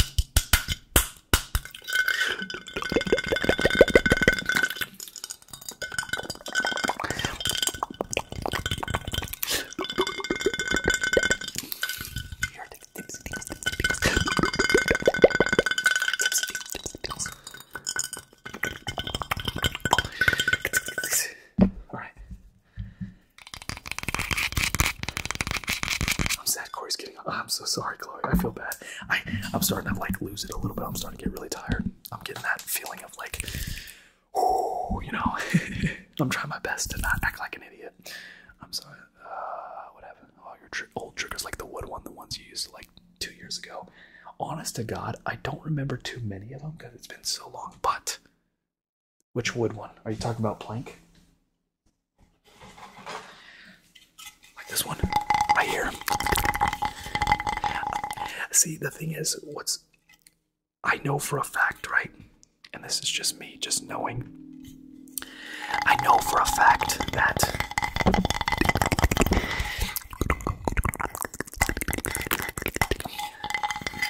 All right. I'm sad Corey's Oh, I'm so sorry, Chloe. I feel bad. I, am starting to like lose it a little bit. I'm starting to get really tired. I'm getting that feeling of like, oh, you know. I'm trying my best to not act like an idiot. I'm sorry. Uh, what oh, your old triggers like the wood one, the ones you used like two years ago. Honest to God, I don't remember too many of them because it's been so long. But which wood one? Are you talking about plank? Like this one right here. See, the thing is, what's I know for a fact, right? And this is just me just knowing. I know for a fact that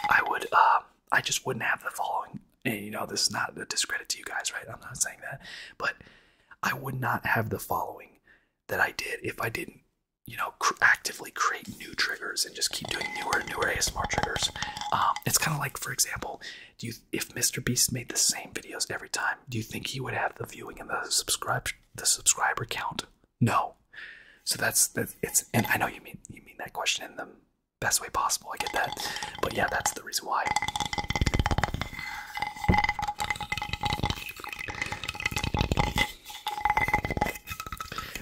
I would um, I just wouldn't have the following and you know this is not a discredit to you guys, right? I'm not saying that. But I would not have the following that I did if I didn't, you know, actively create new triggers and just keep doing newer and newer ASMR triggers. Um, it's kind of like, for example, do you if Mr. Beast made the same videos every time, do you think he would have the viewing and the subscribe the subscriber count? No. So that's It's and I know you mean you mean that question in the best way possible. I get that, but yeah, that's the reason why.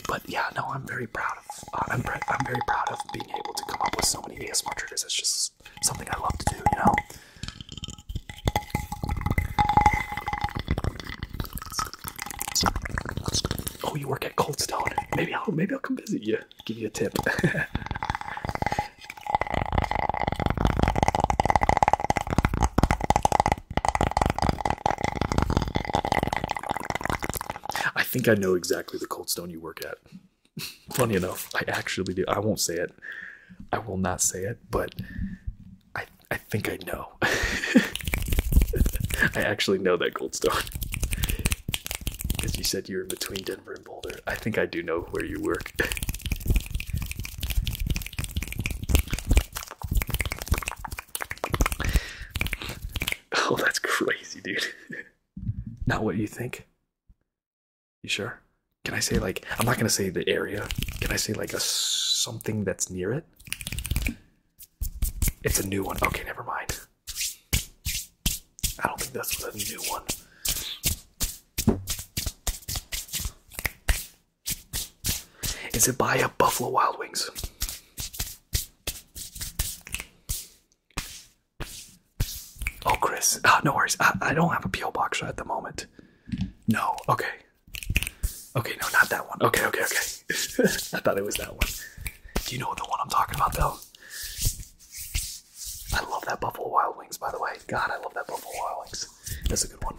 But yeah, no, I'm very proud of. Uh, I'm, I'm very proud of being able to come up with so many ASMR triggers. It's just something I love to do, you know. Oh, you work at Cold Stone. Maybe I'll maybe I'll come visit you. Give you a tip. I think I know exactly the cold stone you work at. Funny enough, I actually do. I won't say it. I will not say it, but I I think I know. I actually know that cold stone. Because you said you were between Denver I think I do know where you work. oh, that's crazy, dude. Not what you think. You sure? Can I say like I'm not gonna say the area? Can I say like a something that's near it? It's a new one. Okay, never mind. I don't think that's a new one. Is it by a Buffalo Wild Wings? Oh, Chris. Ah, no worries. I, don't have a P.O. box at the moment. No. Okay. Okay, no, not that one. Okay, okay, okay. I thought it was that one. Do you know the one I'm talking about, though? I love that Buffalo Wild Wings, by the way. God, I love that Buffalo Wild Wings. That's a good one.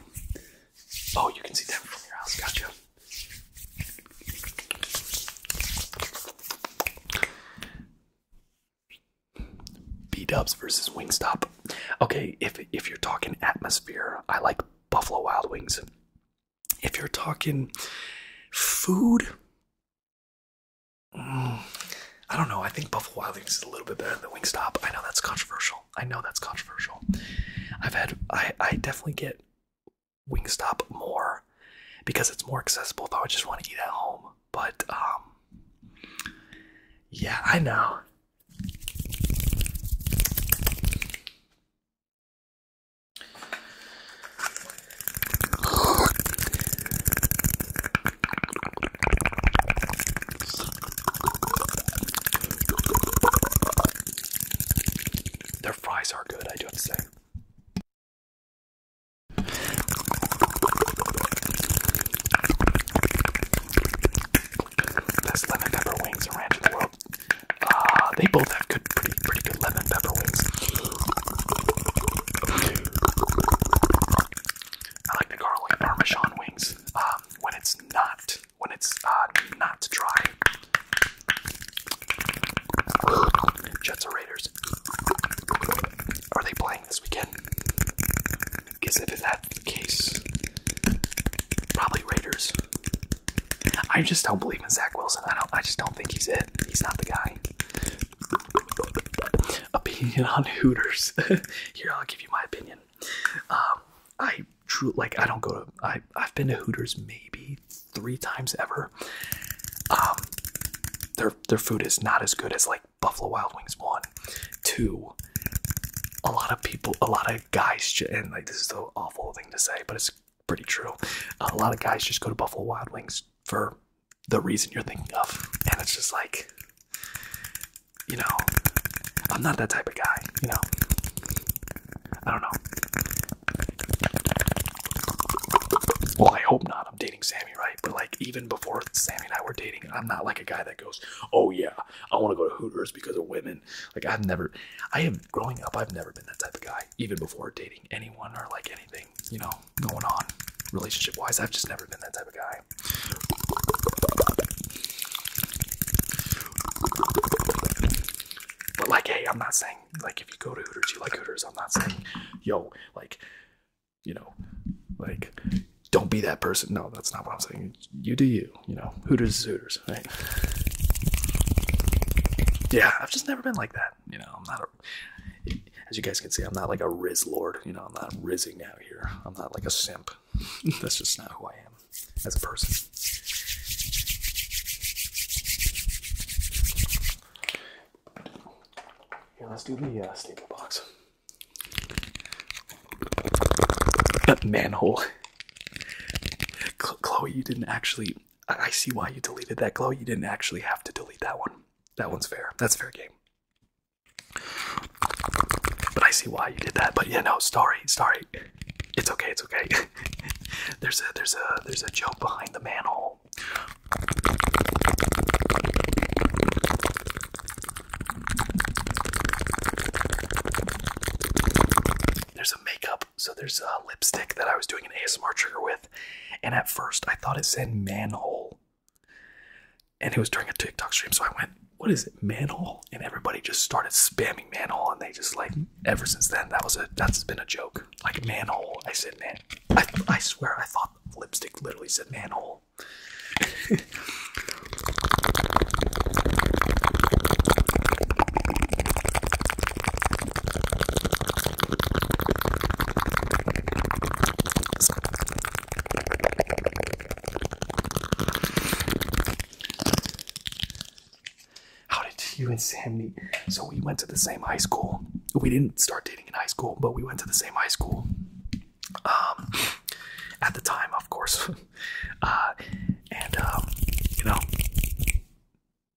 Oh, you can see them from your house. Gotcha. B Dubs versus Wingstop. Okay, if if you're talking atmosphere, I like Buffalo Wild Wings. If you're talking food, I don't know. I think Buffalo Wild Wings is a little bit better than Wingstop. I know that's controversial. I know that's controversial. I've had I I definitely get Wingstop more because it's more accessible if I would just want to eat at home. But um, yeah, I know. Their fries are good, I do have to say. Best lemon pepper wings around the world. Ah, they both have good, pretty, pretty good lemon pepper wings. I like the garlic parmesan wings um, when it's not when it's uh, not dry. Jets or Raiders? Are they playing this weekend? Because if that's the case, probably Raiders. I just don't believe in Zach Wilson. I don't. I just don't think he's it. He's not the guy opinion on Hooters. Here, I'll give you my opinion. Um, I truly like. I don't go to. I I've been to Hooters maybe three times ever. Um, their their food is not as good as like Buffalo Wild Wings. One, two. A lot of people, a lot of guys, and like this is the awful thing to say, but it's pretty true. A lot of guys just go to Buffalo Wild Wings for the reason you're thinking of, and it's just like you know, I'm not that type of guy, you know. I don't know. Well, I hope not. I'm dating Sammy, right? But like, even before Sammy and I were dating, I'm not like a guy that goes, "Oh yeah, I want to go to Hooters because of women." Like, I've never, I have growing up, I've never been that type of guy. Even before dating anyone or like anything, you know, going on relationship wise, I've just never been that type of guy. But like, hey, I'm not saying like if you go to Hooters, you like Hooters. I'm not saying, yo, like, you know, like, don't be that person. No, that's not what I'm saying. You do you. You know, Hooters is Hooters, right? Yeah, I've just never been like that. You know, I'm not a. As you guys can see, I'm not like a Riz Lord. You know, I'm not rizzing out here. I'm not like a simp. That's just not who I am as a person. Here, let's do the uh, staple box. That manhole. Chloe, you didn't actually. I see why you deleted that. Chloe, you didn't actually have to delete that one. That one's fair. That's fair game. But I see why you did that. But yeah, no, sorry, sorry. It's okay, it's okay. there's a there's a there's a joke behind the manhole. There's a makeup, so there's a lipstick that I was doing an ASMR trigger with, and at first I thought it said manhole. And it was during a TikTok stream, so I went, What is it? Manhole? And everybody just started spamming manhole and they just like ever since then that was a that's been a joke. Like manhole. I said man I swear I thought lipstick literally said manhole. How did you and Sam meet? So we went to the same high school. We didn't start dating in high school, but we went to the same high school. Um, at the time, of course. uh, and um, you know,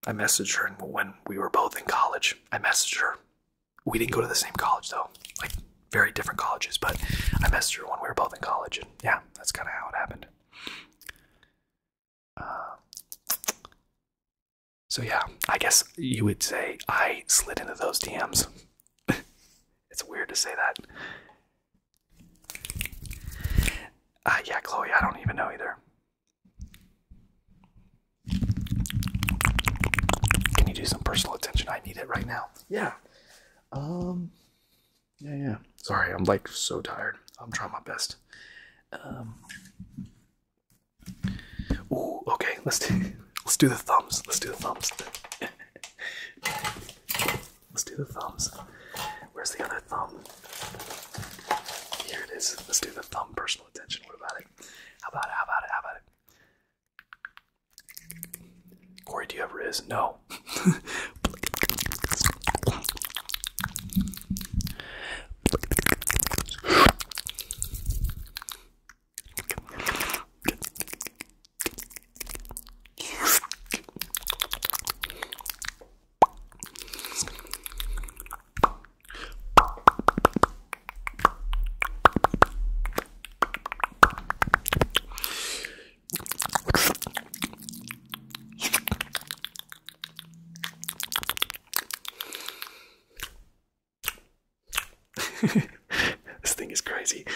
I messaged her when we were both in college. I messaged her. We didn't go to the same college though very different colleges, but I messed her when we were both in college, and yeah, that's kind of how it happened. Uh, so yeah, I guess you would say I slid into those DMs. it's weird to say that. Uh, yeah, Chloe, I don't even know either. Can you do some personal attention? I need it right now. Yeah. Um, yeah, yeah. Sorry, I'm like so tired. I'm trying my best. Um. okay. Let's do, let's do the thumbs. Let's do the thumbs. let's do the thumbs. Where's the other thumb? Here it is. Let's do the thumb. Personal attention. What about it? How about it? How about it? How about it? Corey, do you have Riz? No. this thing is crazy.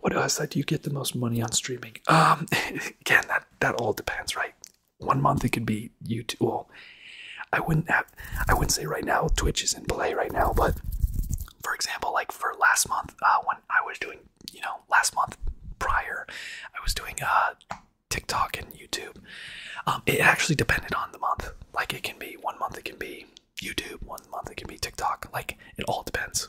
what else? do you get the most money on streaming? Um, again, that that all depends, right? One month it could be YouTube. Well, I wouldn't have. I wouldn't say right now Twitch is in play right now, but for example, like for last month, uh, when I was doing, you know, last month prior, I was doing uh TikTok and YouTube. Um, it actually depended on the month. Like it can be one month, it can be YouTube, one month, it can be TikTok. Like it all depends.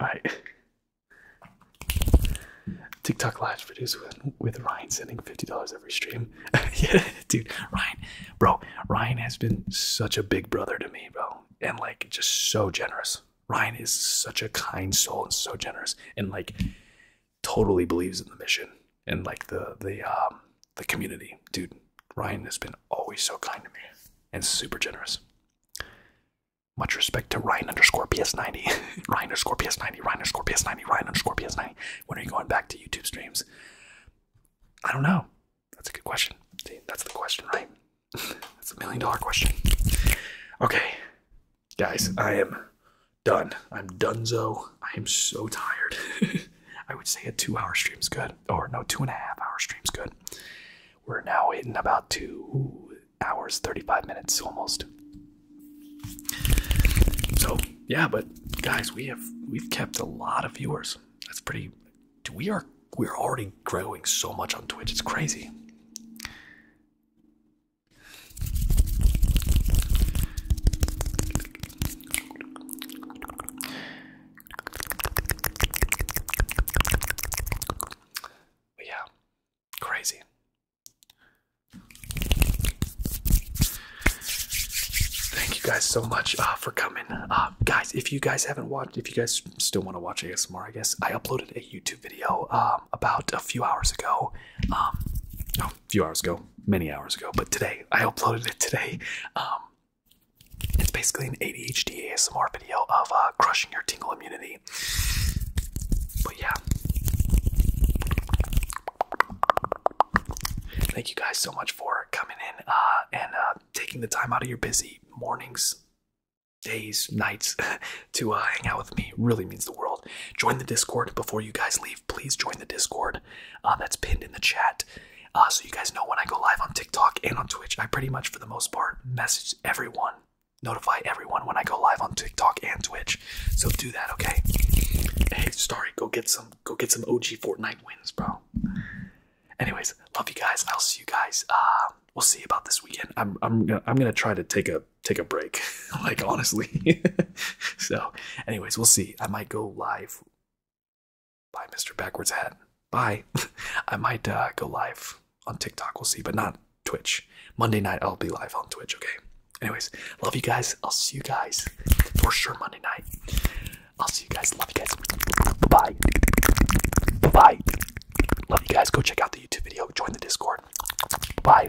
Alright. TikTok Live produced with, Ryan sending $50 every stream. dude. Ryan, bro, Ryan has been such a big brother to me, bro. And like, just so generous. Ryan is such a kind soul and so generous and like totally believes in the mission and like the the um, the community. Dude, Ryan has been always so kind to me and super generous. Much respect to Ryan underscore PS90, Ryan underscore PS90, Ryan underscore PS90, Ryan underscore PS90. When are you going back to YouTube streams? I don't know. That's a good question. that's the question, right? that's a million dollar question. Okay, guys, I am done. I'm done. donezo. I am so tired. I would say a two hour stream is good or no, two and a half hour stream's good. We're now in about two hours, 35 minutes almost. So yeah, but guys, we have we've kept a lot of viewers. That's pretty. We are we're already growing so much on Twitch. It's crazy yeah, crazy. Thank you guys so much uh, for coming. Uh, guys, if you guys haven't watched, if you guys still want to watch ASMR, I guess I uploaded a YouTube video um, about a few hours ago. Um, a few hours ago, many hours ago, but today, I uploaded it today. Um, it's basically an ADHD ASMR video of uh, crushing your tingle immunity. But yeah. Thank you guys so much for coming in uh, and uh, taking the time out of your busy mornings, days, nights to hang out with me. Really means the world. Join the Discord before you guys leave. Please join the Discord. that's pinned in the chat. Uh, so you guys know when I go live on TikTok and on Twitch, I pretty much for the most part message everyone, notify everyone when I go live on TikTok and Twitch. So do that, okay? Hey, sorry, go get some go get some OG Fortnite wins, bro. Anyways, love you guys. I'll see you guys. Uh, we'll see about this weekend. I'm I'm gonna, I'm gonna try to take a take a break, like honestly. so, anyways, we'll see. I might go live Bye, Mr. Backwards Hat. Bye. I might uh, go live on TikTok. We'll see, but not Twitch. Monday night, I'll be live on Twitch, okay? Anyways, love you guys. I'll see you guys for sure Monday night. I'll see you guys. Love you guys. Bye bye. Love you guys. Go check out the YouTube video. Join the Discord. Bye.